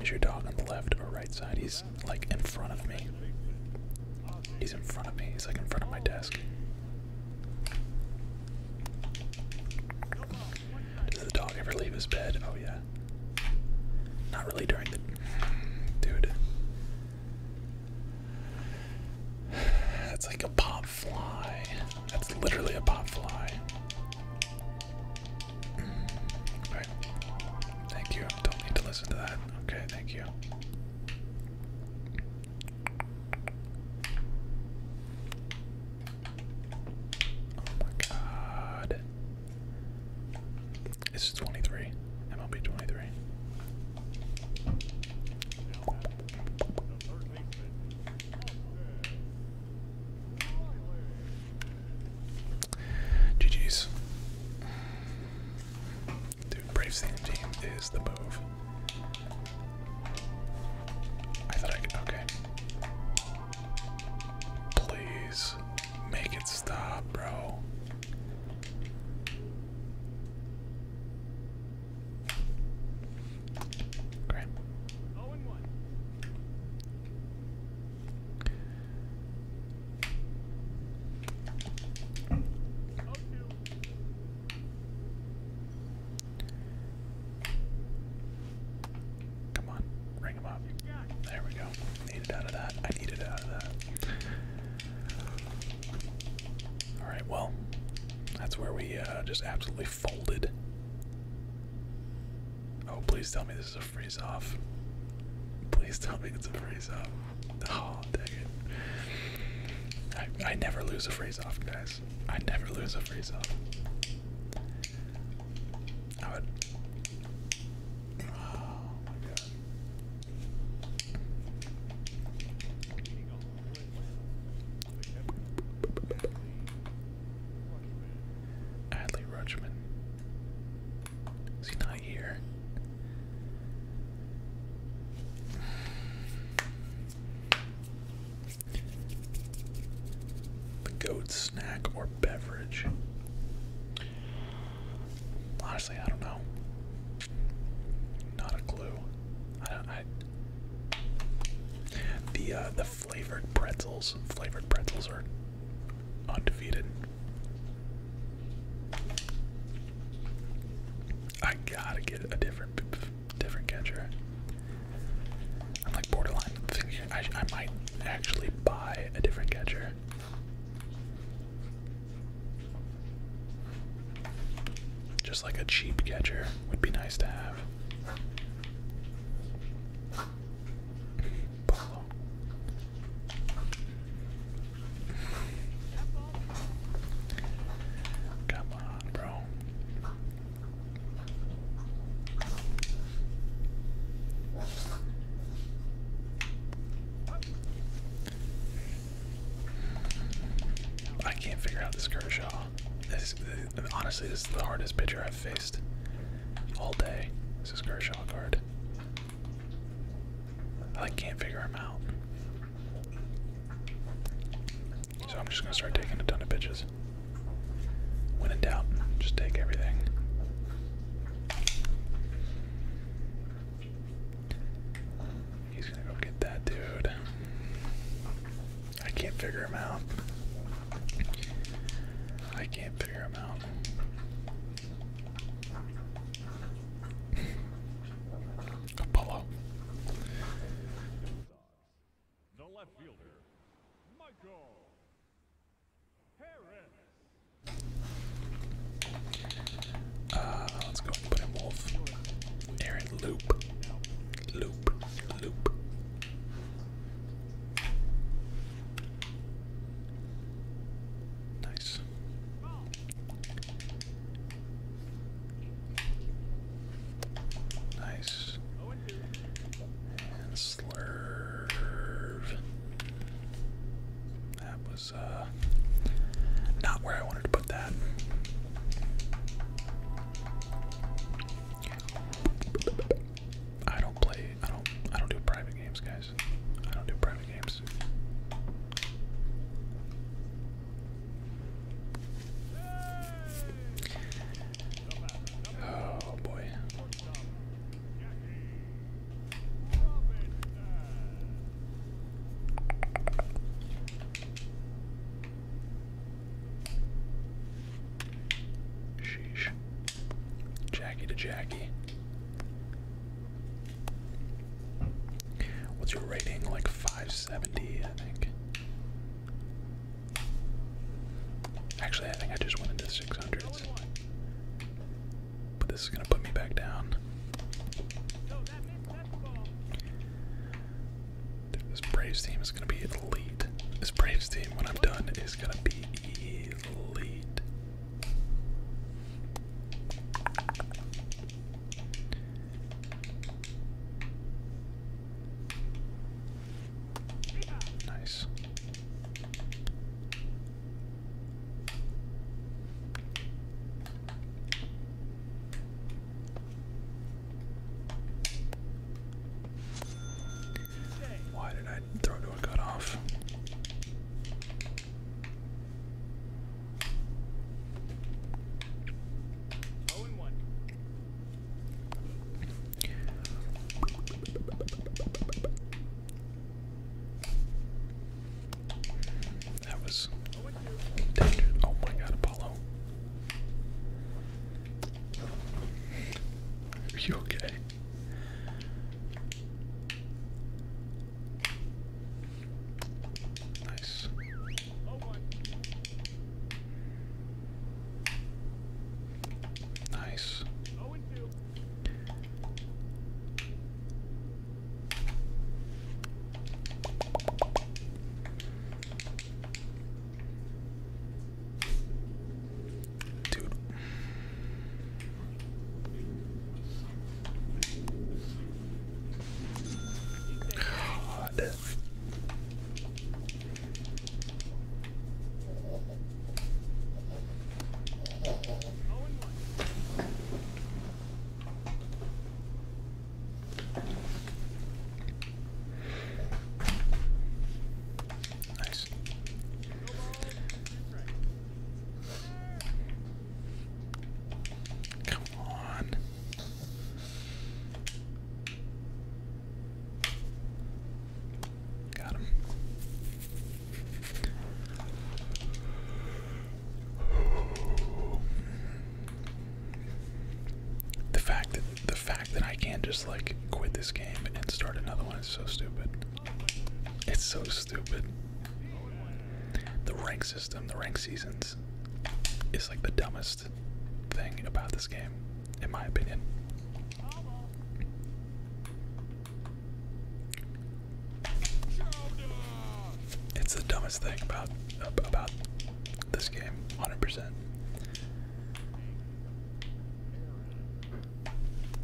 Is your dog on the left or right side? He's like in front of me. He's in front of me. He's like in front of my desk. Does the dog ever leave his bed? Oh yeah. Not really during the. Dude. That's like a pop fly. That's literally a pop fly. Okay. Mm. Thank you. Don't need to listen to that. Okay, thank you. Oh my god. This 23. MLB 23. GG's. Dude, Braves team is the move. I thought I could. Okay. Please make it stop, bro. Great. Oh Come on, ring him up. There we go. Needed out of that. I needed out of that. All right, well, that's where we uh, just absolutely folded. Oh, please tell me this is a freeze off. Please tell me it's a freeze off. Oh, dang it. I, I never lose a freeze off, guys. I never lose a freeze off. I would. Oh my god. Adley Rutschman. Is he not here? The goat snack or beverage. Honestly, I don't know. Not a clue the uh, the flavored pretzels, flavored pretzels are undefeated. I gotta get a different different catcher. I'm like borderline thinking I, I might actually buy a different catcher. Just like a cheap catcher would be nice to have. Come on, bro. I can't figure out this Kershaw. honestly this is the hardest pitcher I've faced all day. This is Kershaw card. I can't figure him out. So I'm just gonna start taking a ton of pitches. When in doubt, just take everything. He's gonna go get that dude. I can't figure him out. I can't figure him out. Apollo. Uh, let's go and put in Wolf. Aaron, loop. Loop. Loop. Nice. Nice. slurve. That was uh, not where I wanted to put that. I don't play. I don't. I don't do private games, guys. I don't do private games. Oh boy. Sheesh. Jackie to Jackie. What's your rating? Like 570, I think. Actually, I think I just went into 600s. But this is going to put me back down this Braves team is gonna be elite. This Braves team, when I'm done, is gonna be elite. Nice. Why did I throw to a cutoff? Oh that was dangerous. Oh my god, Apollo. Are you okay? Nice. Nice. Dude. God. Nice. Come on. Got him. The fact that the fact that I can't just like quit this game and start another one is so stupid. It's so stupid. The rank system, the rank seasons, is like the dumbest thing about this game, in my opinion. It's the dumbest thing about about this game, 100%.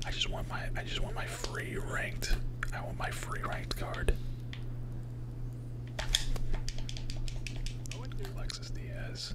I just want my I just want my free ranked. I want my free ranked card. Alexis Diaz.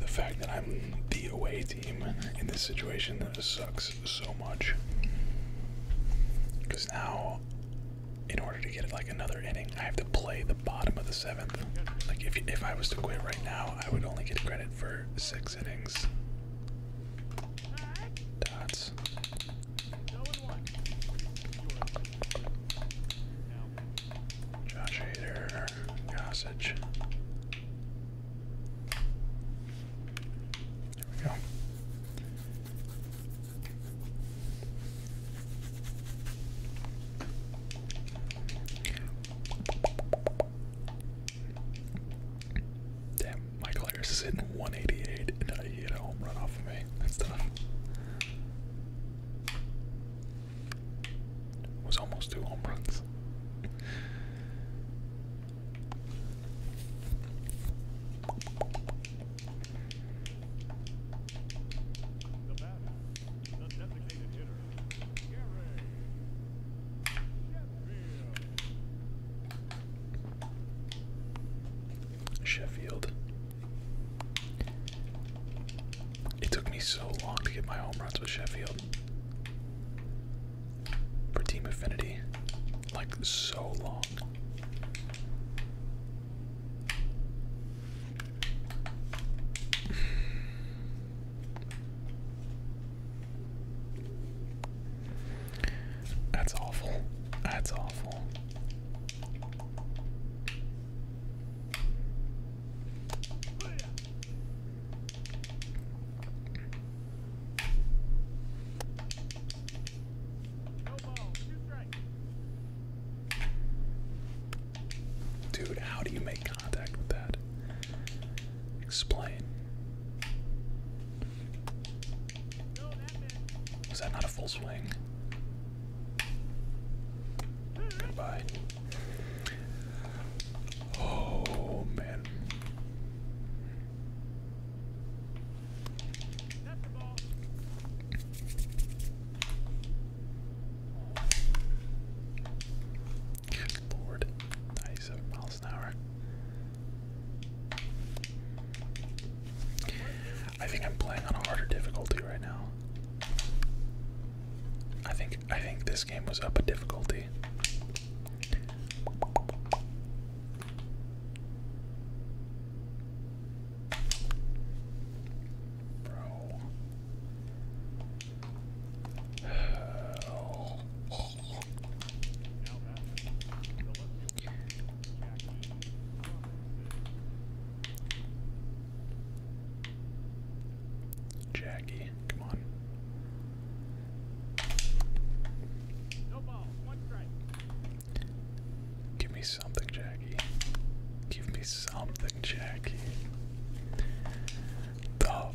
The fact that I'm the away team in this situation sucks so much. Because now, in order to get like another inning, I have to play the bottom of the seventh. Like if if I was to quit right now, I would only get credit for six innings. Dots. Josh Hader, Gossage. There we go. Damn, Michael is hitting 188 and uh, he hit a home run off of me. That's tough. It was almost two home runs. Sheffield. It took me so long to get my home runs with Sheffield. For Team Affinity. Like, so long. That's awful. That's awful. Dude, how do you make contact with that? Explain. Was that not a full swing? Combine. Oh man. Lord, ninety-seven miles an hour. I think I'm playing on a harder difficulty right now. I think I think this game was up a difficulty. Bro. Oh. Jackie, come on. No ball, one strike. Give me something, Jackie. Give me something, Jackie. Tough.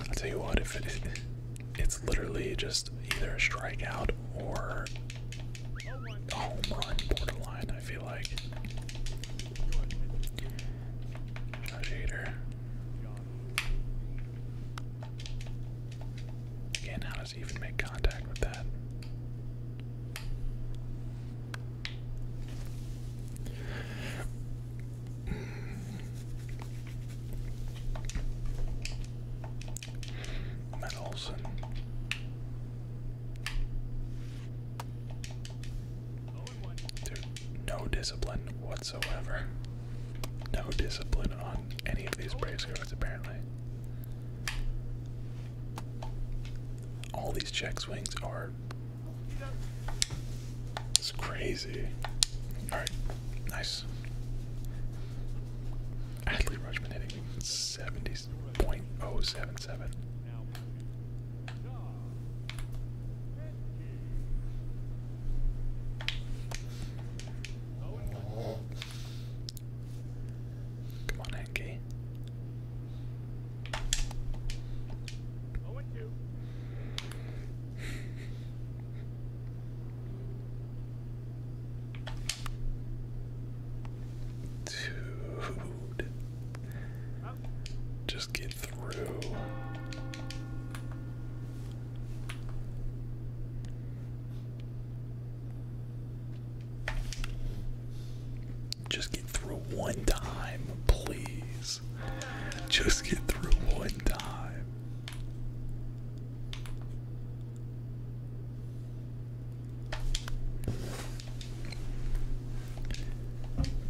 I'll tell you what, if it, it's literally just either a strikeout or a home run borderline, I feel like. Josh Hader. Again, how does he even make contact with that? Metals Dude, no discipline whatsoever. No discipline on any of these Braves apparently. All these check swings are it's crazy. Alright, nice. Ashley Rushman hitting 70.077. Come on, Henke. Dude. Just get through. Just get through one time, please. Just get through one time.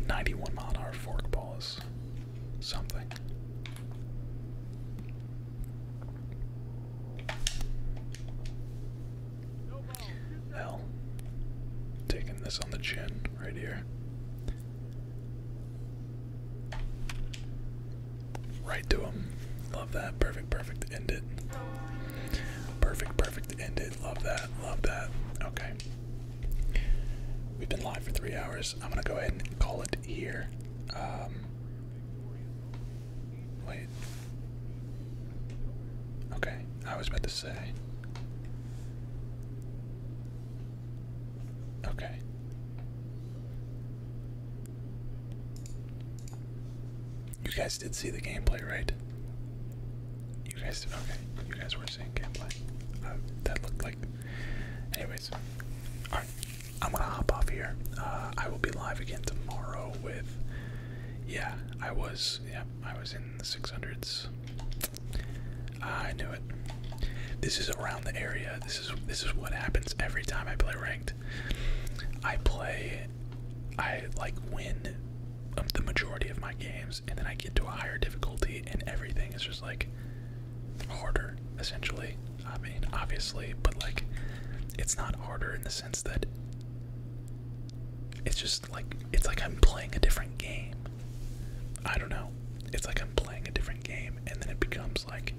Ninety-one mile an hour forkball is something. Hell, taking this on the chin right here. Right to him. Love that. Perfect, perfect. End it. Perfect, perfect. End it. Love that. Love that. Okay. We've been live for three hours. I'm going to go ahead and call it here. Um, wait. Okay. I was about to say. Okay. You guys did see the gameplay, right? You guys did. Okay. You guys were seeing gameplay. Uh, that looked like. Anyways. I'm gonna hop off here. Uh, I will be live again tomorrow with. Yeah, I was. Yeah, I was in the 600s. Ah, I knew it. This is around the area. This is this is what happens every time I play ranked. I play I like win the majority of my games and then I get to a higher difficulty and everything is just like harder essentially. I mean, obviously, but like it's not harder in the sense that it's just like it's like I'm playing a different game. I don't know. It's like I'm playing a different game, and then it becomes like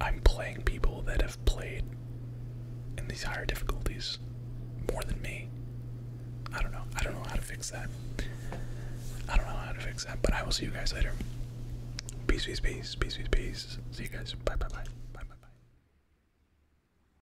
I'm playing people that have played in these higher difficulties more than me. I don't know. I don't know how to fix that. I don't know how to fix that, but I will see you guys later. Peace, peace, peace, peace, peace, peace. See you guys. Bye, bye, bye. Bye, bye, bye.